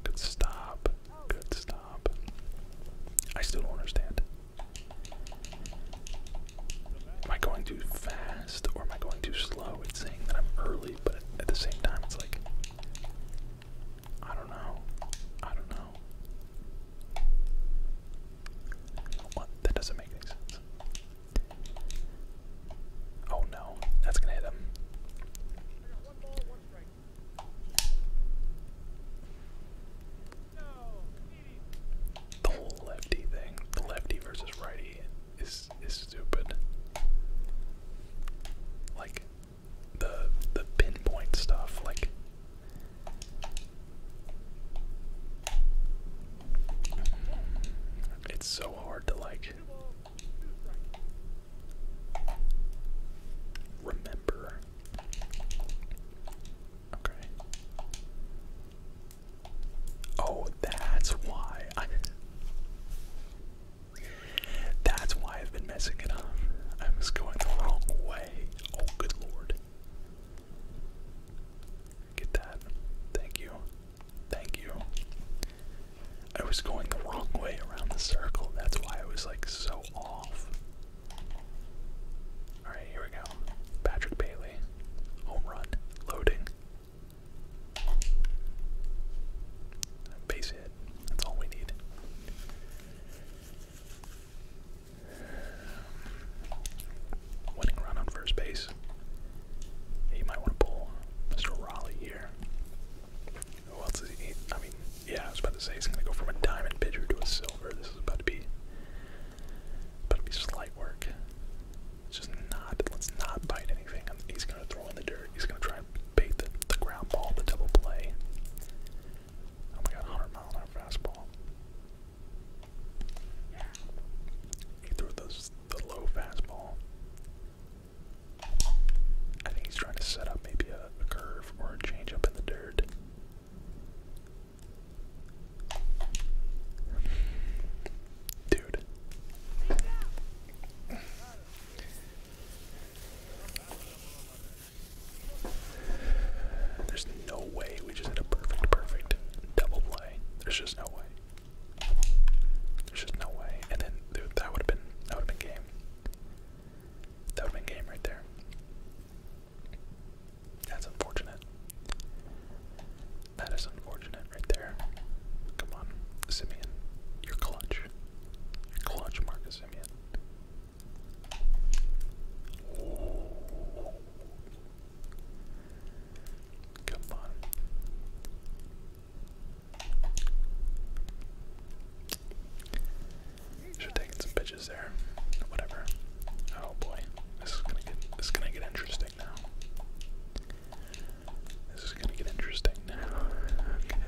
Good stop. Good stop. I still don't understand. Am I going too fast or am I going too slow? It's saying that I'm early, but at the same time, it's like I don't know. I don't know. That doesn't make any sense. Oh no, that's gonna hit him. the whole lefty thing, the lefty versus righty, is is stupid. Like the the pinpoint stuff like it's so hard to like remember. Okay. Oh, that's why. That's why I've been messing it up. I was going the wrong way. Oh, good lord. Get that. Thank you. Thank you. I was going the wrong way around the circle. That's why I was like so off. Alright, here we go. Patrick Bailey. Home run. Loading. Base hit. That's all we need. Winning run on first base. You might want to pull Mr. Raleigh here. Who else is he? I mean, yeah, I was about to say he's going to go from a diamond pitcher to a silver. This is about to be, about to be slight work. It's just not. Let's not bite anything. He's going to throw in the dirt. He's going to try and bait the ground ball, the double play. Oh my god, 100 mile an hour fastball. He threw those, the low fastball. I think he's trying to set up maybe a, curve or a change up in the dirt. Dude. There's no way we just hit a perfect, perfect double play. There's just no way. There's just no way. And then dude, that would have been that would have been game. That would have been game right there. That's unfortunate. That is unfortunate right there. Come on, Simeon. You're clutch. clutch, Marcus Simeon. Come on. Should have some pitches there. Whatever. Oh boy. This is gonna get this is gonna get interesting now. This is gonna get interesting now. (laughs) Okay.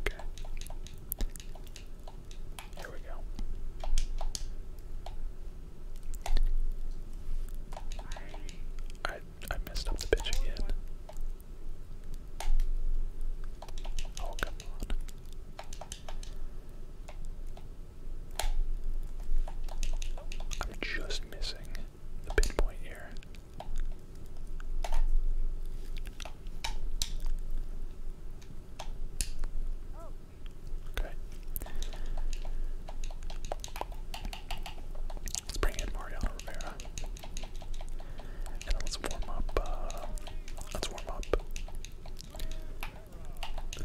Okay. There we go. I I messed up the pitch again. Oh on. I'm just missing the pinpoint here. Okay. Let's bring in Mariano Rivera. And let's warm up, uh, let's warm up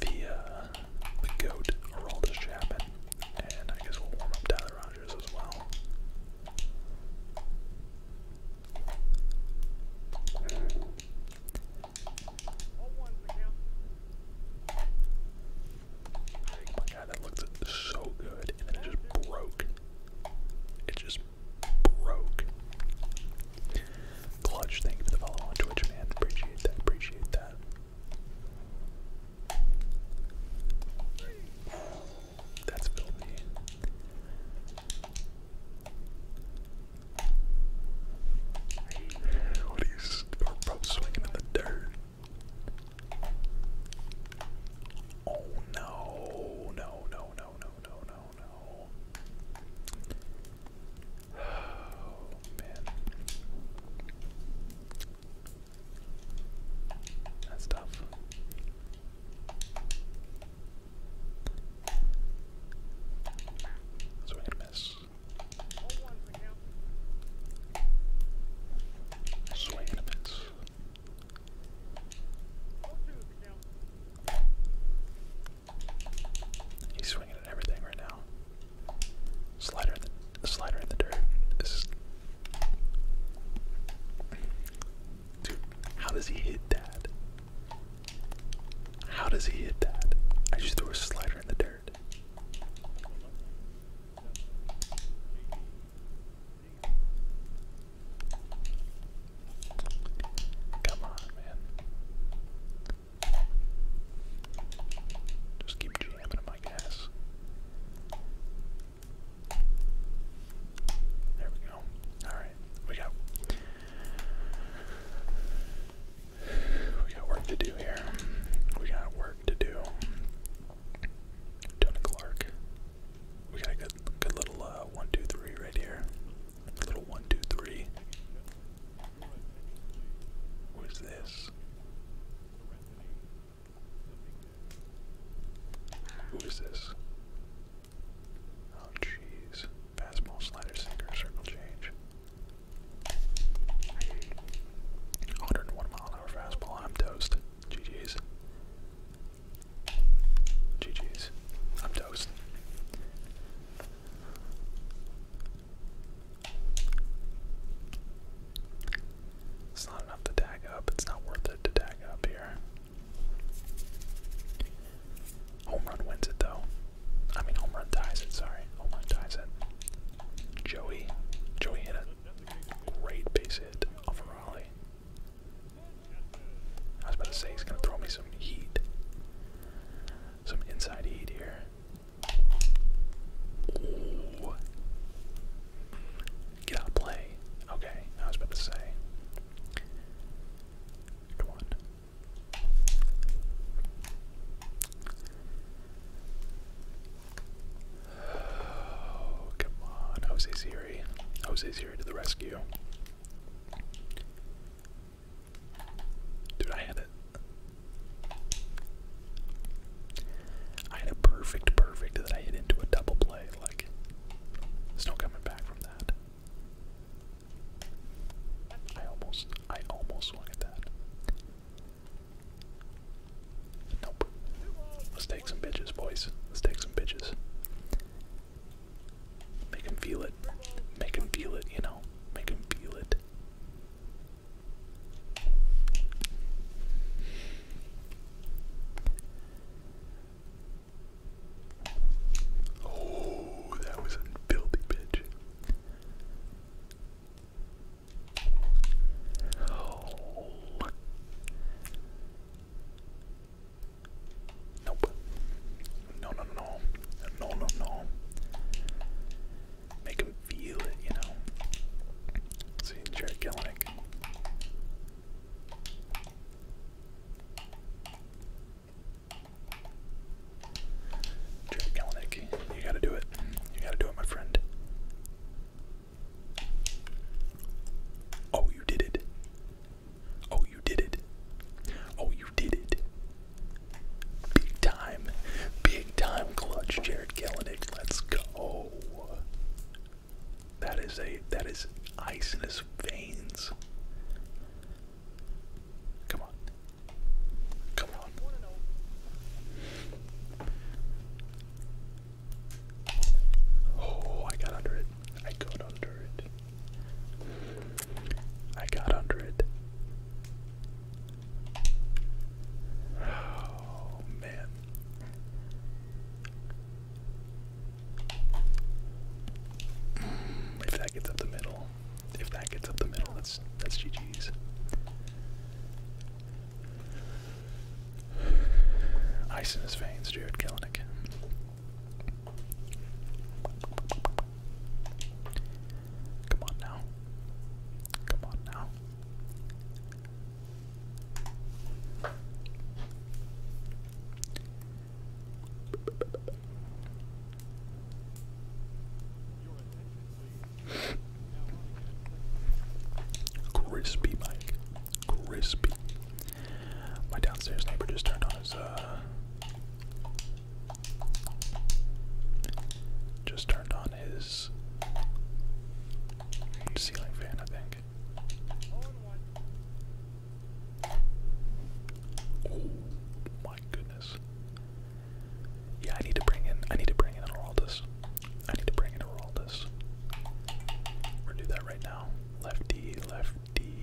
the, uh, the goat, Araldus Chapman. And I guess we'll warm up Tyler Rogers as well. Oh my god, that looked so good, and then it just broke. It just broke. Clutch, thank you for the follow on Twitch, man. Appreciate that, appreciate that. That's filthy. What are you bro swinging in the dirt? Oh no, no, no, no, no, no, no. Oh man. That's tough. So we miss. Swing a miss. He's swinging at everything right now. Slider slider in the dirt. dude. How does he hit that? How does he hit that? I just threw a slider in the dirt. Come on, man. Just keep jamming him, I There we go. Alright we got we got work to do here. We got work to do. Tony Clark. We got a good good little uh, one, two, three right here. little one, two, three. What is this? Who is this? Oh jeez. Fastball, slider, sinker, circle change. 101 mile an hour fastball. I'm toast. GG's. GG's. I'm toast. It's not enough to tag up. It's not worth it to tag up here. Home run wins it though. I mean, home run ties it. Sorry, home run ties it. Joey, Joey hit a great base hit off of Raleigh. I was about to say he's gonna throw me some heat, some inside heat here. Get out of play. Okay, I was about to say. Come on. Oh, (sighs) come on, Jose Ziri. Jose Ziri to the rescue. Dude, I had it. I had a perfect, perfect that I hit into a double play. Like, there's no coming back from that. I almost, I almost swung at that. Nope. Let's take some bitches, boys. Let's take some bitches. Make feel it. Make feel it, you know. Make feel it. Oh, that was a filthy pitch. Oh. Nope. No, no, no. No, no, no. Make him feel it, you know. Let's see, Jared Jared Kalanick, you gotta do it. You gotta do it, my friend. Oh, you did it. Oh, you did it. Oh, you did it. Big time. Big time clutch, Jared Kalanick. Let's go. That is a that is ice in his veins. Come on. Come on. Oh, I got under it. I got under it. I got under it. Oh, man. If that gets up the middle, if that gets up the middle, that's that's GG's. Ice in his veins, Jared Kelenic. Come on now. Come on now. Crispy Mike. Crispy. My downstairs neighbor just turned on his uh just turned on his ceiling fan, I think. Oh my goodness. Yeah, I need to bring in I need to bring in Araldus. I need to bring in Araldus. We're gonna do that right now. Lefty, lefty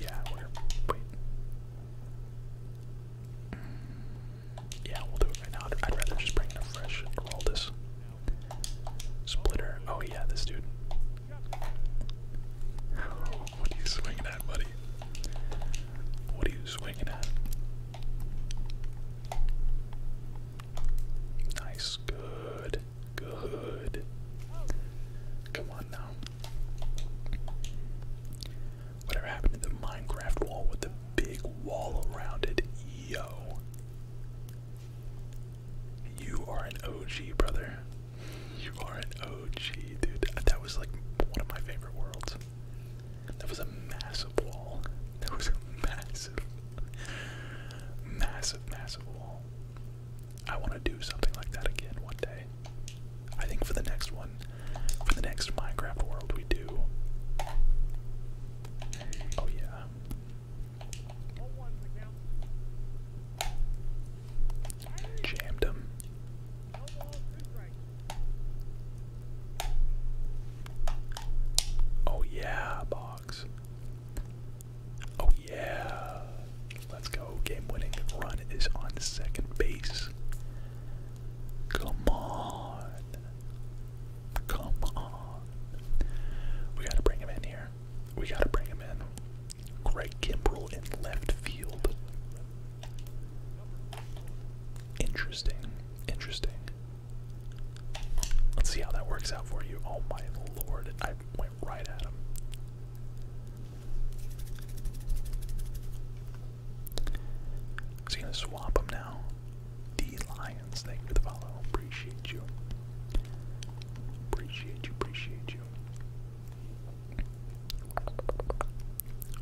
yeah, we're wait. Yeah, we'll do it right now. I'd rather just bring in a fresh Araldus. Splitter. Oh yeah, this dude. Oh what are you swinging at, buddy? What are you swinging at? Nice, good, good. Come on now. Whatever happened to the Minecraft wall with the big wall around it? Yo. You are an OG, brother. You are an OG, dude. That was like one of my favorite worlds. That was a massive wall. That was a massive, massive, massive wall. I want to do something like that again one day. I think for the next one, for the next Minecraft world we do. Oh yeah. Jammed him. Oh yeah, box. Oh yeah. Let's go. Game winning run is on second base. Come on. Come on. We gotta bring him in here. We gotta bring him in. Greg Kimbrell in left field. Interesting. Interesting. Let's see how that works out for you. Oh my lord, I went right at him. Is gonna swap him now? The Lions, thank you for the follow. Appreciate you. Appreciate you, appreciate you.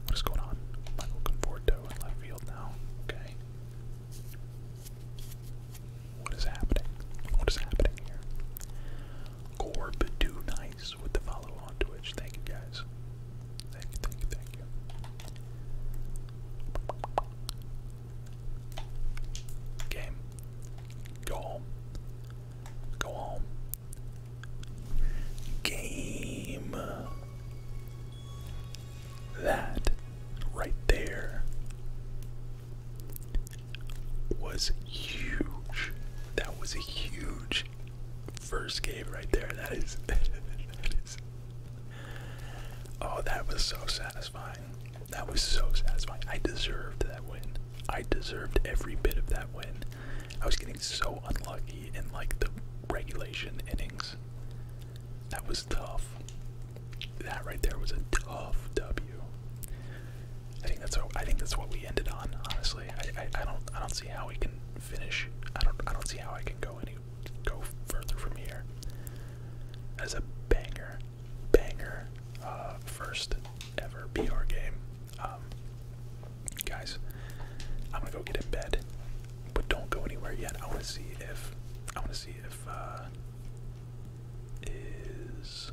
What is going on? Michael Conforto in left field now. Okay. What is happening? What is happening here? Gorb do nice with the follow on Twitch. Thank you guys. Thank you, thank you, thank you. Game. Go home. Go home. Game. That right there was huge. That was a huge first game right there. (laughs) That is. oh, that was so satisfying. That was so satisfying. I deserved that win. I deserved every bit of that win. I was getting so unlucky in like the regulation innings. That was tough. That right there was a tough W. I think that's what, I think that's what we ended on. Honestly, I, I, don't I don't see how we can finish. I don't I don't see how I can go any go further from here. As a banger, banger, uh, first ever BR game. Um, Guys, I'm gonna go get in bed, but don't go anywhere yet. I want to see if I want to see if uh, is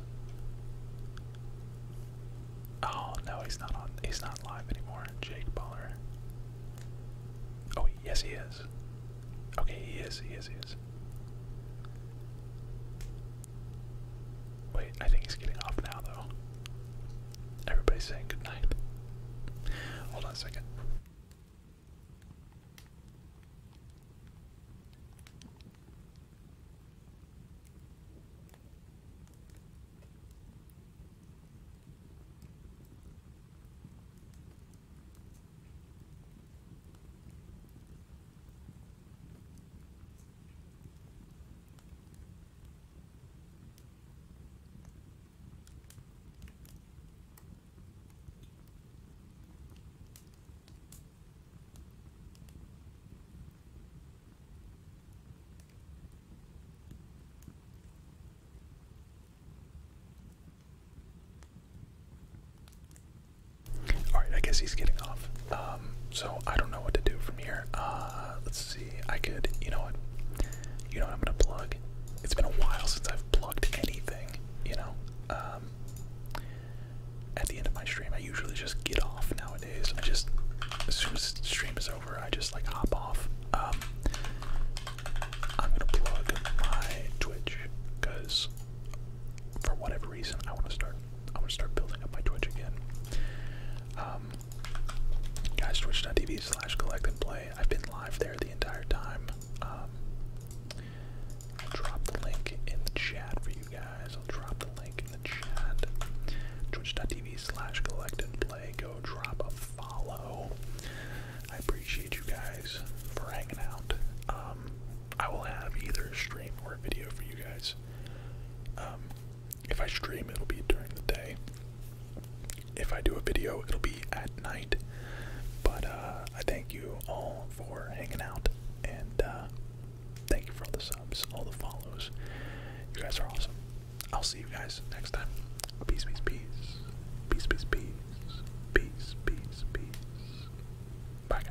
oh no, he's not on. He's not live anymore. Jake Baller. Oh yes, he is. Okay, he is. He is. He is. Wait, I think he's getting off now though. Everybody's saying goodnight. Hold on a second. All right, I guess he's getting off. Um, so I don't know what to do from here. Uh, let's see. I could, you know what? You know what I'm gonna plug? It's been a while since I've plugged anything, you know? Um, at the end of my stream, I usually just get off nowadays. I just, as soon as the stream is over, I just like hop off. Um, I'm gonna plug my Twitch, because for whatever reason, I wanna start, I wanna start building up my Twitch again. Um, Guys, twitch.tv slash collect and play. I've been live there the entire time. Um, I'll drop the link in the chat for you guys. I'll drop the link in the chat. Twitch.tv slash collect and play. Go drop a follow. I appreciate you guys for hanging out. Um, I will have either a stream or a video for you guys. Um, if I stream, it'll be during the day. If I do a video, it'll be at night. But uh, I thank you all for hanging out, and uh, thank you for all the subs, all the follows. You guys are awesome. I'll see you guys next time. Peace, peace, peace. Peace, peace, peace. Peace, peace, peace. Bye, guys.